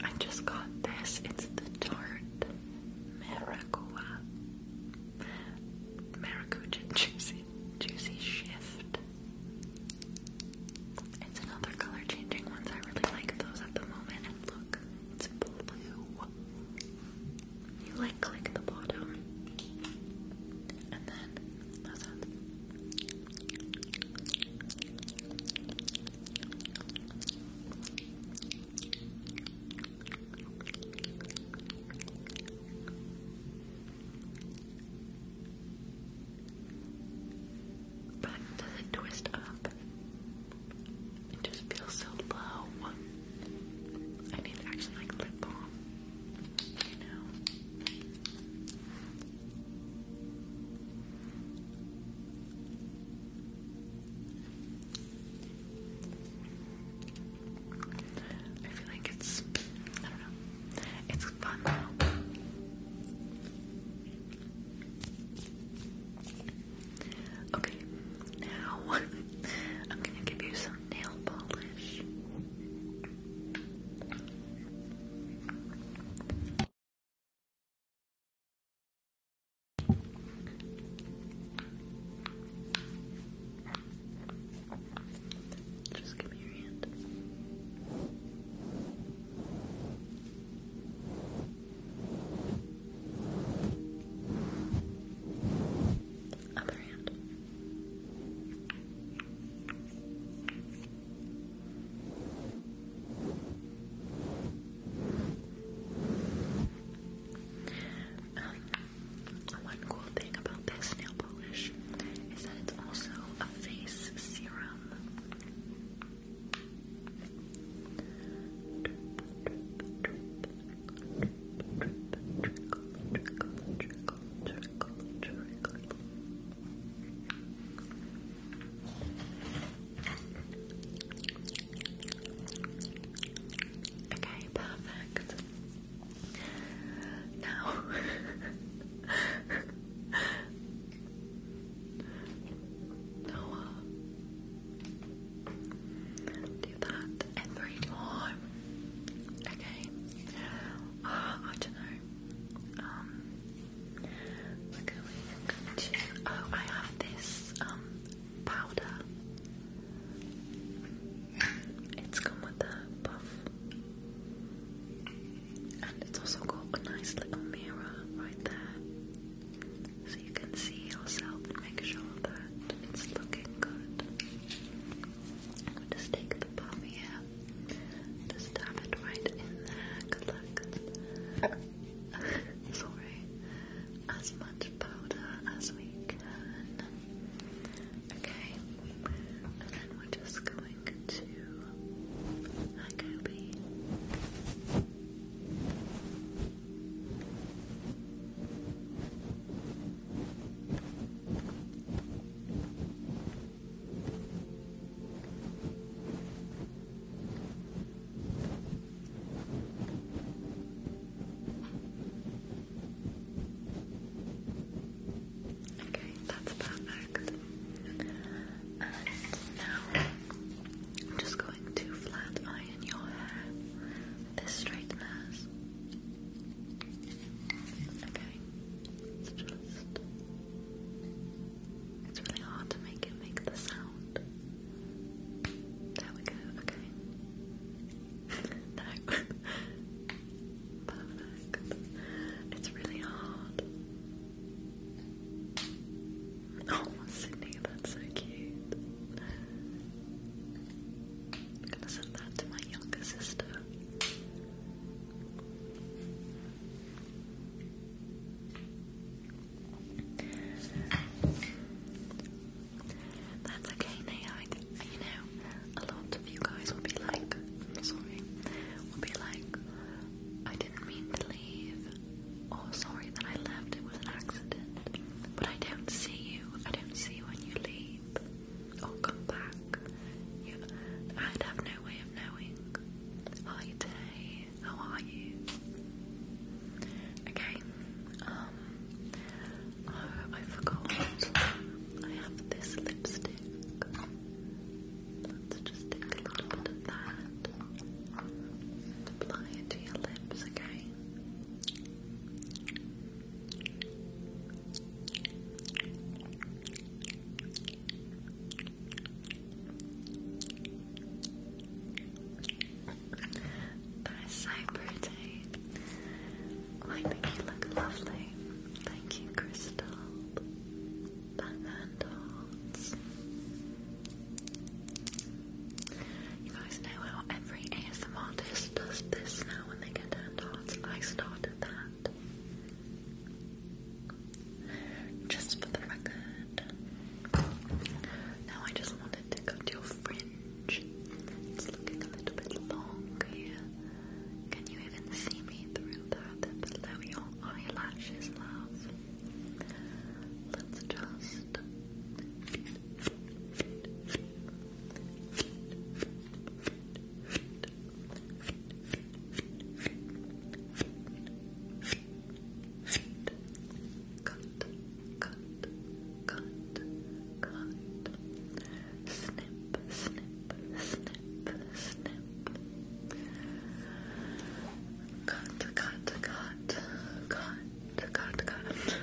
A: I just got this. It's the Tarte Maracuja. Maracuja Juicy. Juicy Shift. It's another color changing ones. I really like those at the moment. And look, it's blue. You like click the bottom. And then that sounds. But does it twist up? It just feels so low. I need to actually like lip balm. I feel like it's, I don't know, it's fun though. Okay, now I'm gonna give you some nail polish. Just give me your hand. Other hand. Um, one cool thing about this nail polish is that it's also a face serum trickle, trickle, Okay, perfect. Now Noah do that every time. Okay. Uh, I don't know. Um, oh, I have this um, powder. It's come with a puff, and it's also got a nice little mirror right there, so you can see yourself and make sure that it's looking good i just take the pump here. Just dab it right in there. Good luck. Sorry. As much powder as we can. Okay. And then we're just going to Akobe. Okay, Okay, that's perfect. And now I'm just going to flat iron your hair this straighteners. Okay. It's just. It's really hard to make it make the sound. There we go, okay. no. Perfect. It's really hard. Oh, Sydney, that's so cute. I'm gonna send that to my younger sister. That's okay now. I you know, a lot of you guys will be like, sorry, will be like, I didn't mean to leave, or oh, sorry that I left, it was an accident. But I don't see you, I don't see when you leave. I'll come back. I'd have no way of knowing. Hi how are you? Okay, um, oh, I forgot. I have this lipstick. Let's just take a little bit of that and apply it to your lips, okay? That is so pretty. I think you look lovely. Thank you, Crystal. Batman dolls. You guys know how every ASM artist does this now when they get hand hearts. I started that. Just for the record. Now I just wanted to go your fringe. It's looking a little bit long here. Can you even see me through that? They're your eyelashes, love. Let's just. Cut, cut, cut, cut. Snip, snip, snip, snip. Cut, cut, cut, cut, cut, cut.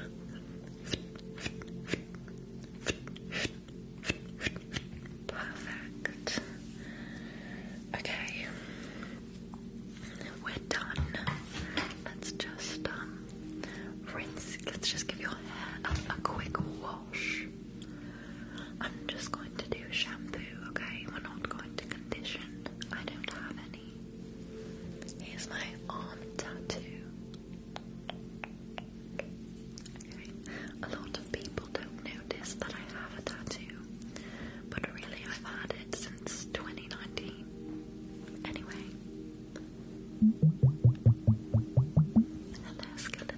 A: Perfect. Okay. We're done. Let's just um rinse. Let's just give your hair a, a quick wash. I'm just going to do shampoo, okay? We're not going to condition. I don't have any. Here's my arm tattoo. A lot of people don't notice that I have a tattoo, but really I've had it since 2019. Anyway. Hello, skeletal.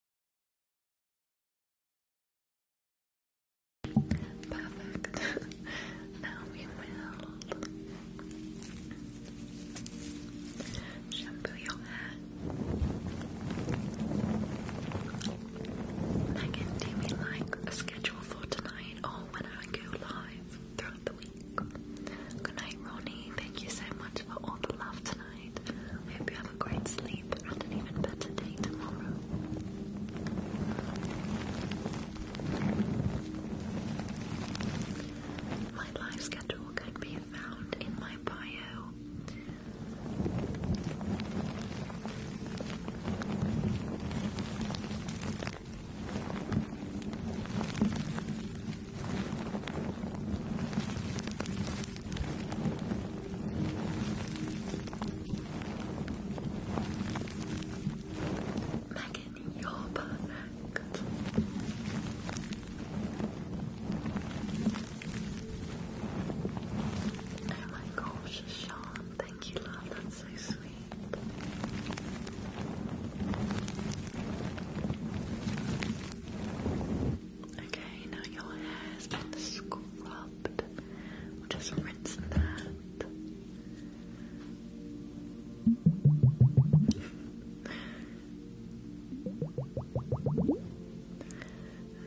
A: Perfect. now we will shampoo your hair. Megan, do we like a schedule for tonight or when I go live throughout the week? Good night, Ronnie. Thank you so much for all the love tonight. I hope you have a great sleep and an even better day tomorrow. My life schedule can be found in my bio. Megan, you're perfect. Oh my gosh, Sean, thank you, love, that's so sweet. Okay, now your hair has been scrubbed. We'll just rinse that.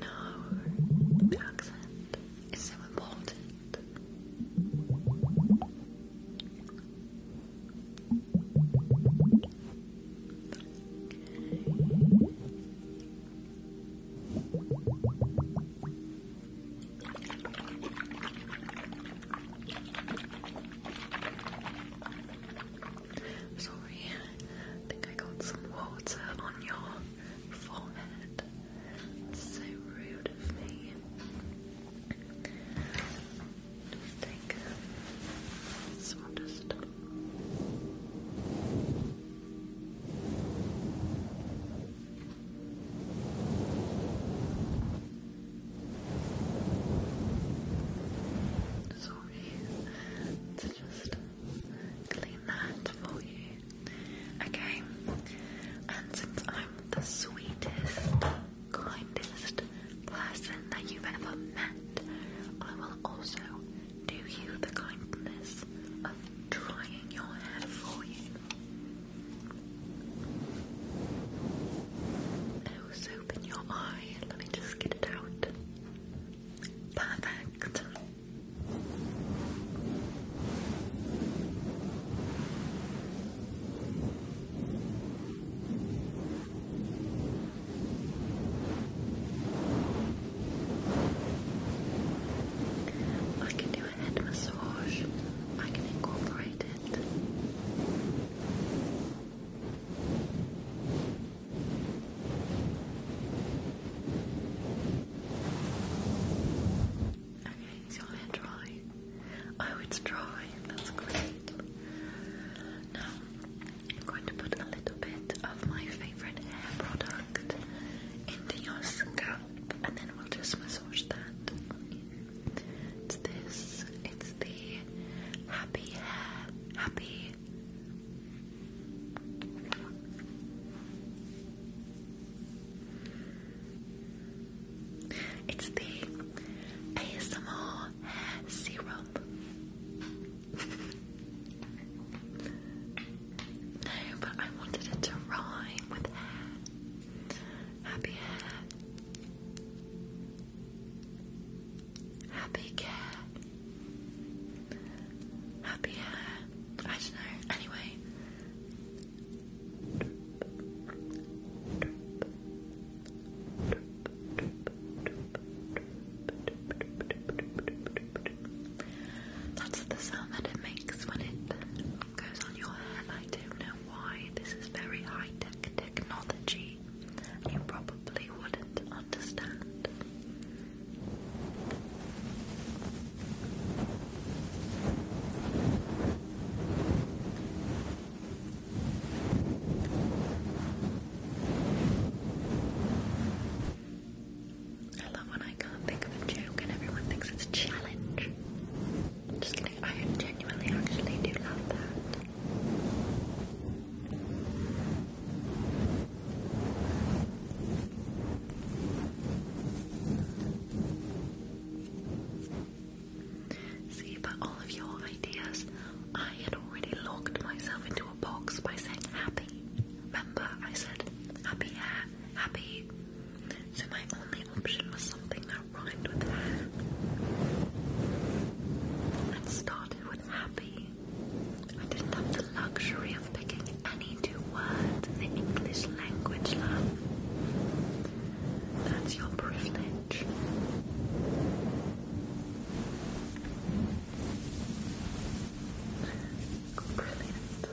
A: no, accent is so important. Sorry, I think I got some water on your forehead. so rude of me. Just take some, just Sorry to just clean that for you. Okay, and since I'm the sweetest, kindest person that you've ever met, I will also do you the kindness of drying your hair for you? Oh, soap in your eye. Let me just get it out. Perfect. I can do a head massage. I can incorporate it. Okay, is your hair dry? Oh, it's dry. That's great. Now, I'm going to put a little bit of my favorite hair product into your scalp and then we'll just massage that. It's this, it's the happy hair, happy. It's the ASMR hair no, but I wanted it to rhyme with hair. Happy hair. Happy care. Happy hair. I don't know. Anyway. That's the sound that it makes when it goes on your hair. I don't know why. This is very high tech technology. You probably wouldn't understand. I love when I can't think of a joke and everyone thinks it's a challenge. Just kidding, I genuinely actually do love that. See, but all of your ideas, I had already locked myself into box by saying happy. Remember, I said happy happy. So my only option was something that rhymed with hair and started with happy. I didn't have the luxury of picking any two words in the English language, love. That's your privilege. Brilliant.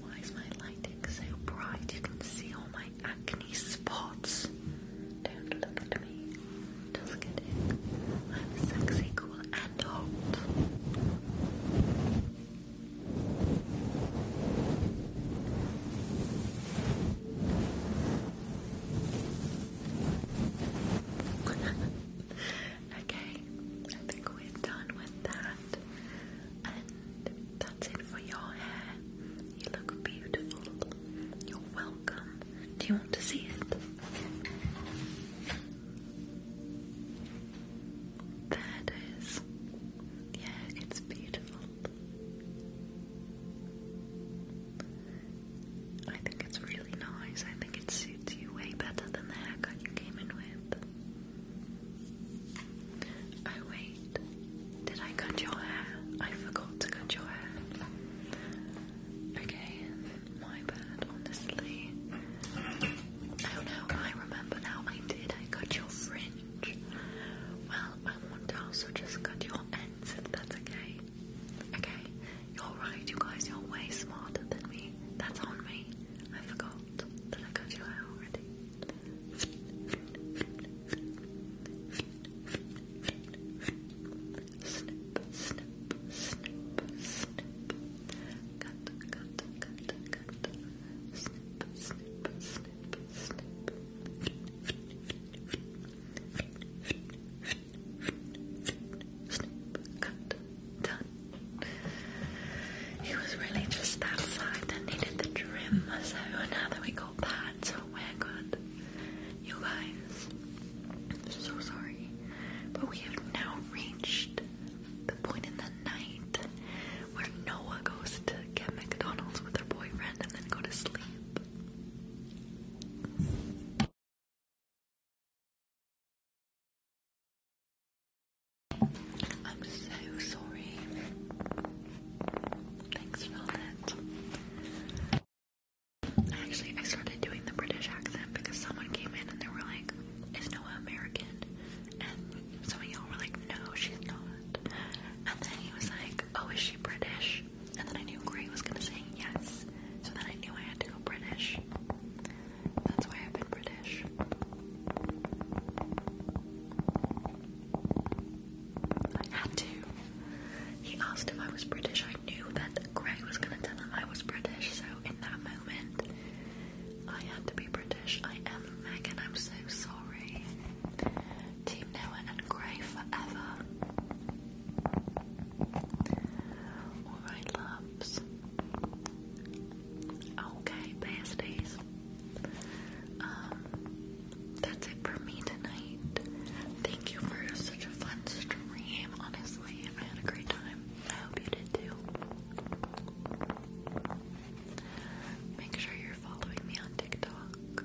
A: Why is my lighting so bright? You can see all my acne spots. Don't look at me. Just kidding. I'm sexy, cool, and hot. okay, I think we're done with that. And that's it for your hair. You look beautiful. You're welcome. Do you want to see it? There it is. Yeah, it's beautiful. I think it's really nice. I think it suits you way better than the haircut you came in with. Oh wait, did I cut your hair? I forgot to cut your hair. Okay, my bad, honestly. Oh no, I remember now I did. I cut your fringe. Well, I want to also just cut your ends if that's okay. Okay? You're right, you guys, you're way smarter than me. That's on me. I forgot that I cut your hair already. Snip, snip, snip, snip. Cut, cut, cut, cut. Snip, snip, snip snip, It was really just that that needed the trim, so now that we got that, we're good. You guys, I'm so sorry, but we have now reached the point in the night where Noah goes to get McDonald's with her boyfriend and then go to sleep. I'm so sorry. Thanks for that. Actually, I started doing the British accent because someone came in and they were like, Is Noah American? And some of y'all were like, No, she's not. And then he was like, oh, is she British? And then I knew Gray was gonna say yes. So then I knew I had to go British. That's why I've been British. I had to. He asked if I was British. I knew that Gray was gonna tell him I was British, so in that moment, I had to be British. I am Megan, I'm so sorry. Team Noah and Grey forever. Alright, loves. Okay, pasties. Um, that's it for me tonight. Thank you for such a fun stream. Honestly, I had a great time. I hope you did too. Make sure you're you're following me on TikTok,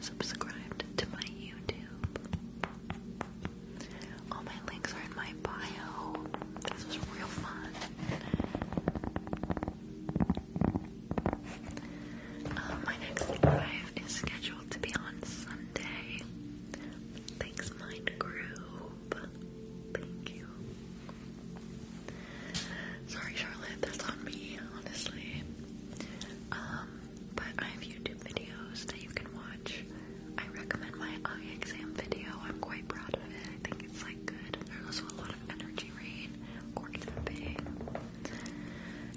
A: subscribed to my YouTube. All my links are in my bio. This was real fun. Um, my next live is scheduled to be on Sunday. Thanks, Mind Groove. Thank you. Sorry, Charlotte, that's on me, honestly. Um, but I have YouTube videos that you can watch. I recommend my eye exam video. I'm quite proud of it. I think it's like good. There's also a lot of energy rain, or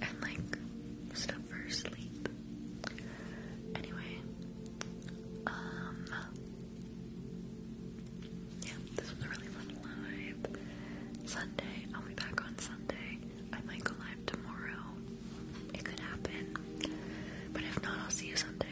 A: and like stuff for sleep. Anyway, um, yeah, this was a really fun live. Sunday, I'll be back on Sunday. I might go live tomorrow. It could happen. But if not, I'll see you Sunday.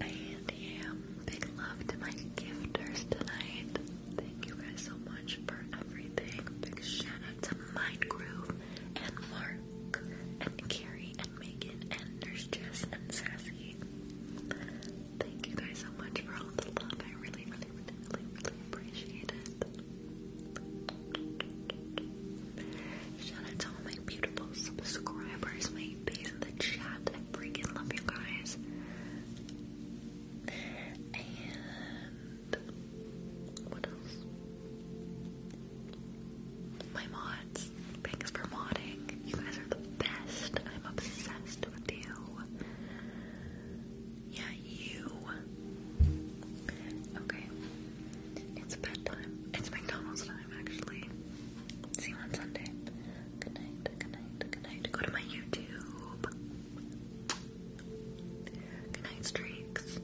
A: And yeah, big love to my gifters tonight. Thank you guys so much for everything. Big shout out to Mindgroove and Mark and Carrie and Megan and Nurse Jess and Sassy. Thank you guys so much for all the love. I really, really, really, really, appreciate it. Shout out to all my beautiful subscribers, my base in the chat. I freaking love you guys. And what else? My mods. Thanks for modding. You guys are the best. I'm obsessed with you. Yeah, you. Okay. It's bedtime. It's McDonald's time, actually. See you on Sunday. Good night,
B: good night, good night. Go to my YouTube.
C: Good night, streaks.